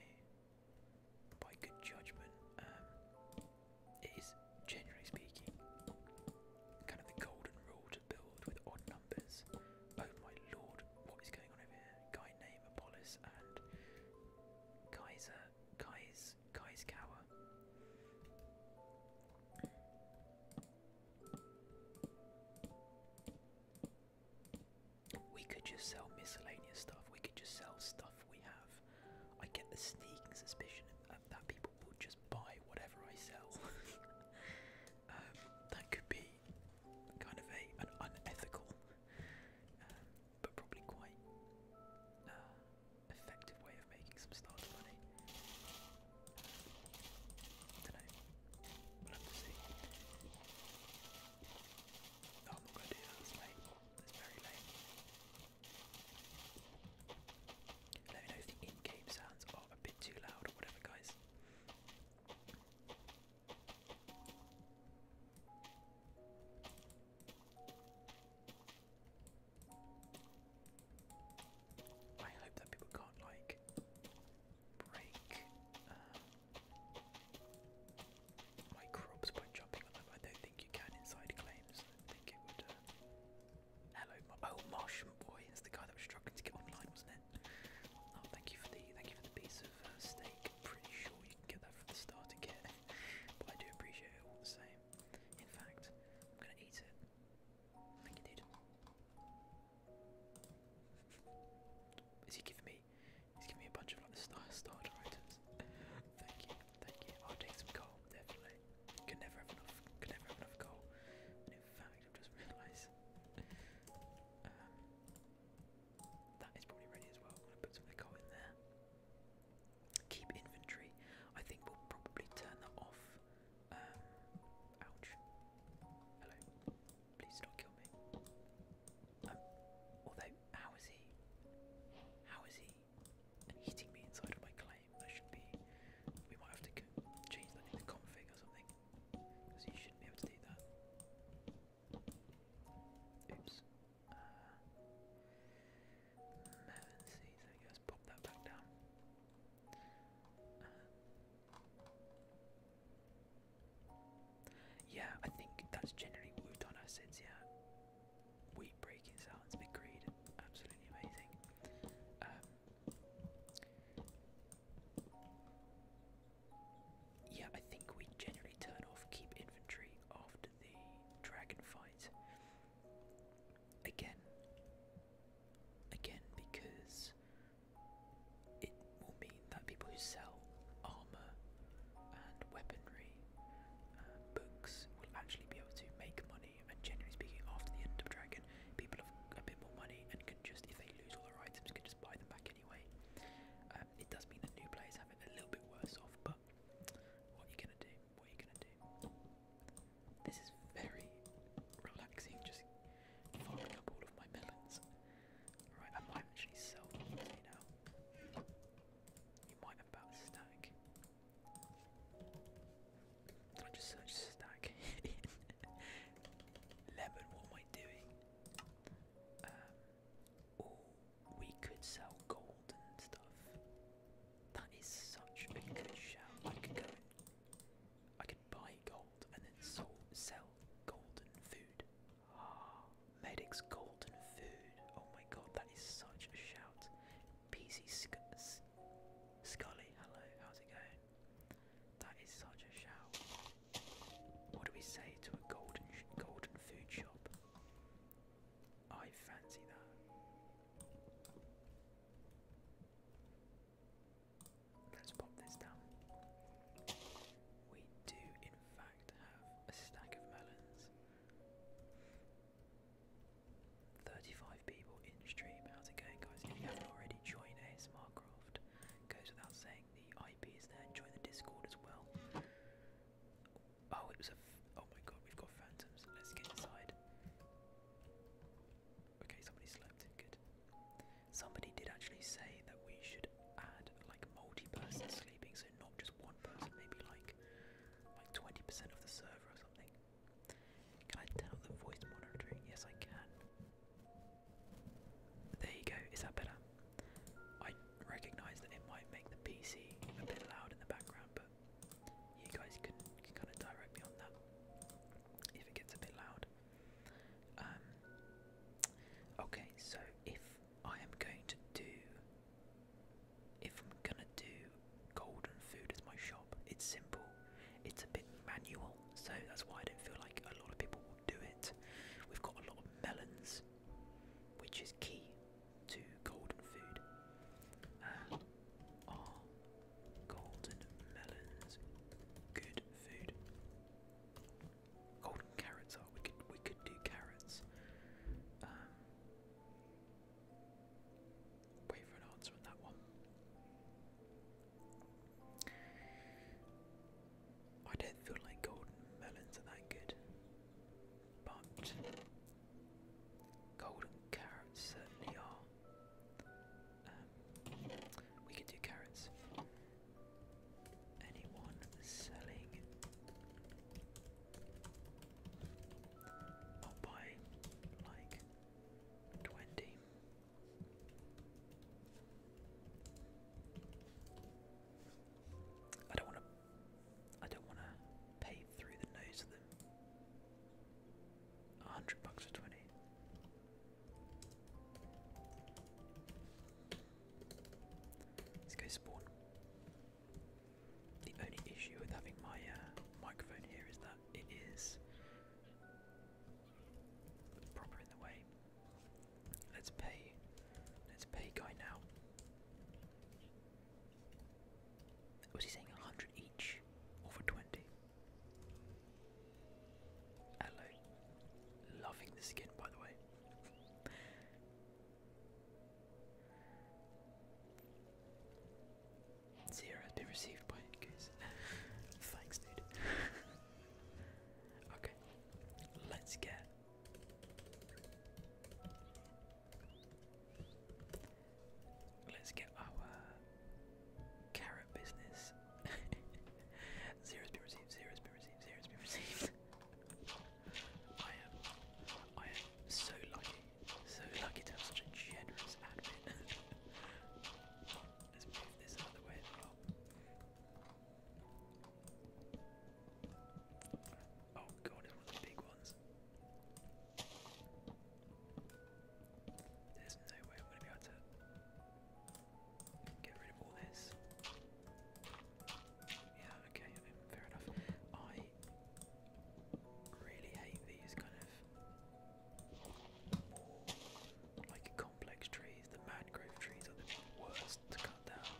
by good judgment. Um, it is generally speaking kind of the golden rule to build with odd numbers. Oh my lord, what is going on over here? Guy name Apollos and Kaiser Kaiser, Kais Kawa. We could just sell miscellaneous stuff. We could just sell stuff we have. I get the sneaking suspicion that people will just buy whatever I sell. Um, that could be kind of a an unethical, uh, but probably quite uh, effective way of making some starter money. I don't know. We'll have to see. Oh I'm not Let me know if the in-game sounds are a bit too loud or whatever, guys. I hope that people can't like break um, Microbes by jumping on them. I don't think you can inside claims. think it would. Uh, hello, my oh Martian boy. It's the guy that was struggling to get online, wasn't it? Oh, thank you for the thank you for the piece of uh, steak. I'm pretty sure you can get that from the starter kit, but I do appreciate it all the same. In fact, I'm gonna eat it. Thank you, dude. Is he giving me? He's giving me a bunch of like star starter items. thank you, thank you. I'll take some coal, definitely. Could never have enough could never have enough coal. in fact I've just realised um, that is probably ready as well. I'm gonna put some coal in there. Keep inventory. I think we'll probably turn that off. Um, ouch. Hello. Please don't kill me although, how is he? How is he hitting me inside of my claim? That should be. We might have to change that in the config or something. Because you shouldn't be able to do that. Oops. Uh, Melon seeds. There we pop that back down. Uh, yeah, I think that's generally moved on us since. yeah. Wheat breaking sounds, big greed, absolutely amazing. Um, yeah, I think we generally turn off keep inventory after the dragon fight. Again, again, because that people who sell armour and weaponry, uh, books, will actually be able to make money. And generally speaking, after the end of Dragon, people have a bit more money and can just, if they lose all their items, can just buy them back anyway. Um, it does mean that new players have it a little bit worse off, but what are you gonna do? What are you gonna do? This is very relaxing, just fogging up all of my melons. Right, I might actually sell these now. You might about stack. Did I just stack? Lemon, what am I doing? oh, we could sell gold and stuff. That is such a good shout. I could go and I could buy gold and then sell gold and food. Medic's golden food. Oh my god, that is such a shout. PC Sc Scully, hello, how's it going? That is such a shout. What do we say to a golden golden food shop? I fancy that. Let's pop this down. We do, in to have a stack of melons. 35 people in stream. out again, guys? If you haven't already, joined ASMR Craft. Goes without saying, the IP is there. Join the Discord as well. Oh, it was a. oh my god, we've got phantoms. Let's get inside. Okay, somebody slept. Good. Somebody did actually say that we should add like multi person sleeping, so not just one maybe like like 20% of the server or something. Can I turn the voice monitoring? Yes, I can. There you go. Is that better? I recognise that it might make the PC a bit loud in the background, but you guys can, can kind of direct me on that if it gets a bit loud. Um, okay, so if I am going to do if I'm gonna do golden food as my shop, it's simple. It's a bit manual, so that's why I don't feel like a lot of people will do it. We've got a lot of melons, which is key to golden food. are golden melons good food? golden carrots are. We could we could do carrots. Um, wait for an answer on that one. I don't feel like golden melons are that good, but golden carrots certainly are. Um, we could do carrots. Anyone selling I'll buy like twenty. I don't want to. I don't want to pay through the nose of them. A hundred bucks for twenty. Let's go spawn. The only issue with having my uh, microphone here is that it is proper in the way. Let's pay. Let's pay guy now. Was he saying a hundred each, or for twenty? Hello. Loving the skin, by the way. Zero has been received by Goose. Thanks, dude. okay, let's get. Let's get our carrot business. zero's been received, zero's been received, zero's been received. I am, I am so lucky, so lucky to have such a generous admin. Let's move this out way Oh god, it's one big ones. There's no way I'm going to be able to get rid of all this. Yeah, okay, fair enough. I really hate these kind of like complex trees. The mangrove trees are the worst to cut down.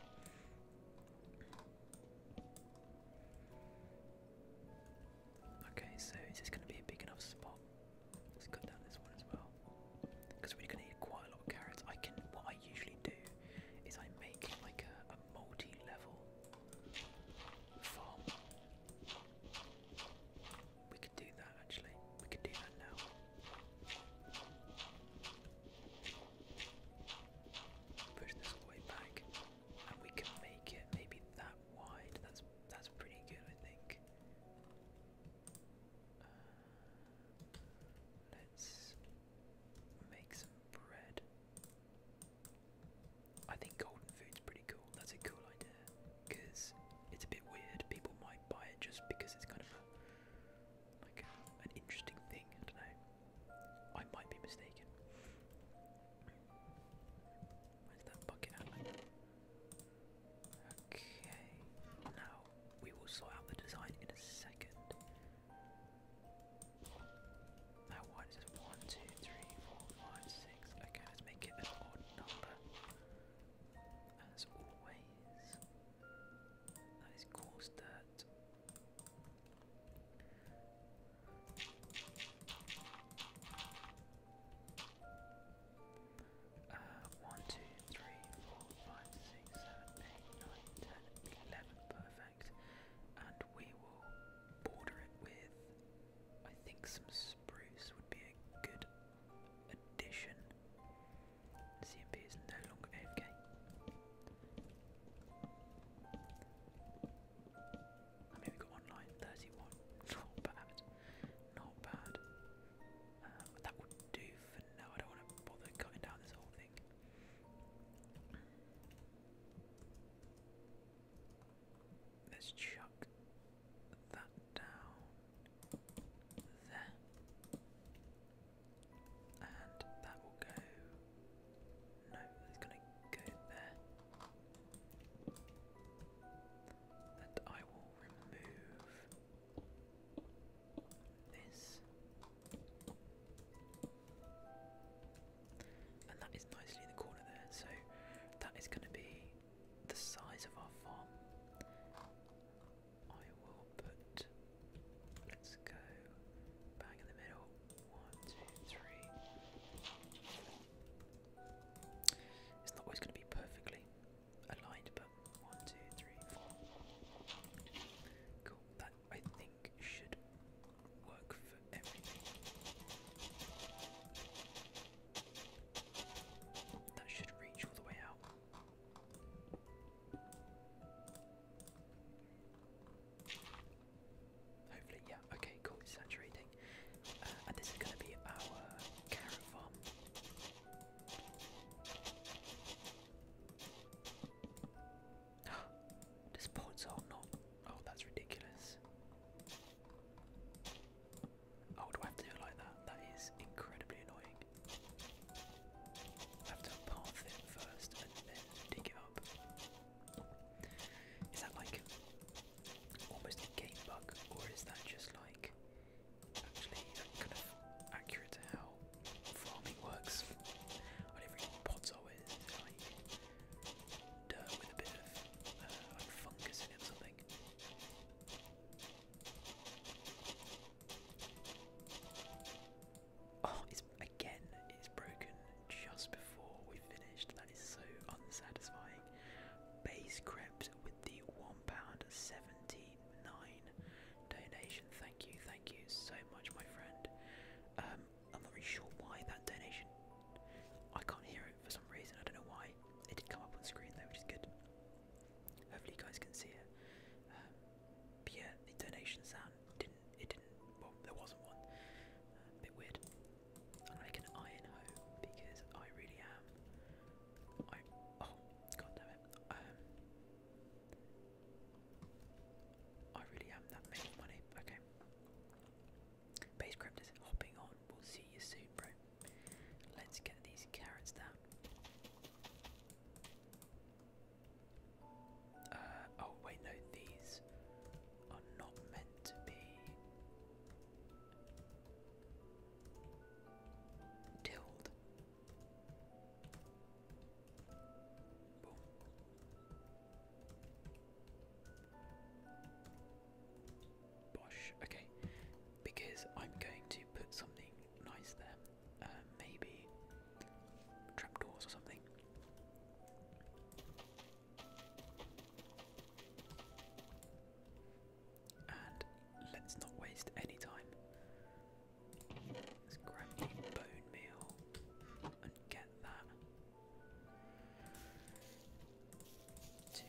Okay, so is this going to be a big enough spot? Let's cut down this one as well, because we're going to need quite a lot of carrots. I can. What I usually do is I make like a, multi-level farm. We could do that actually. We could do that now. Push this way back, and we can make it maybe that wide. That's that's pretty good, I think. Uh, let's make some bread. I think golden food's pretty cool. That's a cool idea because it's a bit weird. People might buy it just because it's kind of a, like an interesting thing. I don't know. I might be mistaken. Where's that bucket Okay, now we will sort out the design in a second. Now what is it? One, two, three, four, five, six. Okay, let's make it an odd number. As always. That is coarse dirt. Uh, 1, perfect. And we will border it with, I think, some spruce would be a good addition. CMP is no longer AFK. I mean, we got one line, 31. Not bad. Not bad. Um, that would do for now. I don't want to bother cutting down this whole thing. Let's chuck that down there. And that will go. No, it's going to go there. And I will remove this. And that is nicely in the corner there, so that is going to be the size of our farm. I will put, let's go bang in the middle. One, two, three. It's not always going to be perfectly aligned, but one, two, three, four. Cool. That I think should work for everything. That should reach all the way out. Hopefully, yeah, okay, cool, saturating. Uh, and this is going to be our carrot farm. Does port zone not? Oh, that's ridiculous. Oh, do I do it like that? That is incredibly annoying. I have to path it first and then dig it up. Is that like almost a game bug, or is that just like actually kind of accurate to how farming works? I don't even know what pots Like, with a bit of like uh, fungus in something. Oh, it's again, it's broken just before we finished. That is so unsatisfying. Base crept with the £1.79 donation. Thank you, thank you so much, my friend. Um, I'm not really sure why that donation. I can't hear it for some reason. I don't know why. It did come up on screen though, which is good. Hopefully you guys can see it. Um, but yeah, the donation sound didn't. It didn't. Well, there wasn't one. bit weird. i make an iron hoe because I really am. oh god it. Um, I really am that making money. Okay. Base Cryptors hopping on. We'll see you soon, bro. Let's get these carrots down. Uh, oh, wait, no, these are not meant to be. Tilled. Bosh. Okay, because I'm going to put something nice there. Uh, maybe trapdoors or something. And let's not waste any time. Let's grab the bone meal and get that. Two.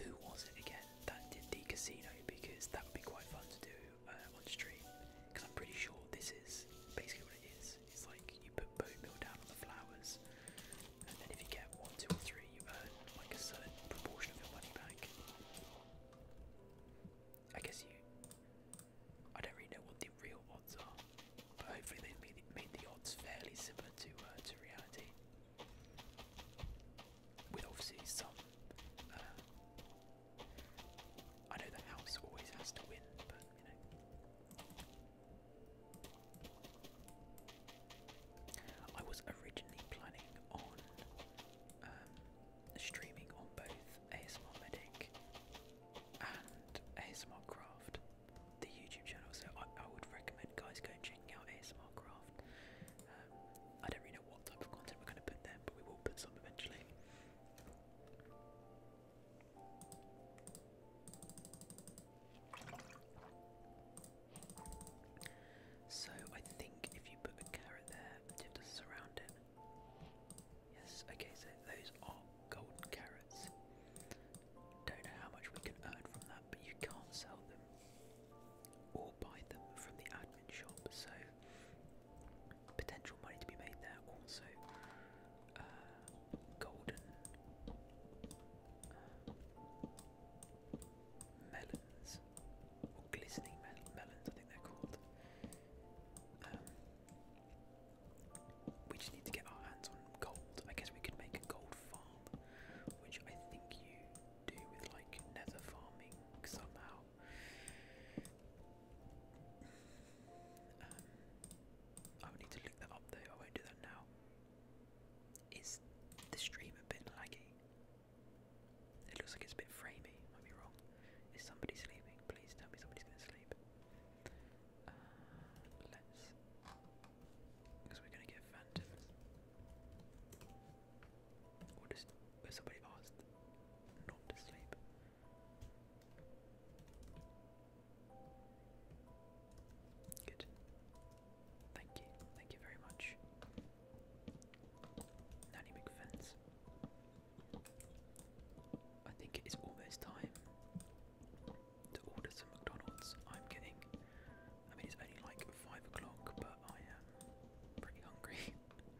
Who was it again that did the casino? Because that would be quite fun to do uh, on stream. Because I'm pretty sure this is basically what it is. It's like you put bone down on the flowers, and then if you get one, two, or three, you earn like a certain proportion of your money back. I guess you. I don't really know what the real odds are, but hopefully they've made, the odds fairly similar to uh, to reality, with obviously some. Uh, I know the house always has to win, but you know. I was originally planning on um, streaming on both ASMR Medic and ASMR Craft, the YouTube channel. So I, would recommend guys go and out ASMR Craft. Um, I don't really know what type of content we're going to put there, but we will put some eventually. So I think if you put a carrot there, you have to surround it. Yes, okay, so those are golden carrots. Don't know how much we can earn from that, but you can't sell them or buy them from the admin shop, so potential money to be made there. Also, uh, golden uh, melons glistening melons, I think they're called. Um, we just need to get our hands on gold. I guess we could make a gold farm, which I think you do with like nether farming somehow. Um, I need to look that up I won't do that now. Is the stream a bit laggy? It looks like it's a bit framey, might be wrong. Is somebody sleeping? Please tell me somebody's gonna sleep. Uh, let's. Because we're gonna get phantoms. Or just. somebody asked not to sleep. Good. Thank you, thank you very much. Nanny McFence. I think it is almost time to order some McDonald's. I'm getting, I mean, it's only like five o'clock, but I am pretty hungry.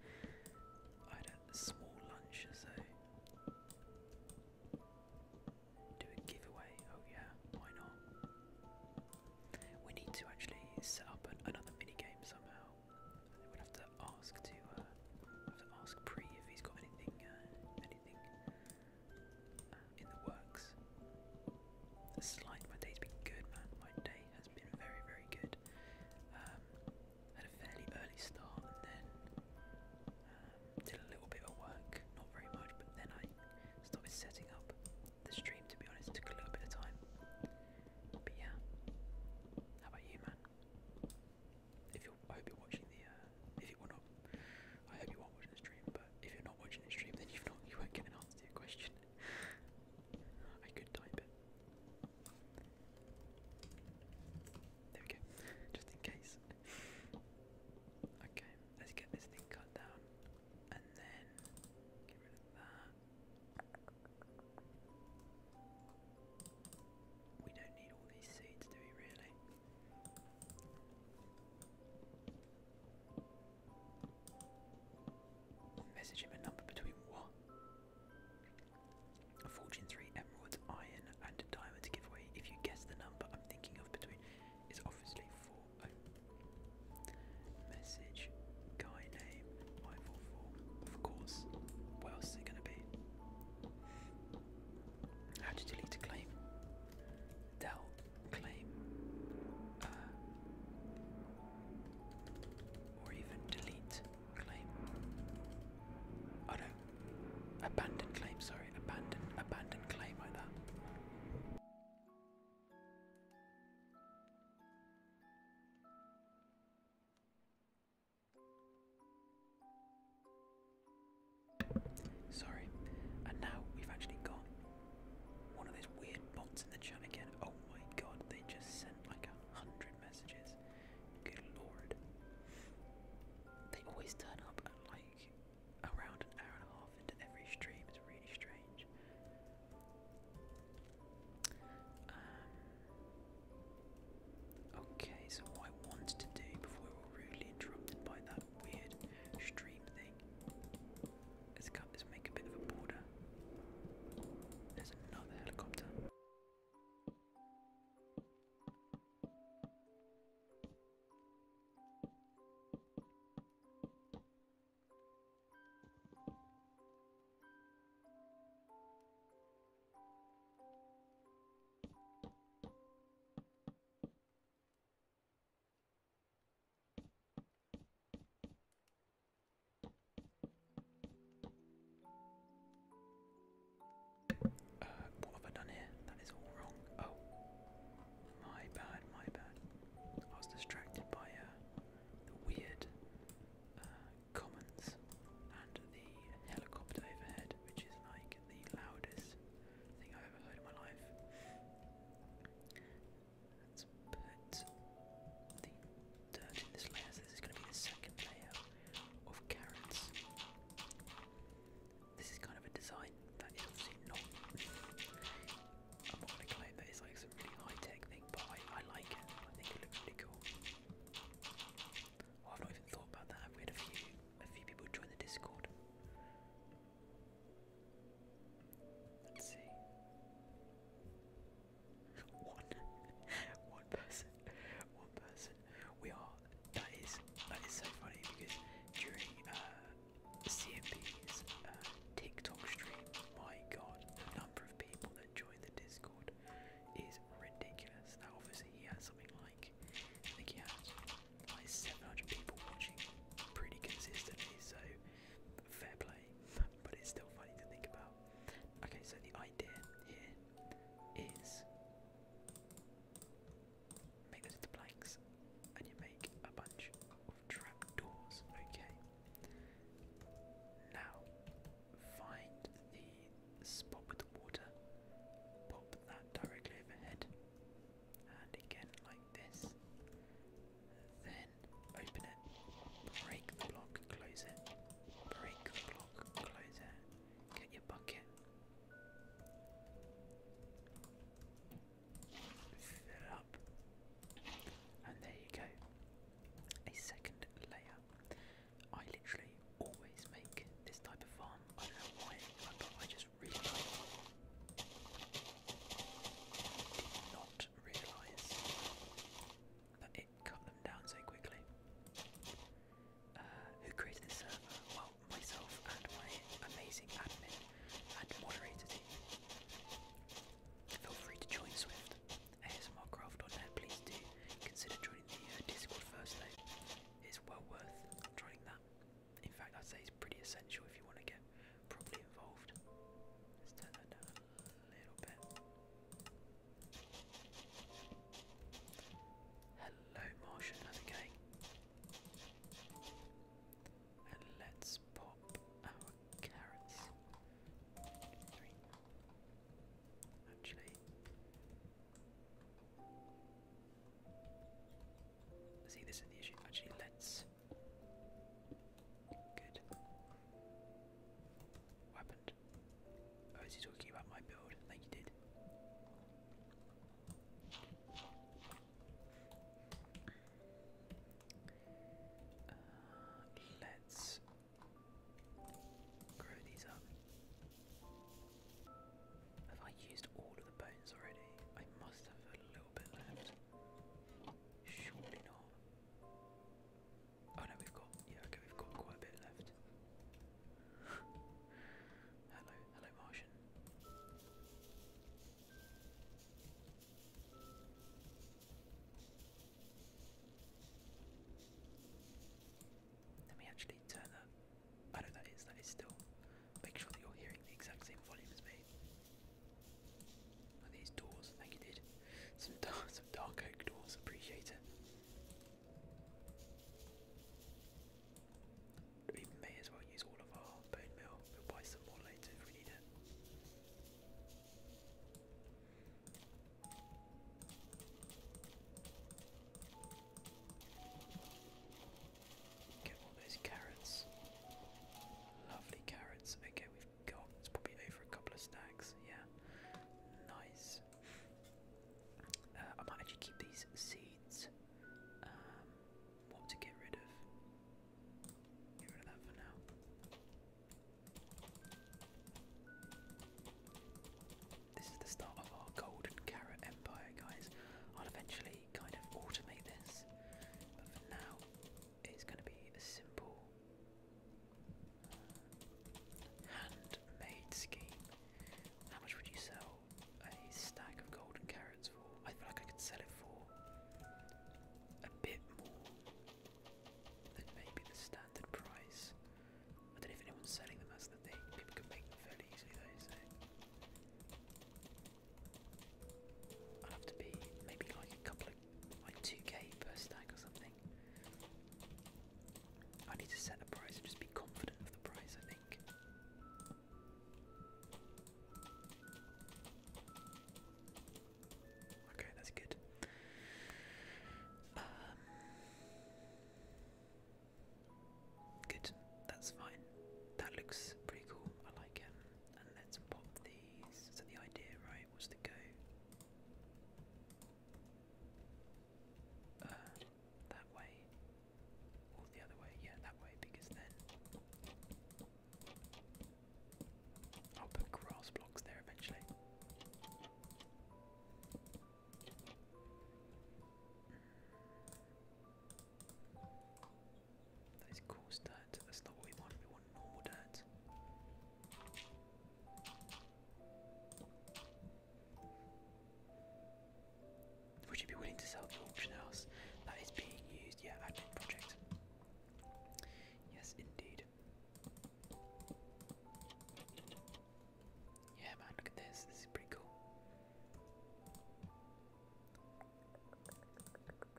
I had a small lunch, so do a giveaway. Oh yeah, why not? We need to actually set up another mini game somehow. I would have to ask to uh, have to ask Pre if he's got anything uh, anything uh, in the works. The my day's been good, man. My day has been very, very good. Um, had a fairly early start and then um, did a little bit of work, not very much, but then I started setting up the stream. To be honest, took a little bit of time. But yeah, how about you, man? If you I hope you're watching the. Uh, if you are not, I hope you are watching the stream. But if you're not watching the stream, then you've not, you won't get an answer question. I could type it. There we go. Just in case. Okay, let's get this thing cut down, and then get rid of that. We don't need all these seeds, do we really? Message him a number between what? A fortune three emeralds, iron, and a diamond to give away. If you guess the number I'm thinking of between is obviously four. Oh. Message guy name. Of course. What else is it going to be? How do delete a claim? Del claim. Uh, or even delete claim. Oh no. Abandon claim, sorry. Abandon, abandon claim like that. Sorry. And now we've actually got one of those weird bots in the chat again. Oh my god, they just sent like a hundred messages. Good lord. They always turn up at like around an hour and a half into every stream. It's really strange. Um, okay, so what I wanted to do before we were rudely interrupted by that weird stream thing is cut is make a bit of a border. There's another helicopter. Uh, what have I done here? That is all wrong. Oh, my bad, my bad. I was distracted by uh, the weird uh, commons and the helicopter overhead, which is like the loudest thing I've ever heard in my life. Let's put the dirt in this layer, this is going to be the second layer of carrots. This is kind of a design that is obviously not. I'm not going to claim that it's like some really high tech thing, but I, I like it. I think it looks really cool. Well, I've not even thought about that. I've had a few, a few people join the Discord. Let's see. One, one person, one person. We are. That is that is so funny because during uh, uh TikTok stream, my God, the number of people that joined the Discord is ridiculous. Now, obviously, he has something like I think he has like 700 people watching pretty consistently, so fair play, but it's still funny to think about. Okay, so the idea here is make those into planks and you make a bunch of trapdoors. Okay. Now, find the spot with the water, pop that directly overhead, and again like this. Then open it, break the block, close it, break the block, close it, get your bucket, fill up, and there you go. A second layer. I literally always make this type of farm. I don't know why, but I just really like it. Did not realise that it cut them down so quickly. Uh, who created this server? Well, myself and my amazing admin and moderator Feel free to join Swift. Craft on ASMRcraft.net, please do consider joining the uh, Discord first though. It's well worth trying that. In fact, I'd say it's pretty essential if you want to get properly involved. Let's turn that down a little bit. Hello, Martian, how's And let's pop our carrots actually. See, this is the issue. Actually, let's. Good. What happened? Oh, is talking about my build? I think did. Uh, let's Grow these up. Have I used all of the bones already? I must have a little bit left. Surely not. Oh no, we've got, yeah, okay, we've got quite a bit left. hello, hello Martian. Let me actually turn that. I know that is, that is still. Make sure that you're hearing the exact same volume as me. Are these doors? Thank you, dude. Some dark, dark oak doors. Appreciate it. We may as well use all of our bone meal. We'll buy some more later if we need it. Get all those carrots. Lovely carrots. Okay, we've got it's probably over a couple of stacks. Yeah, nice. Uh, I might actually keep these seeds. Um, what to get rid of? Get rid of that for now. This is the start of our golden carrot empire, guys. I'll eventually kind of automate this, but for now, it's going to be a simple uh, handmade scheme. How much would you sell a stack of golden carrots for? I feel like I could sell it for a bit more than maybe the stack standard price. I don't know if anyone's selling them, as the thing. People can make them fairly easily though, so. I'll have to be maybe like a couple of, like 2k per stack or something. I need to set a price and just be confident of the price, I think. Okay, that's good. Um, Good, that's fine. That looks pretty cool. I like it. And let's pop these. So the idea, right, was to go uh, that way, or the other way. Yeah, that way, because then I'll put grass blocks there eventually. That is coarse dirt. That's not what we want. We want normal dirt. Would you be willing to sell the house that is being used? Yeah, admin project. Yes, indeed. Yeah, man, look at this. This is pretty cool.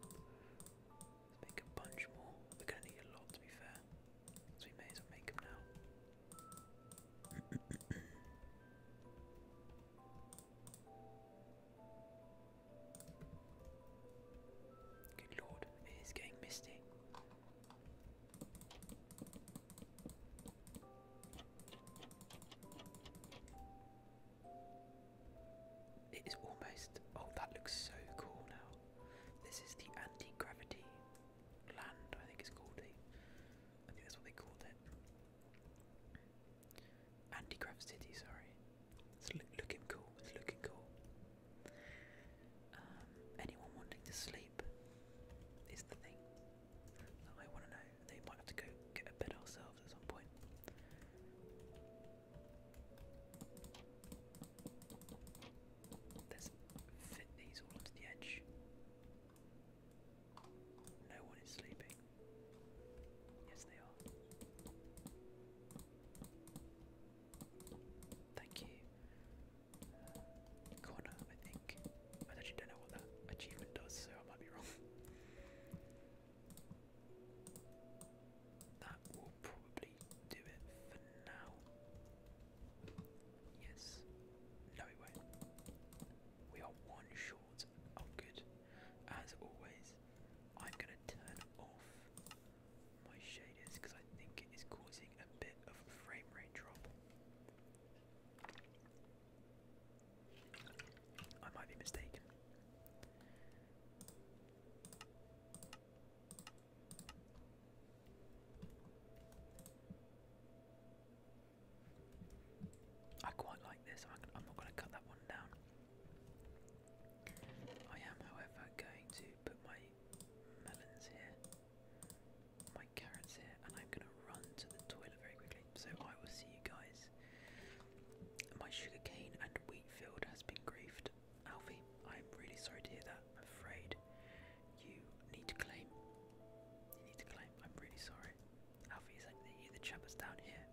Let's make a bunch more. We're gonna need a lot to be fair, so we may as well make them now. Good lord, it is getting misty. It is almost. Oh, that looks so cool now. This is the anti gravity land, I think it's called it. I think that's what they called it. Anti grav city, sorry. It's looking cool, it's looking cool. Um, anyone wanting to sleep is the thing. I want to know. They might have to go get a bed ourselves at some point. Let's fit these all onto the edge. No one is sleeping. Yes, they are. Thank you corner, I think. I actually don't know what that achievement does, so I might be wrong. that will probably do it for now. Yes. No, it won't. We are one short. Oh, good. As always, I'm going to turn off my shaders because I think it is causing a bit of a frame rate drop. I might be mistaken. I quite like this. I'm, not going to cut that one down. I am, however, going to put my melons here my carrots here, and I'm gonna run to the toilet very quickly. So I will see you guys. My sugarcane and wheat field has been griefed. Alfie, I'm really sorry to hear that. I'm afraid you need to claim. You need to claim. I'm really sorry. Alfie, is that you, the chap down here?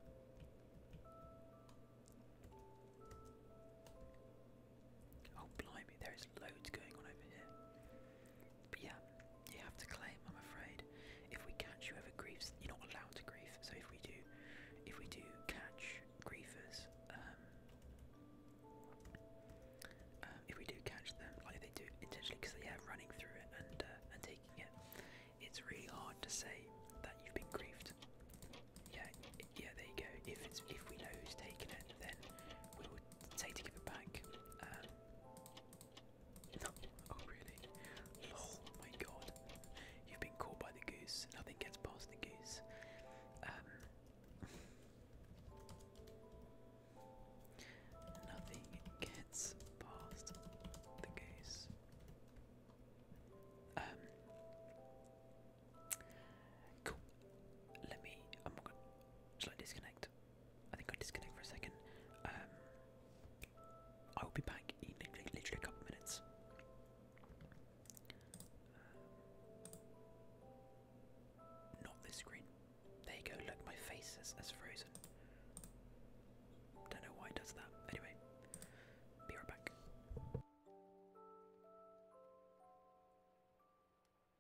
Oh, blimey, there is loads going on over here. But yeah, you have to claim, I'm afraid. If we catch you ever griefs, you're not allowed to grief. So if we do, if we do catch grievers, um, um, if we do catch them, like they do intentionally, because they are running through it and uh, and taking it, it's really hard to say that you've been griefed. Yeah, yeah, there you go. If it's if we know who's taken it, then we would say to give it back. Um, Oh really? Oh my god. You've been caught by the goose. Nothing gets past the goose. Um Nothing gets past the goose. Um Cool. Let me I'm gonna shall I disconnect? I think I disconnect for a second. Um, I will be back in literally, a couple minutes. Uh, not this screen. There you go. Look, my face has, has frozen. Don't know why it does that. Anyway, be right back.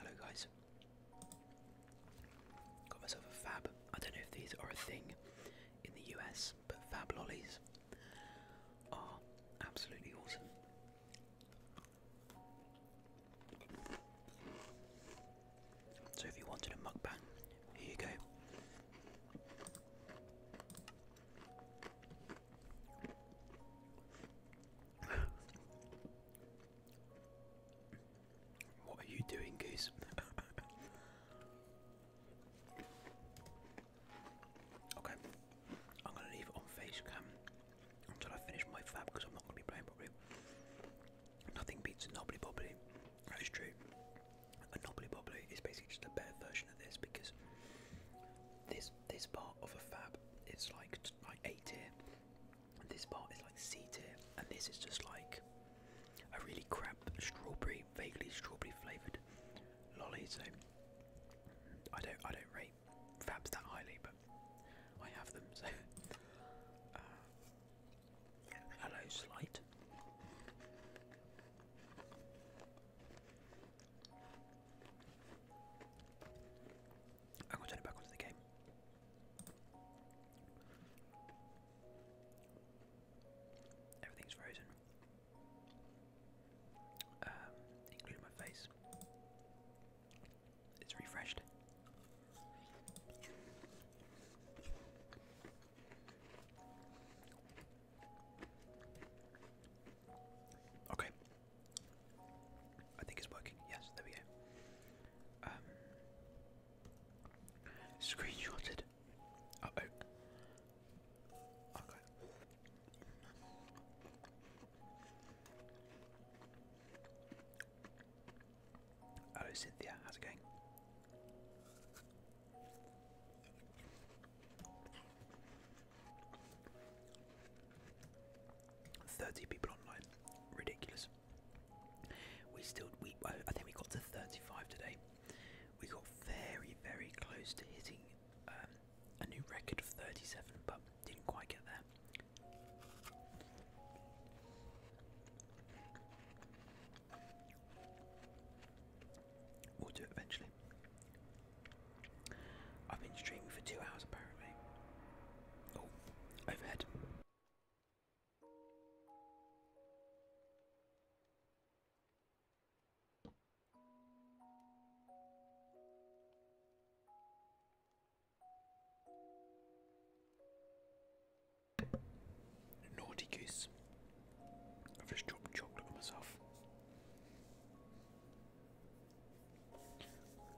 Hello guys. Got myself a fab. I don't know if these are a thing in the US, but fab lollies Oh, absolutely awesome. So, if you wanted a mukbang, here you go. what are you doing, Goose? Okay, I'm gonna leave it on face until I finish my fab because I'm not gonna be playing properly. Nothing beats a knobbly bobbly. That is true. A knobbly bobbly is basically just a better version of this because this this part of a fab is like like A tier, and this part is like C tier, and this is just like a really crap strawberry, vaguely strawberry flavoured good lolly, so I don't I don't rate fabs that highly, but I have them. So uh, hello, slight. I'm gonna turn it back onto the game. Everything's frozen. Um, including my face. It's refreshed. Okay. I think it's working. Yes, there we go. Um, screenshotted. oh. Hello, oh, Cynthia, how's it going? Thirty people online, ridiculous. We still, we I think we got to thirty-five today. We got very, very close to hitting um, a new record of 37, but didn't quite get there. We'll do it eventually. I've been streaming for two hours apparently. Oh, overhead. Naughty goose. I've just dropped chocolate on myself.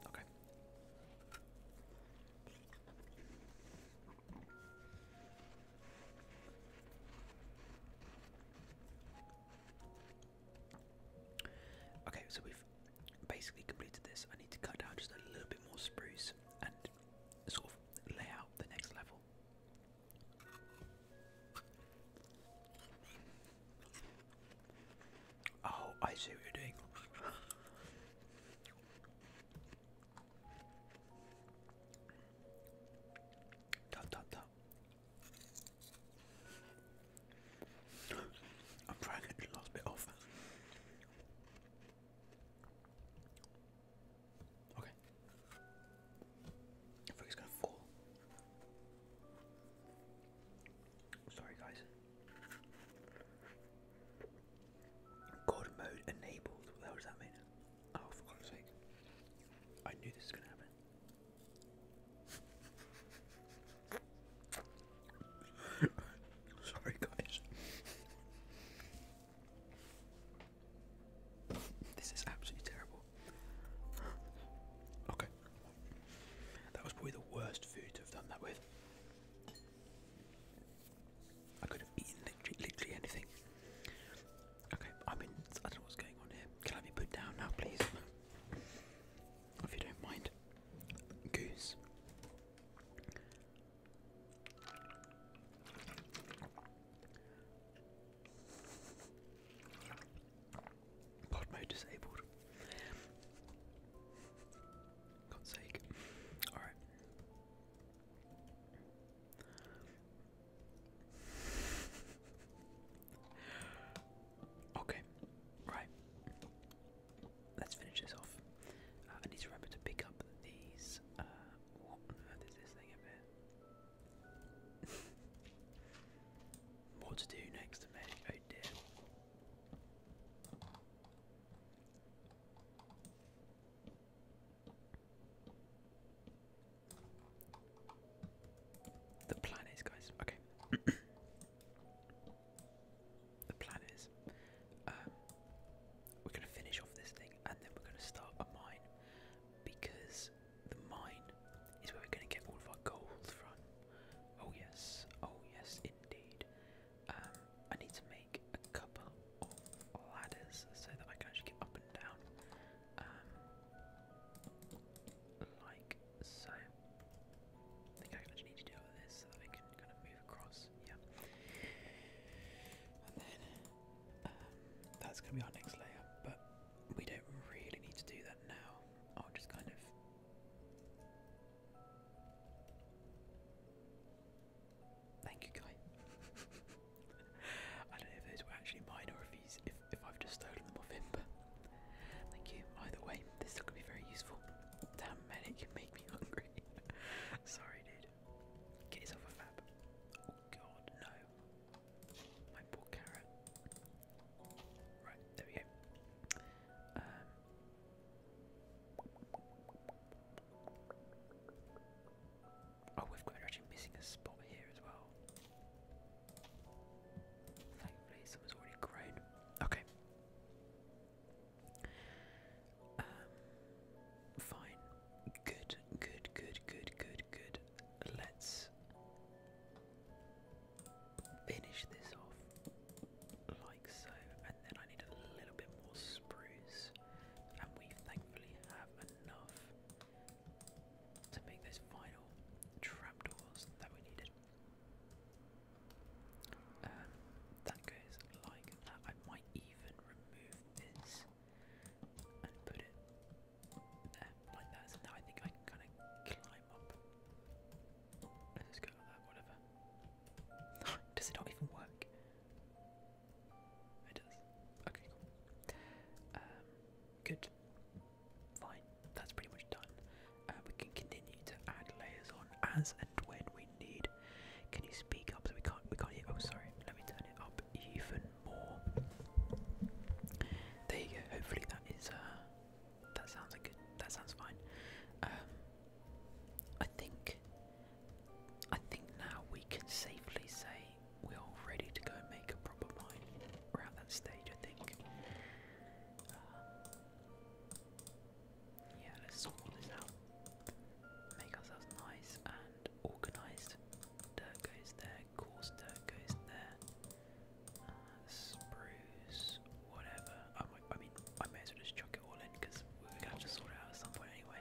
Okay. Okay, so we've basically completed this. I need to cut down just a little bit more spruce and sort of lay out the next level. Oh, I see what you're doing. dot I'm trying to get the last bit off. Okay. I think it's gonna fall. Sorry guys. God mode enabled. What does that mean? Oh for I knew this was gonna happen. Sorry, guys. This is absolutely terrible. Okay. That was probably the worst food to have done that with. I could have eaten literally, anything. Okay, I mean, I don't know what's going on here. Can I be put down now, please? If you don't mind, goose. Pod mode disabled. God's sake. Alright okay, right. Let's finish this off. Uh, I need to remember to pick up these. Uh, what on earth this thing up here? to do next to me? The plan is, guys. Okay. the planets. Um, we're gonna finish off this thing, and then we're gonna start a mine because the mine is where we're gonna get all of our gold from. Oh yes. Oh yes, indeed. Um, I need to make a couple of ladders so that I can actually get up and down. Um, like so I think I just need to deal with this so that I can kind of move across. Yeah. And then um, that's going to be our next layer, but we don't really need to do that now. I'll just kind of. Thank you, guy. I don't know if those were actually mine or if he's if I've just stolen them off him, but thank you. Either way, this stuff can be very useful. Damn medic, make me hungry. Sorry, dude. Get yourself a fab. Oh god, no. My poor carrot. Right, there we go. Um, oh, we've got actually missing a spot here as well. Fireplace was already grown. Okay. Um, fine. Good, good, good, good, good, good. Let's finish this off like so, and then I need a little bit more spruce, and we thankfully have enough to make those final trapdoors that we needed. Um, that goes like that. I might even remove this and put it there like that. So now I think I can kind of climb up. Let's go like that, whatever. does it not even work? It does. Okay, cool. Um, good fine, that's pretty much done. Uh, we can continue to add layers on as and when we need. Can you speak up so we can't we can't hear oh sorry, let me turn it up even more. There you go, hopefully that is uh that sounds like good that sounds fine. Um I think I think now we can safely say we're all ready to go and make a proper mine. We're at that stage I think yeah, let's sort all this out. Make ourselves nice and organised. Dirt goes there, coarse dirt goes there. Uh, spruce, whatever. I, mean, I may as well just chuck it all in because we're gonna have to sort it out at some point anyway.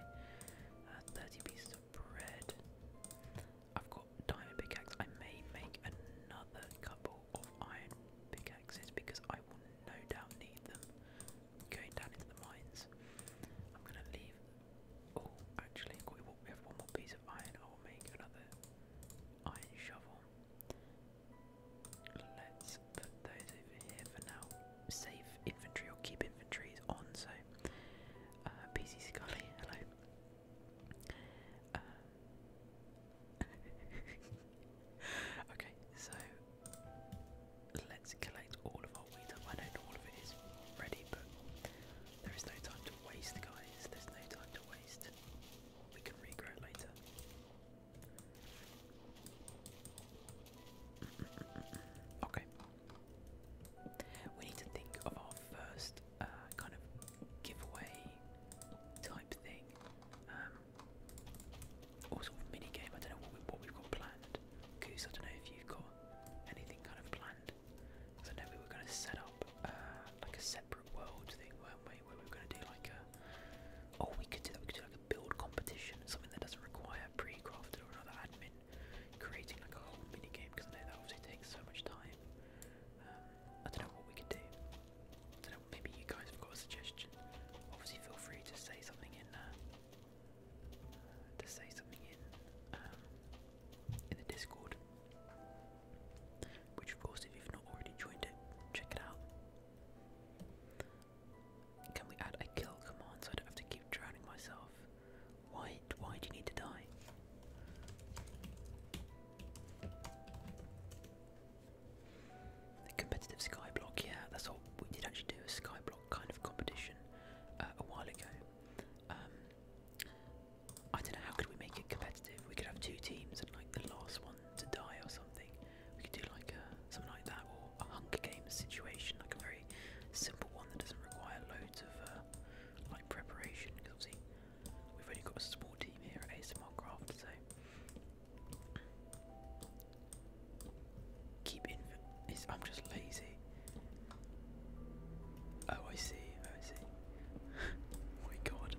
Uh, thirty pieces of bread. I've got diamond pickaxe. I may make another couple of iron pickaxes because I will no doubt need them going down into the mines. I'm gonna leave. Oh, actually, we have one more piece of iron. I will make another iron shovel. Let's put those over here for now. Save inventory or keep inventories on. So, uh, PC Scully, hello. Uh, okay, so let's collect all of our wheat I don't all of it is ready, but there is no time to waste, guys. There's no time to waste. We can regrow later. okay. We need to think of our first uh, kind of giveaway type thing, um, or sort of mini game. I don't know what, we, have got planned. Goose, I don't know if you've got anything kind of planned. I know we were going to set up uh, like a separate world thing, weren't we? Where we were going to do like a oh, we could do that. We could do like a build competition, something that doesn't require pre-crafted or another admin creating like a whole mini game. Because I know that obviously takes so much time. Um, I don't know what we could do. I don't know, maybe you guys have got a suggestion. Obviously, feel free to say something in uh, to say something in um, in the Discord. Which, of course, if you've not already joined it, check it out. Can we add a kill command so I don't have to keep drowning myself? Why? Why do you need to die? The competitive skyblock, yeah, that's all. We did actually do a sky block kind of competition uh, a while ago. Um, I don't know how could we make it competitive. We could have two teams and like the last one to die or something. We could do like uh, something like that or a Hunger Games situation, like a very simple one that doesn't require loads of uh, like preparation because obviously We've only got a small team here at ASMR Craft, so keep in. I'm just lazy. Oh, I see. Oh, I see. oh my God.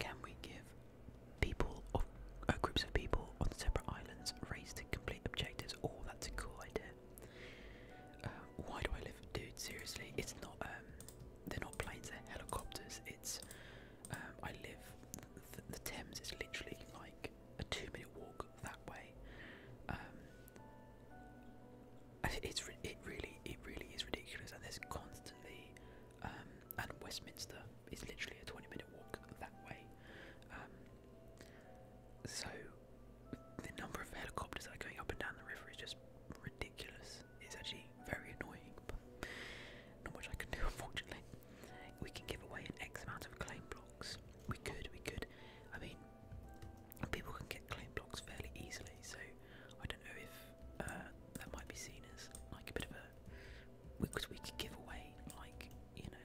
Can we give people or uh, groups of people on separate islands race to complete objectives? Oh, that's a cool idea. Uh, why do I live, dude? Seriously, it's not. Um, they're not planes. They're helicopters. It's um, I live, the, Thames is literally like a two minute walk that way. Um, it's it really it really is ridiculous, and there's constantly um, and Westminster is literally a 20 minute walk that way. Um, so the number of helicopters that are going up and down the river is just ridiculous. It's actually very annoying, but not much I can do unfortunately we can give away an X amount of claim blocks. We could, we could. I mean, people can get claim blocks fairly easily, so I don't know if uh, that might be seen as like a bit of a. Because we could give away, like, you know,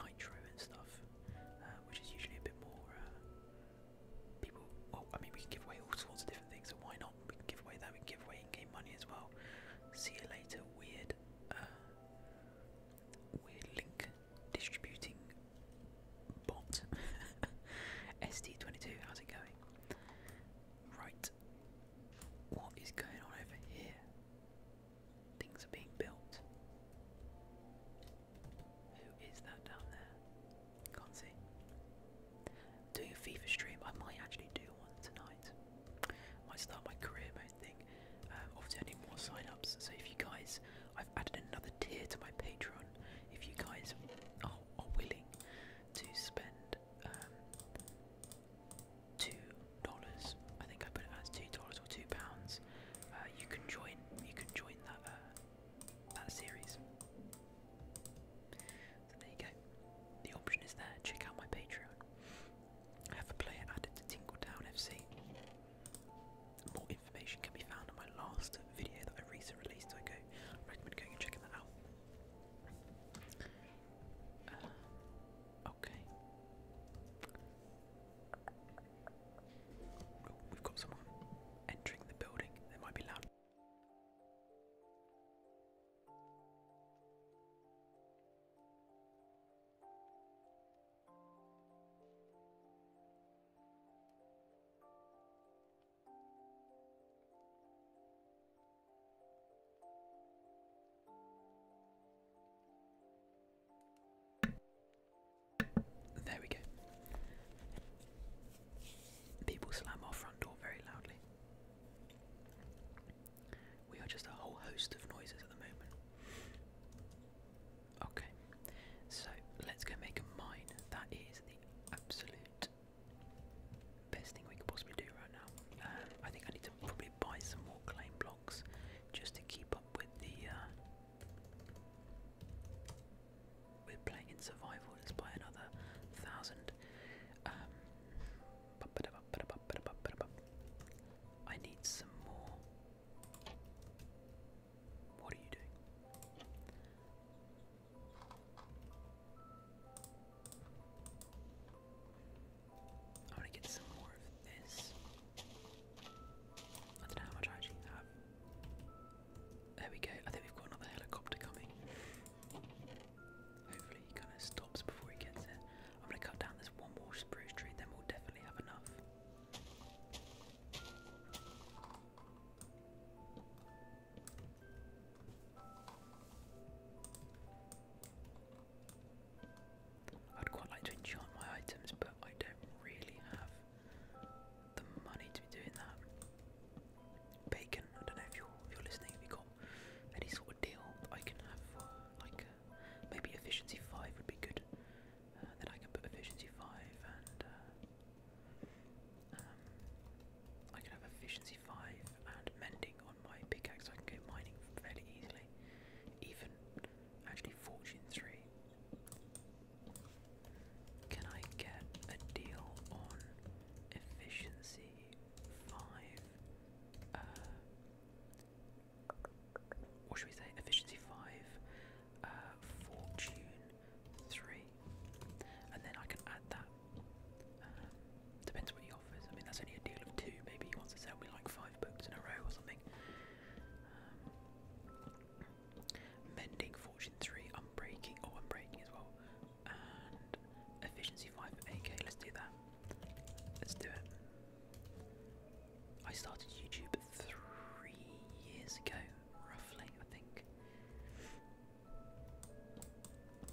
nitro and stuff, uh, which is usually a bit more. Uh, people. Well, I mean, we can give away all sorts of different things, so why we can give away that. We can give away in-game money as well. See you later. Weird, uh, weird link distributing bot. SD22. How's it going? Right. What is going on over here? Things are being built. Who is that down there? Can't see. Doing a FIFA stream. I might actually do one tonight. I might start my career mode thing. Um, obviously, any more sign-ups. So if you guys, I've added another tier to my Patreon. If you guys are, are willing to spend um, two dollars, I think I put it as two dollars or two pounds, uh, you can join. You can join that uh, that series. So there you go. The option is there. Check out my Patreon. I have a player added to Tinkletown FC. More information can be found on my last video that I recently released. So go recommend going and checking that out. Uh, okay. Oh, we've got someone entering the building. They might be loud. There we go. People slam our front door very loudly. We are just a whole host of noises at the moment. Okay, so let's go make a mine. That is the absolute best thing we could possibly do right now. Um, I think I need to probably buy some more clay blocks just to keep up with the. Uh, we're playing in survival. Let's buy another thousand. Um, I need some more. What are you doing? I'm to get some more of this. I don't know how much I actually have. There we go. I think we've got another helicopter coming. Hopefully he kind of stops before he gets it. I'm going to cut down this one more spruce tree, then we'll definitely have enough. I'd quite like to enchant my items, but I don't really have the money to be doing that. Bacon, I don't know if you're, listening, if you got any sort of deal I can have like Maybe efficiency 5 would be good. Uh, then I can put efficiency 5 and. Uh, um, I can have efficiency 5 and mending on my pickaxe. I can go mining very easily. Even actually, fortune 3. Can I get a deal on efficiency 5? Or should we say efficiency five, uh, fortune three, and then I can add that. Um, depends what he offers. I mean, that's only a deal of two. Maybe he wants to sell me like five books in a row or something. Um, mending fortune three, unbreaking. Oh, unbreaking as well. And efficiency five Okay, Let's do that. Let's do it. I started YouTube three years ago, roughly, I think.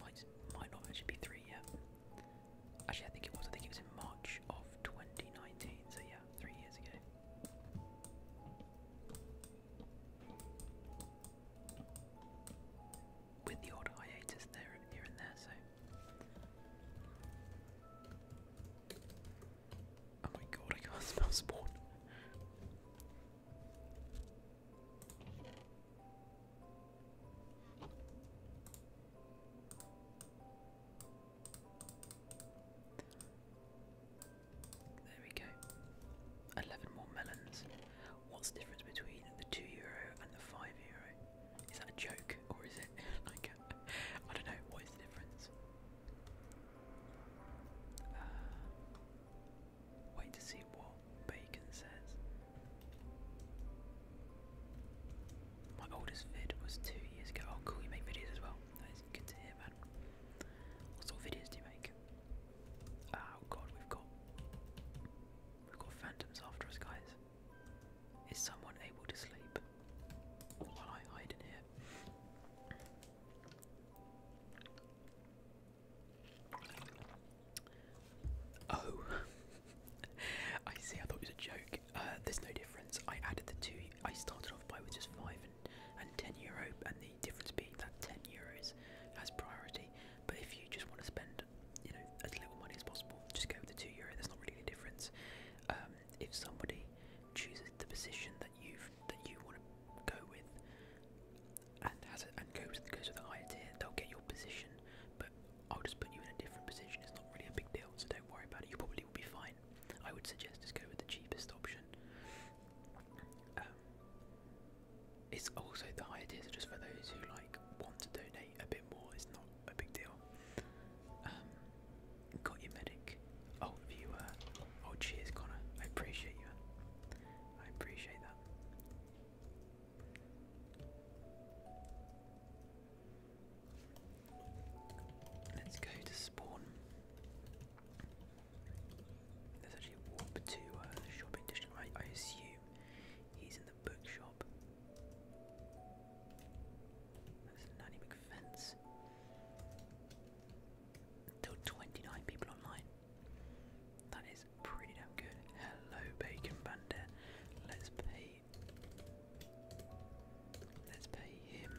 Might might not actually be three yet. Actually, I think it was. I think it was in March of 2019. So yeah, three years ago with the odd hiatus there here and there, so Oh my god, I can't smell spawn. There we go. Eleven more melons. What's the difference between the two euro and the five euro? Is that a joke or is it like a, I don't know what is the difference? Uh, wait to see what Bacon says. My oldest vid was two years ago. Oh, cool, you make videos as well. That is good to hear, man. What sort of videos do you make? Oh god, we've got we've got phantoms after us, guys. Is someone able to sleep while I hide in here? Oh, I see. I thought it was a joke. Uh, there's no difference. I added the two. I started off by with just five and, and ten euro, and the difference being that ten euros has priority. But if you just want to spend, you know, as little money as possible, just go with the two euro. There's not really any difference. Um, if somebody chooses the position that you that you want to go with, and goes with a higher tier, they'll get your position. But I'll just put you in a different position. It's not really a big deal, so don't worry about it. You probably will be fine. I would suggest just go with the cheapest option. Um, it's also the higher tiers are just for those who like want to donate a bit more. It's not a big deal. Um, got your medic. Oh, you uh, oh cheers, Connor. I appreciate you. I appreciate that. Let's go to spawn. There's actually a warp to uh, shopping district. I, I assume he's in the bookshop. That's nanny big fence. 29 people online. That is pretty damn good. Hello, Bacon Bandit. Let's pay. Let's pay him.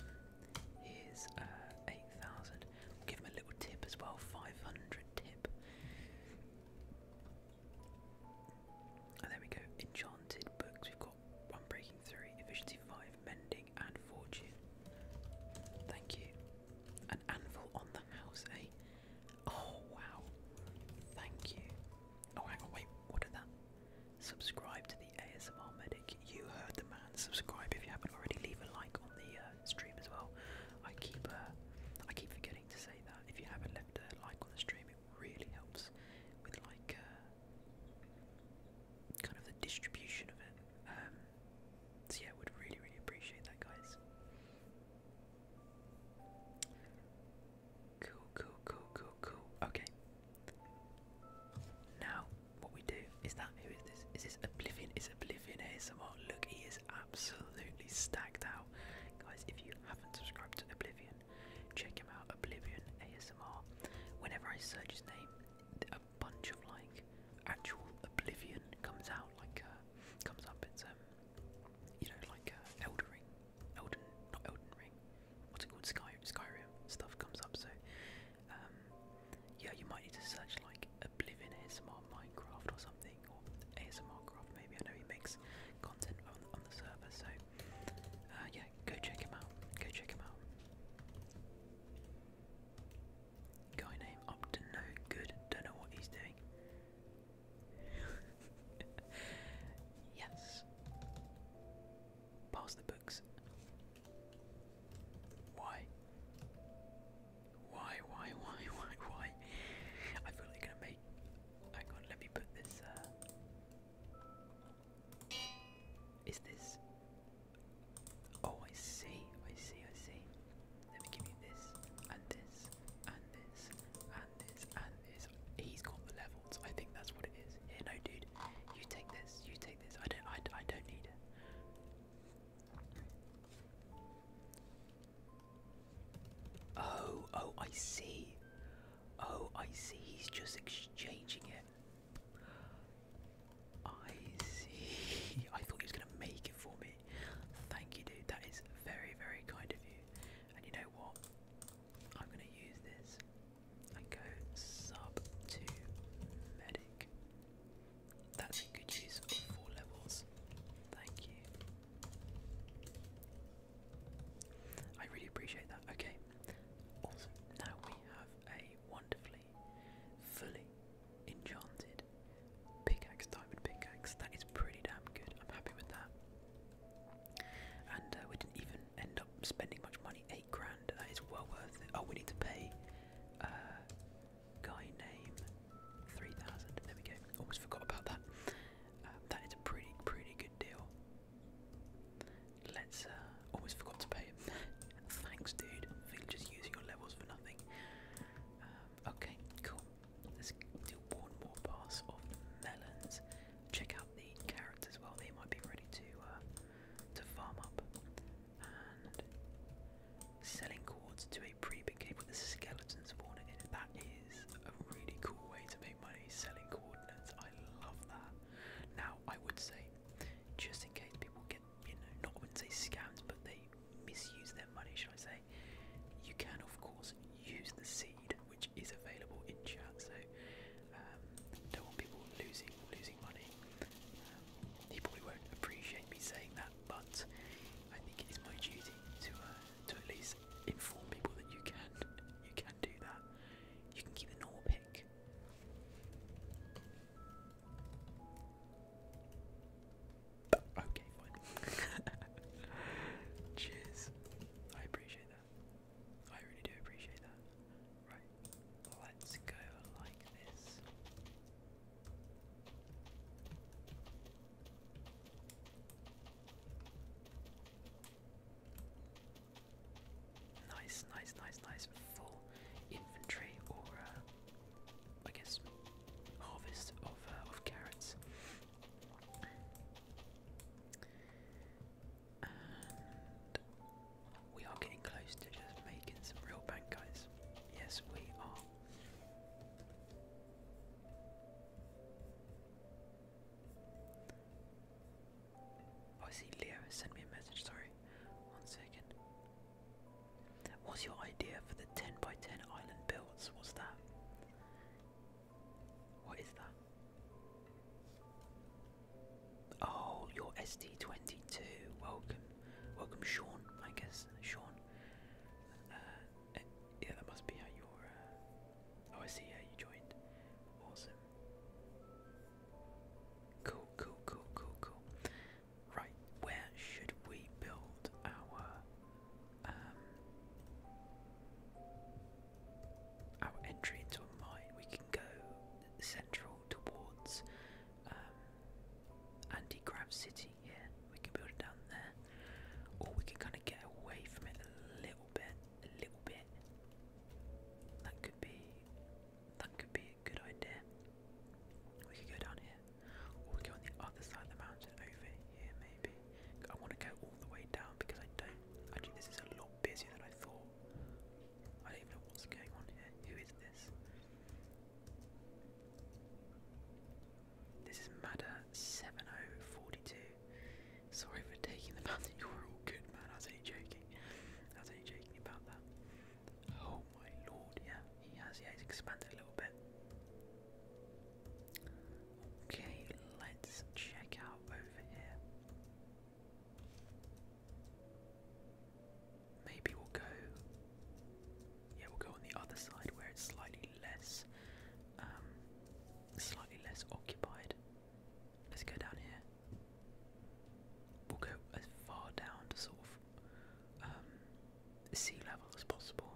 Here's uh, 8,000. give him a little tip as well 500 tip. And there we go. Enchanted books. We've got Unbreaking 3, Efficiency 5, Mending, and Fortune. Thank you. An anvil on the house, eh? Oh, wow. Thank you. Oh, hang on, wait, what did that? Subscribe to the ASMR Medic. You heard the man. Subscribe if you haven't already. Leave a like on the uh, stream as well. I keep uh, I keep forgetting to say that. If you haven't left a like on the stream, really helps with like uh, kind of the distribution of it. Um, so yeah, would really really appreciate that, guys. Cool, cool, cool, cool, cool. Okay. Now, what we do is that who is this? Is this Oblivion? Is Oblivion ASMR? Look, he is absolutely stacked out, guys. If you haven't subscribed to Oblivion. Check him out, Oblivion ASMR. Whenever I search his name, a bunch of like actual Oblivion comes out, like uh, comes up. It's um, you know, like uh, Elden Ring, Elden, not Elden Ring. What's it called? Sky, Skyrim stuff comes up. So, um, yeah, you might need to search like Oblivion ASMR Minecraft or something, or ASMR Craft. Maybe I know he makes content on the server, so uh, yeah, go check him out. Go check him out. Guy named up no good. Don't know what he's doing. yes. Pass the books. Why? Why? Why? Why? Why? Why? I feel like gonna make. Hang on. Let me put this. Uh, is this? Oh, I see, I see, I see. Let me give you this, and this, and this, and this, and this. He's got the levels. I think that's what it is. Here, no, dude. You take this. You take this. I don't. I. I don't need it. Oh, oh, I see. Oh, I see, he's just exchanging it. I see. I thought he was going to make it for me. Thank you, dude. That is very, very kind of you. And you know what? I'm going to use this and go sub to medic. That's a good use of four levels. Thank you. I really appreciate that. Okay, awesome. Now we have a wonderfully, fully enchanted pickaxe, diamond pickaxe. That is pretty damn good. I'm happy with that. And uh, we didn't even end up spending much money. Eight grand. That is well worth it. Oh, we need to pay. Uh, guy name 3000 there we go almost forgot about that uh, that is a pretty pretty good deal Let's, uh, almost forgot to pay him. Thanks, dude, for just using your levels for nothing. Um, okay, cool. Let's do one more pass of melons. Check out the carrots as well. They might be ready to, uh, to farm up. And selling cords to a pre-big cave with a skeleton spawner in it. That is a really cool way to make money selling cords. I love that. Now, I would say, just in case people get, you know, not wouldn't say scams, but they misuse their money, should I say, you can, of course, use the seed, which is available in chat, so um, don't want people losing losing money. Um, he probably won't appreciate me saying that, but I think it is my duty to uh, to at least inform people that you can you can do that. You can keep the normal pick. Okay, fine. Cheers. I appreciate that. I really do appreciate that. Right, let's go like this. Nice, nice, nice, nice. Full inventory or uh, I guess harvest of uh, of carrots. we are getting close to just making some real bank, guys. Yes, we are. Oh, I see Leo has sent me a message, sorry. One second. What's your idea for the 10 by 10 island builds? What's that? What is that? Oh, your SD22. Welcome. Welcome, Sean, I guess. Sean. Uh, eh, yeah, that must be how Oh, I see. Yeah, you joined. Awesome. Cool, cool, cool, cool, cool. Right, where should we build our um our entry into a mine? We can go central towards um Anti-Grav City. Yeah, we can build it down there, or we can kind of get away from it a little bit a little bit. That could be that could be a good idea. We could go down here. we could go on the other side of the mountain over here maybe. I want to go all the way down because I don't actually this is a lot busier than I thought. I don't even know what's going on here. Who is this? This is Madder 7042. Sorry for taking the fact that you were all good, man. I was only joking. I was only joking about that. Oh my lord, yeah, he has. Yeah, expanded a little bit. Okay, let's check out over here. Maybe we'll go. Yeah, we'll go on the other side where it's slightly less, um, slightly less occupied. Let's go down here. We'll go as far down to sort of um, sea level as possible,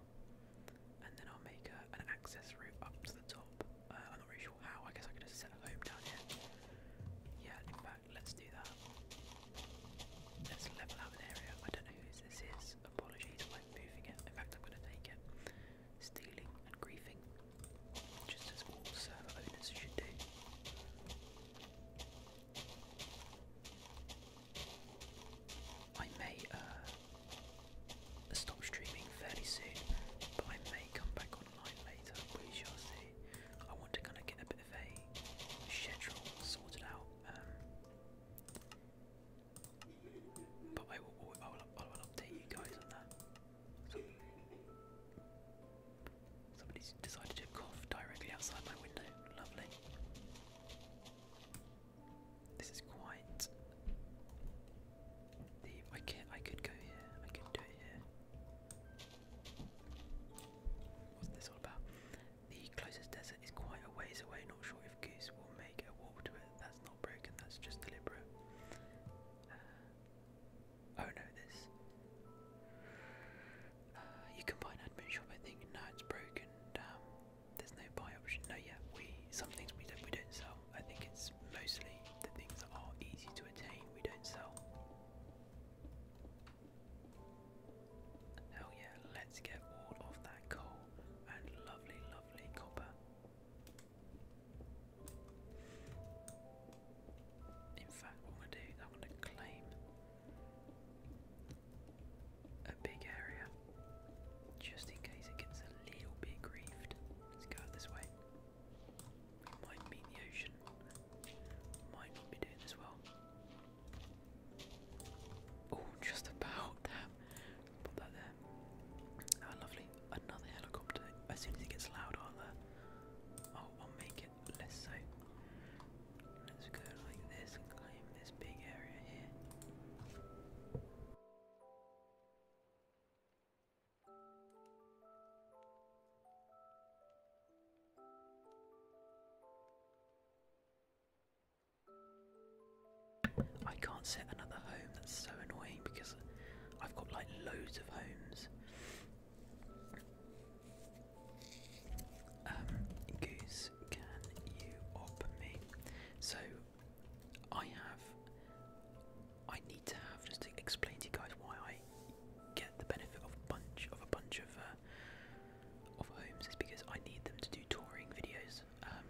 and then I'll make a, an access route up to the top. Uh, I'm not really sure how. I guess I could just set a home down here. Yeah, in fact, let's do that. Let's level out an area. I don't know whose this is. Apologies, I'm moving it. In fact, I'm going to take it. Stealing and griefing just as all server owners should do. I may uh, stop streaming fairly soon, but I may come back online later. We shall see. I want to kind of get a bit of a schedule sorted out. Um, but I will update you guys on that. So, decided to cough directly outside my window. Lovely. This is quite. The I can I could go here. I could do it here. What's this all about? The closest desert is quite a ways away. Not sure if Goose will make a wall to it. That's not broken. That's just deliberate. Oh no, this. Uh, you can buy an admin shop, I think. No, it's broken. there's no buy option. No, yeah, we some things we we don't sell. I think it's mostly the things that are easy to attain. We don't sell. Hell yeah! Let's get all of that coal and lovely, lovely copper. In fact, what I'm going to do, is I'm going to claim a big area just in case it gets a little bit grieved. Let's go out this way. We might in the ocean. Might not be doing this well. Oh, just about. that. Put that there. How ah, lovely. Another helicopter as soon as it gets loud, aren't uh, I'll make it less so. Let's go like this claim this big area here. I can't set another home, that's so annoying because I've got like loads of homes um, Goose, can you op me? So, I have. I need to have just to explain to you guys why I get the benefit of a bunch of a bunch of uh, of homes is because I need them to do touring videos. Um,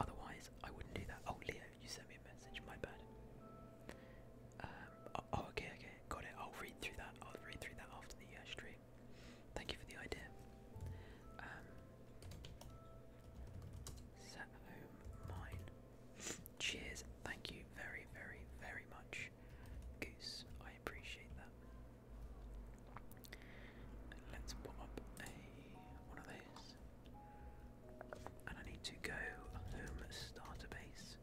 otherwise, I wouldn't do that. Oh, Leo, you sent me a message. My bad. Um, oh, oh, okay, okay, got it. I'll read through that. I'll read through that after the uh, stream. Thank you for the idea. Um, set home mine. Cheers. Thank you very, very, very much, Goose. I appreciate that. Let's pop up a one of those. And I need to go home starter base.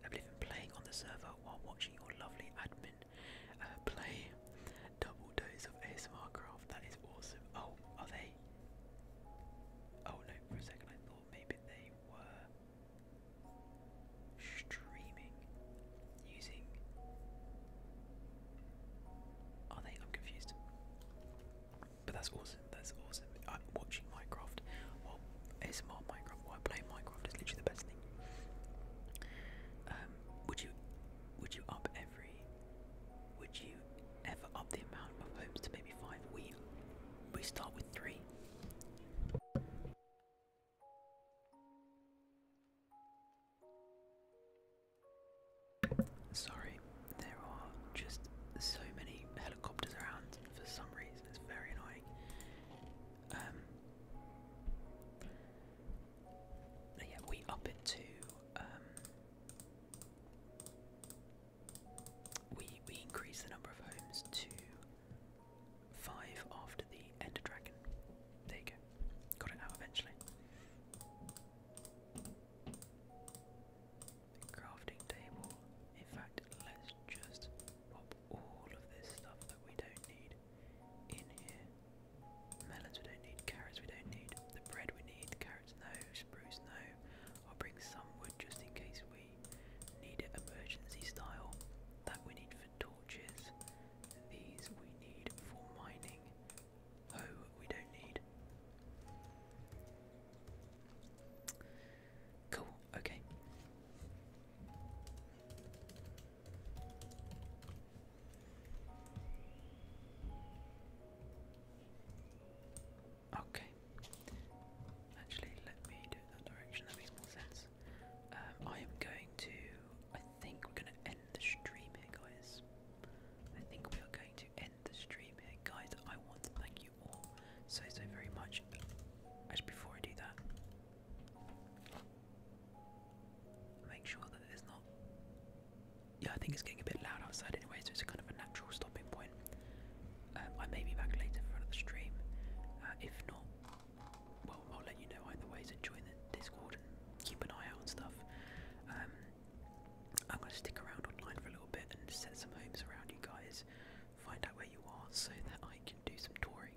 I have been playing on the server while watching your lovely admin uh, play double dose of ASMR craft. That is awesome. Oh, are they? Oh no, for a second I thought maybe they were streaming using. Are they? I'm confused. But that's awesome. That's awesome. I'm watching Minecraft. Well, ASMR Minecraft. While play Minecraft is literally the best thing. Um, would you, would you up every, would you ever up the amount of homes to maybe five? We, we start with three. Sorry, there are just so many helicopters around for some reason, it's very annoying. Um, yeah, we up it to, um, we, we increase the number of homes to five after the Ender Dragon. There you go, got it out eventually crafting table. In fact, let's just pop all of this stuff that we don't need in here. Melons we don't need, carrots we don't need, the bread we need, the carrots no, spruce no. I'll bring some wood just in case we need it emergency style. That we need for torches. These we need for mining. Oh, we don't need. Cool, okay. Okay. Actually, let me do that direction, that makes more sense. Um, I am going to. I think we're going to end the stream here, guys. I think we are going to the stream here, guys. I want to thank you all so so very much. Actually, before I do that, make sure that there's not. Yeah, I think it's getting a bit loud outside anyway, so it's kind of a natural stopping point. Um, I may be back later for another stream. Uh, if not, well, I'll let you know either way. join the Discord and keep an eye out and stuff. Um, I'm going to stick around online for a little bit and set some homes around you guys, find out where you are so that I can do some touring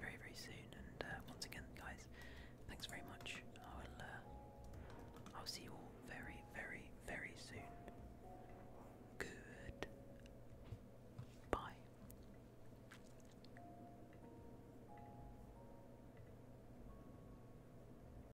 very, very soon. And uh, once again, guys, thanks very much. I'll, uh, I'll see you all very, very, very soon. Good. Bye.